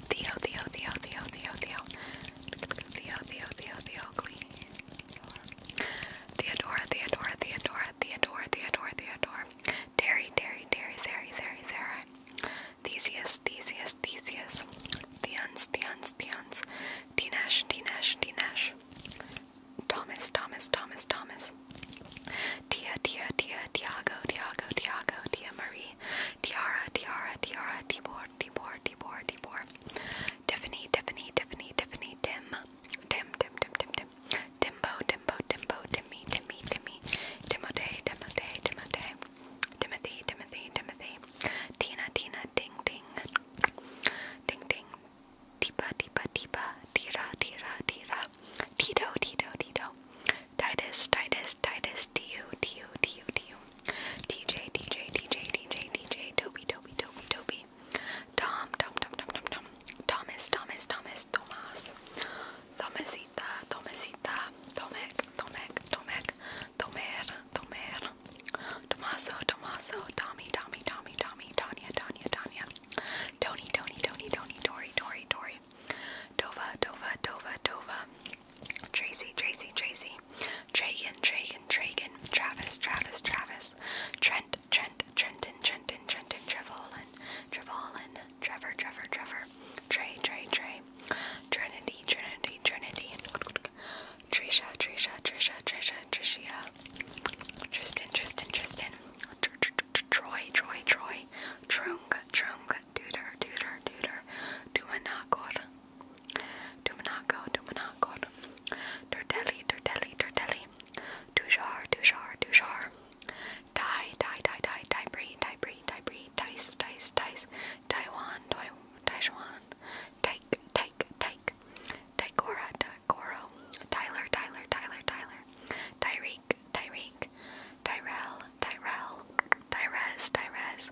Theo, Theo, Theo, Theo, Theo, Theo, Theo, Theo, Theo, Theo, clean. Theodora, Theodora, Theodora, Theodora, Theodora, Theodora. Terry, Terry, Terry, Terry, Terry, Terry. Theseus, Theseus, Theseus. Theons, Theons, Theons. Dinesh, Dinesh, Dinesh. Thomas, Thomas, Thomas, Thomas. Tia, Tia, Tia, Tiago, Tiago, Tiago, Tia Maria. Lily, Tiara, Tiara, Tiara, Tibor, Tibor, Tibor, Tibor, Tiffany, Tiffany, Tiffany, Tiffany, Tim, Tim, Tim, Tim, Tim, Tim, Timbo, Timbo, Timbo, Timmy, Timmy, Timmy, Timotei, Timotei, Timotei, Timothy, Timothy, Timothy, Tina, Tina, Ding, Ding, Ding, Ding, Deepa, Deepa, Deepa, Tira, Tira, Tira, Tito, Tito, Tito. Titus, Titus, Titus, T.U., T.U., T.U., T.U., TJ, TJ, TJ, TJ, TJ, Toby, Toby, Toby, Toby, Tom, Tom, Tom, Tom, Tom, Tom, Thomas, Thomas, Thomas, Thomas, Thomasita, Thomasita, Tomek, Tomek, Tomek, Tomer, Tomer, Tomaso, Tomaso, Tommy, Tommy, Tommy, Tommy, Tanya, Tanya, Tanya, Tony, Tony, Tony, Tony, Tori, Tori, Tori, Dova, Dova, Dova, Dova, Tracy, Tracy, Tracy, Tragan, Tragan, Tragan, Travis, Travis, Travis, Trent, Trent, Trenton, Trenton, Trenton, Trevolin, Trevolin, Trevor, Trevor, Trevor, Trey, Trey, Trey, Trinity, Trinity, Trinity, Trisha, Trisha, Trisha, Trisha, Trishia, Tristan, Tristan, Tristan, Troy, Troy, Troy, Trung, Trung, tutor, tutor, tutor, tumanakor, tumanako, tumanakor, turtelli, turtelli, turtelli, tujar, tujar, tujar, tie, tie, tie, tie, tie, bree, tie, bree, tie, bree, dice, dice, dice, taiwan, taiwan, take, take, take, taikora, taikoro, Tyler, Tyler, Tyler, Tyler, Tyreek, Tyreek, Tyrell, Tyrell, Tyrez, Tyrez,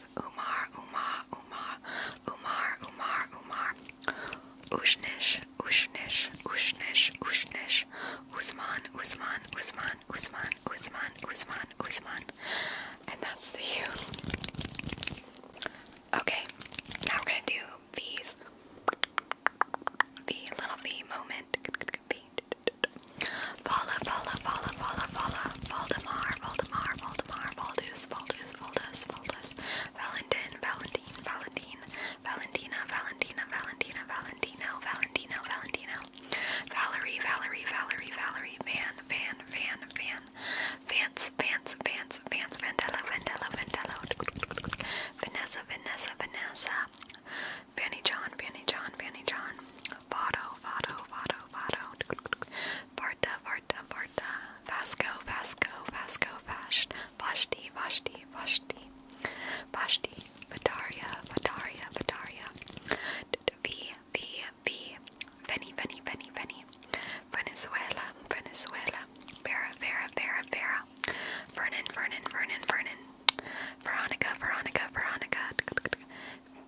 Yes, Umar, Umar, Umar, Umar, Umar, Umar, Ushnish, Ushnish, Ushnish, Ushnish, Usman, Usman, Usman, Usman, Usman, Usman, Usman, and that's the U. Okay, now we're gonna do V's. V, little V moment. V. Follow, follow, follow, follow, Vola, Voldemar, Voldemar, Voldemar, Voldus, Voldus, Voldus, Voldus, Valentin, Valentine, Valentine, Valentina, Valentina, Valentina, Valentino, Valentino, Valentino, Valerie, Valerie, Valerie, Valerie, Van, Van, Van, Van, Vance, Vance, Vance, Vance, Vandella, Vandella, Vandello, Vanessa, Vanessa, Vanessa, Vanny John, Vanny John, Vanny John, Vado, Vado, Vado, Vado, Varta, Varta, Varta, Vasco, Vasco, Vasco, Vash, Vashti, Vashti, Vashti, Vashti, Vataria, Vataria, Vataria, V, V, V, Veni, Veni, Veni, Veni, Venezuela, Venezuela, Vera, Vera, Vera, Vera, Vernon, Vernon, Vernon, Vernon, Veronica, Veronica, Veronica,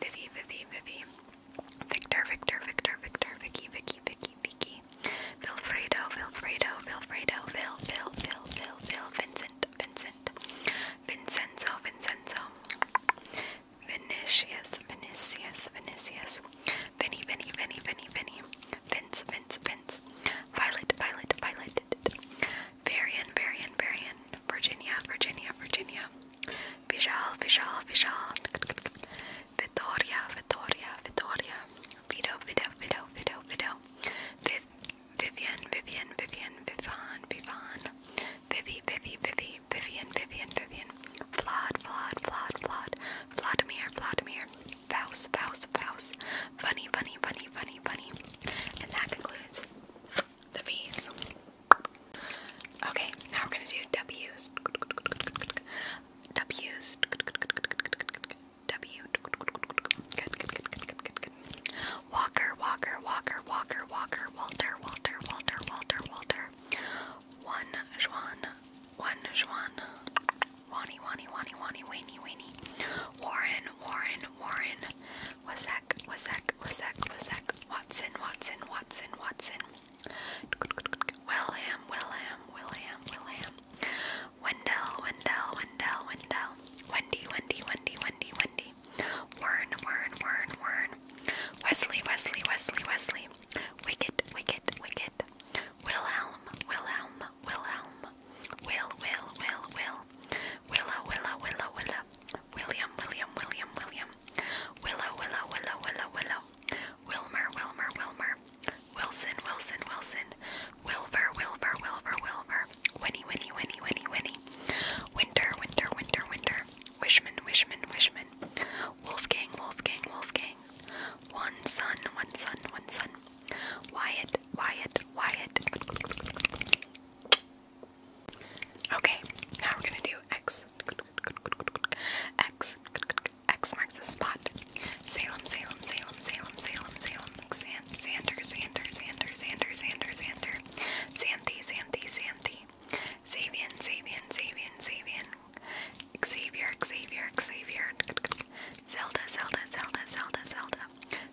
Vivi, Vivi, Vivi, Victor, Victor, Victor, Victor, Vicky, Vicky, Vicky, Vicky, Vilfredo, Vilfredo, Vilfredo, Vil, Vil, Vil, Vil, Vil, Vincent, Vincent, Vincenzo, Vincenzo, Vinicius, Vinicius, Vinicius, Vinny, Vinny, Vinny, Vinny, Vinny, Vince, Vince, Vince, Violet, Violet, Violet, Varian, Varian, Varian. Virginia, Virginia, Virginia, Vishal, Vishal, Vishal, Vittoria, Vittoria, Vittoria, Vito, Vito, Vito, Vito, Vito, Viv, Vivian, Vivian, Vivian, Vivan, Vivan, Vivi, Vivi, Vivi, Vivian, Vivian, Vivian, Vlad, Vlad, Vlad, Vlad, Vladimir, Vladimir, Faust, Faust, Faust, Funny, Funny, Funny, Funny, Funny, and that concludes the V's. Okay, now we're gonna do W's. W's. W. Walker, Walker, Walker, Walker, Walker, Walter, Walter, Walter, Walter, Walter. One, Juan. One, Juan. Wani, Wani, Wani, Wani, Wani, Wani. Warren, Warren, Warren. Wasek, Wasek, Wasek, Wasek, Watson, Watson, Watson, Watson. William, William, William, William. Wendell, Wendell, Wendell, Wendell. Wendy, Wendy, Wendy, Wendy, Wendy. Wern, Wern, Wern, Wern. Wesley, Wesley, Wesley, Wesley. Wicket, Wicket, Wicket. Wilhelm, Wilhelm, Wilhelm. Will, Will, Will, Will. Willa, Willa, Willa, Willa. William, William, William, William. Willow, Willow, Willow, Willow, Willow. Wilmer, Wilmer, Wilmer. Wilson, Wilson, Wilson. Wilver, Wilver, Wilver, Wilver. Winnie, Winnie, Winnie, Winnie, Winnie. Winter, Winter, Winter, Winter. Wishman, Wishman, Wishman. Wolfgang, Wolfgang, Wolfgang. One son, one son, one son. Wyatt, Wyatt, Wyatt. Okay, now we're gonna do X. X. X marks the spot. Salem, Salem, Salem, Salem, Salem, Salem. Xander, Xander, Xander, Xander, Xander, Xander. Xanthi, Xanthi, Xanthi. Xavian, Xavian, Xavian, Xavian. Xavier, Xavier, Xavier. Zelda, Zelda, Zelda, Zelda, Zelda.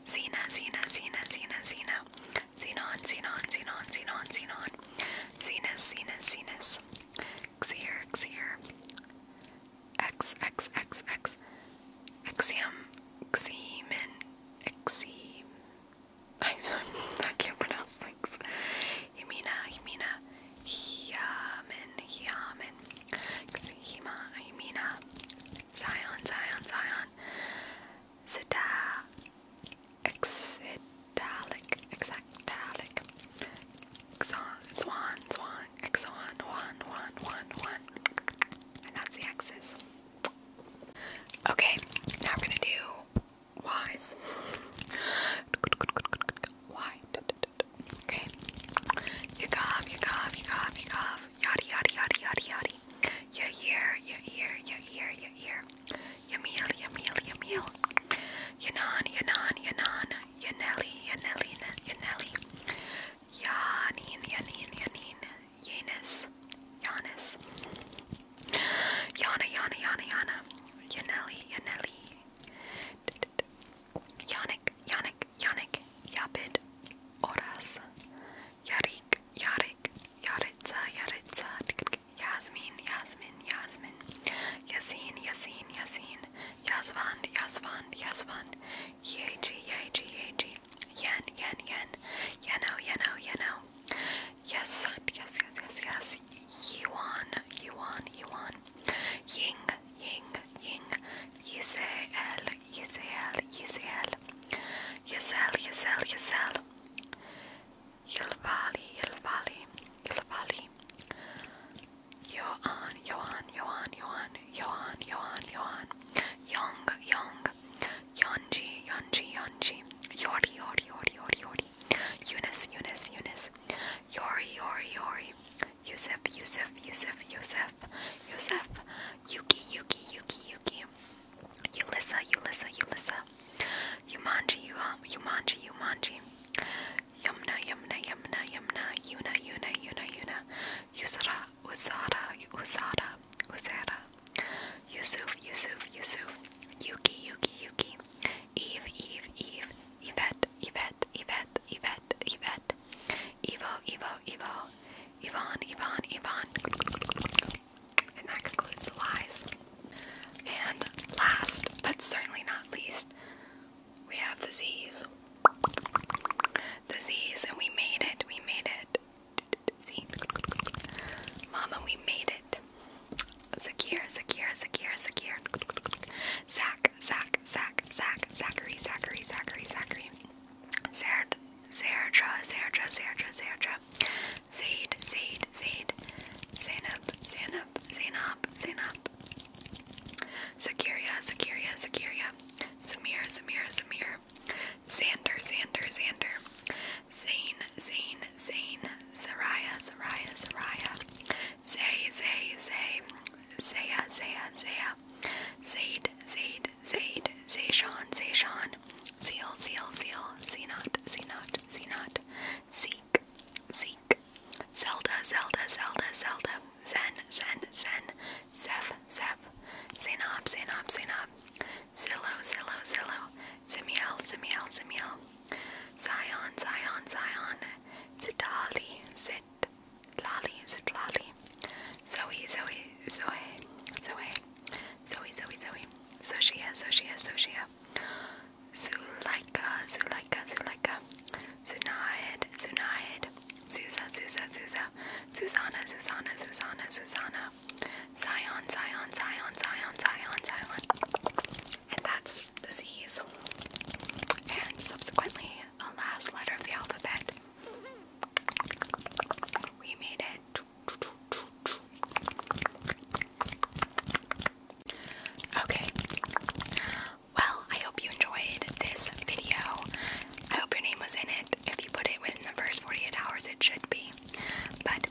Xena, Xena, Xena, Xena, Xena. Xenon, Xenon, Xenon, Xenon, Xenon, Xenus, Xenus, Xenus, Xeer, Xeer, X, X, X, X, Exium, Xemen, Exim. I, [laughs] I can't pronounce things. Himina, Himina, Hyamen, Hyamen, Xehima, Himina, Zion, Zion, Zion, Zeta, Exidalic, exactalic, exon, swan, swan, exon, one, one, one, one. And that's the X's. Okay, now we're gonna do Y's. Y. Okay. You cough, you cough, you cough, you cough. Yaddy, yaddy, yaddy, yaddy, yaddy. Your ear, your ear, your ear, your ear. Yamil, Yamil, Yamil, Yanan, Yanan, Yanan, Yanelli, Yanelli, Yanelli, Yanin, Yanin, Yanin, Yanis, Yanis, Yana, Yana, Yana, Yana, Yanelli, Yanelli, Yannick, Yannick, Yannick, Yapid, Oras, Yarik, Yarik, Yaritza, Yaritza, think Yasmin, Yasmin, Yasmin, Yasin, Yasin, Yasin, Yasvand, Yasvand, Yasvand, Yeji, Yeji, Yeji, Yen, Yen, Yen, Yeno, Yeno, Yeno, Yes, yes, yes, yes, yes, Yuan, Yuan, Yuan, Ying, Ying, Ying, Yisael, Yisael, Yisael, Yisel, Yisel, Yisel. Yilvali, Yilvali, Yilvali. Yoan, Yoan, Yoan, Yoan, Yoan, Yoan, Yoan. Young, Young. Yonji, Yonji, Yonji. Yori, Yori, Yori, Yori, Yori. Eunice, Eunice, Eunice. Yori, Yori, Yori. Yusef, Yusef, Yusef, Yusef, Yusef. Yuki, Yuki, Yuki, Yuki. Yuki. Ulyssa, Ulyssa, Ulyssa. Yumanji, Yumanji, Yumanji. Yumna, Yumna, Yumna, Yumna. Yuna, Yuna, Yuna, Yuna. Yusra, Usada, Usada, Usada. Yusuf, Yusuf, Yusuf. Yuki, Yuki, Yuki. Eve, Eve, Eve. Yvette, Yvette, Yvette, Yvette, Yvette. Evo, Evo, Evo. Yvonne, Yvonne, Yvonne. And that concludes the lies. And last, but certainly not least, we have the Z's. The Z's, and we made it, we made it. See? Mama, we made it. Zakir, Zakir, Zakir, Zakir. Zach, Zach, Zach, Zach, Zachary, Zachary, Zachary, Zachary. Zerd, Zerdra, Zerdra, Zerdra, Zerdra. Zaid, Zaid, Zaid. Zena, Zainab, Zainab, Zainab, Zainab. Zakiria, Zakiria, Zakiria. Samir, Samir, Samir. Xander, Xander, Xander. Zain, Zain, Zain. Saraya, Saraya, Saraya. Zay, Zay, Zay. Zaya, Zaya, Zaya. Zaid, Zaid, Zaid. Zayshawn, Zayshawn. Zeal, Zeal, Zeal. Zenot, Zenot, Zenot. Z, Zeke, Zeke, Zelda, Zelda, Zelda, Zelda, Zen, Zen, Zen, Zeph, Zeph, Zenob, Zenob, Zenob, Zillow, Zillow, Zillow, Zimiel, Zimiel, Zimiel, Zion, Zion, Zion, Zitali, Zit, Lali, Zit, Lali, Zoe, Zoe, Zoe, Zoe, Zoe, Zoe, Zoe, Zoshia, Zoshia, Zoshia, Zulaika, Zulaika, Zulaika, Zunaid, Zunaid, Zusa, Zusa, Zusa, Susanna, Susanna, Susanna, Susanna, Zion, Zion, Zion, Zion, Zion, Zion. And that's the Z's. And subsequently, the last letter of the alphabet. We made it. Okay. Well, I hope you enjoyed this video. I hope your name was in it. If you put it within the first 48 hours, it should be. But,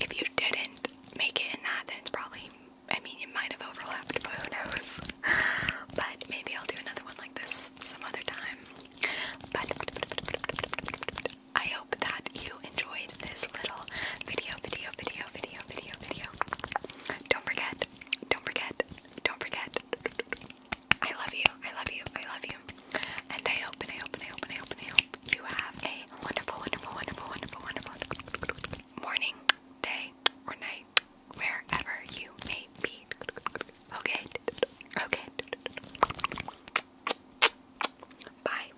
if you didn't make it in that, then it's probably, I mean, it might have overlapped, but who knows. [laughs] But maybe I'll do another one like this some other time. but I hope that you enjoyed this little video, video, video, video, video, video, Don't forget, don't forget, don't forget. I love you, I love you, I love you. And I hope, I hope, I hope, I hope, I hope you have a wonderful, wonderful, wonderful, wonderful, wonderful morning, day, or night, wherever you may be. Okay, okay. Bye.